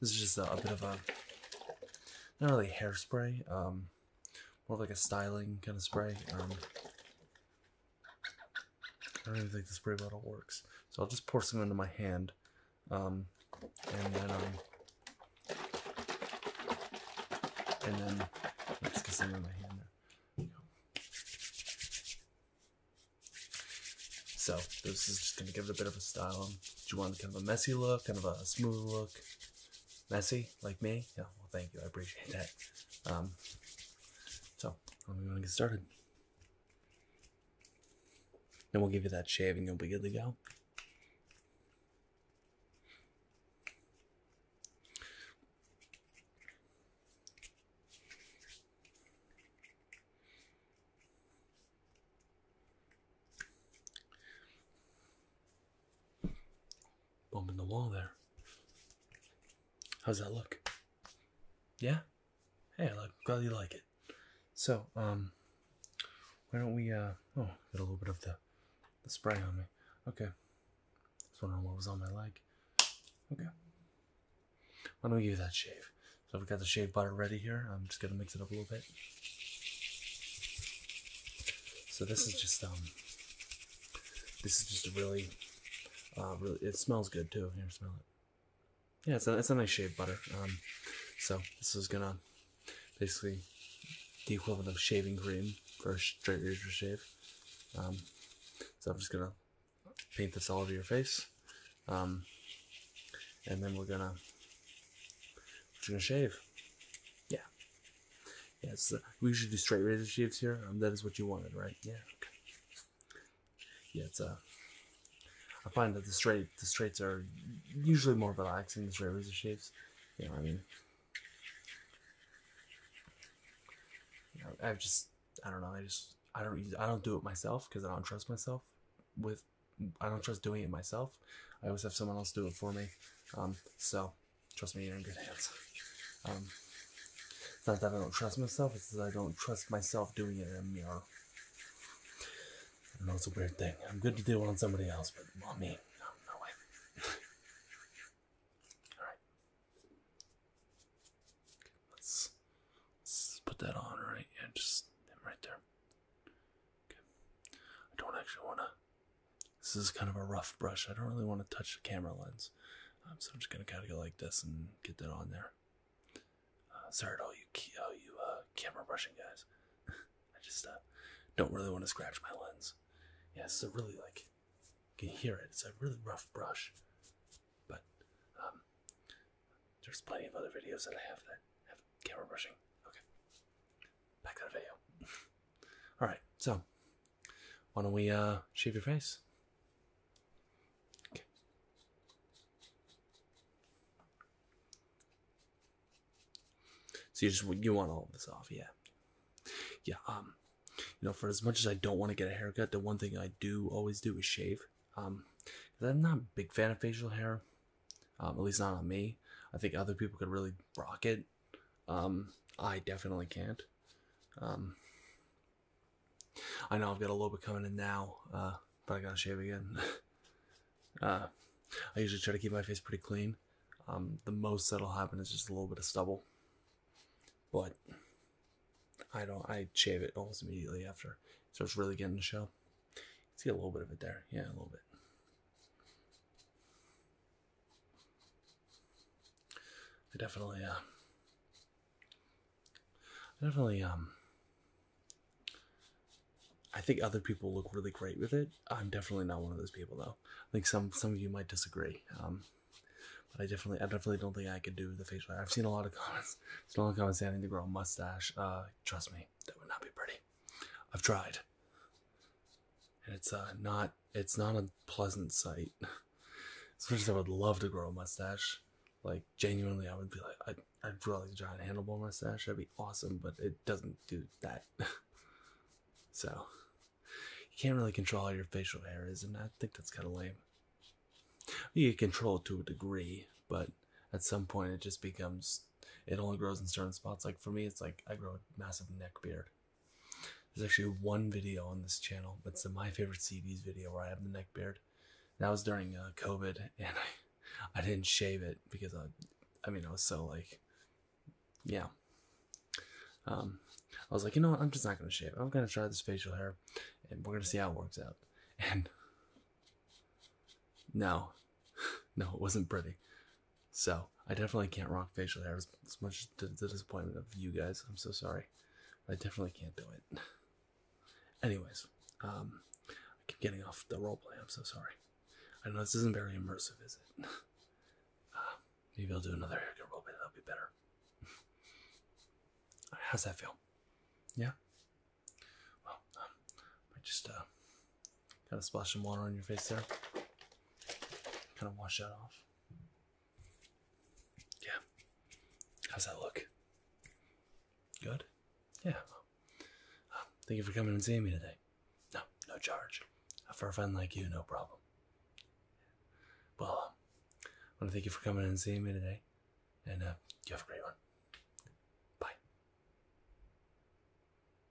this is just a bit of a not really hairspray, um, more like a styling kind of spray. Um, I don't even think the spray bottle works. So I'll just pour some into my hand. Um, and then, um, and then, let get some in my hand So this is just gonna give it a bit of a style. Do you want kind of a messy look, kind of a smooth look? Messy, like me? Yeah, well, thank you. I appreciate that. Um, so, we am going to get started. Then we'll give you that shave and you'll be good to go. Bump in the wall there. How's that look? Yeah? Hey, I'm glad you like it. So, um, why don't we, uh, oh, get a little bit of the, the spray on me. Okay. Just wondering what was on my leg. Okay. Why don't we give you that shave? So we have got the shave butter ready here. I'm just going to mix it up a little bit. So this is just um, this is just a really, uh, really it smells good too. Here, smell it. Yeah, it's a it's a nice shave butter. Um, so this is gonna basically the equivalent of shaving cream for straight razor shave. Um, so I'm just gonna paint this all over your face, um, and then we're gonna you're gonna shave. Yeah. Yes, uh, we usually do straight razor shaves here. Um, that is what you wanted, right? Yeah, Yeah, it's uh I find that the straight the straights are usually more relaxing, the straight razor shaves. Yeah, I mean? I've just I don't know. I just I don't I don't do it myself because I don't trust myself with I don't trust doing it myself. I always have someone else do it for me. Um, so trust me, you're in good hands. Um, it's not that I don't trust myself, it's that I don't trust myself doing it in a mirror. I know it's a weird thing. I'm good to do it on somebody else, but on me, no, way. Alright. Let's, put that on, right? Yeah, just right there. Okay. I don't actually want to. This is kind of a rough brush. I don't really want to touch the camera lens. Um, so I'm just going to kind of go like this and get that on there. Uh, sorry to all you, all you uh, camera brushing guys. I just uh, don't really want to scratch my lens. Yeah, it's a really like. You can hear it. It's a really rough brush. But um, there's plenty of other videos that I have that have camera brushing. Okay. Back to the video. Alright, so why don't we uh, shave your face? Okay. So you just you want all this off, yeah. Yeah, um you know, for as much as I don't want to get a haircut, the one thing I do always do is shave. Um, I'm not a big fan of facial hair. Um, at least not on me. I think other people could really rock it. Um, I definitely can't. Um, I know I've got a little bit coming in now, uh, but I gotta shave again. Uh, I usually try to keep my face pretty clean. the most that'll happen is just a little bit of stubble, but I don't. I shave it almost immediately after, so it's really getting to show. You see a little bit of it there, yeah, a little bit. I definitely, uh, I definitely, um, I think other people look really great with it. I'm definitely not one of those people though. I think some some of you might disagree. Um, but I definitely, I definitely don't think I could do the facial I've seen a lot of comments. Seen a lot saying I need to grow a mustache. Uh, trust me, that would not be pretty. I've tried. And it's uh, not it's not a pleasant sight. As much as I would love to grow a mustache, like genuinely, I would be like, I'd, i really like a giant handlebar mustache. That'd be awesome, but it doesn't do that. so you can't really control how your facial hair is, and I think that's kind of lame. You can control it to a degree, but at some point it just becomes it only grows in certain spots. Like for me, it's like I grow a massive neck beard. There's actually one video on this channel. It's my favorite CDs video where I have the neck beard. That was during uh, COVID, and I, I didn't shave it because I, I mean, I was so like, yeah. Um, I was like, you know what? I'm just not gonna shave. I'm gonna try this facial hair, and we're gonna see how it works out. And no, no, it wasn't pretty. So I definitely can't rock facial hair as, much as the disappointment of you guys. I'm so sorry. I definitely can't do it. Anyways, um, I keep getting off the roleplay. I'm so sorry. I know this isn't very immersive, is it? Uh, maybe I'll do another haircut roleplay. That'll be better. How's that feel? Yeah. Well, um, I just uh, Kind of splash some water on your face there. Kind of wash that off. Yeah. How's that look? Good? Yeah. thank you for coming and seeing me today. No, no charge. For a friend like you, no problem. Well, um, I want to thank you for coming and seeing me today. And uh, you have a great one. Bye.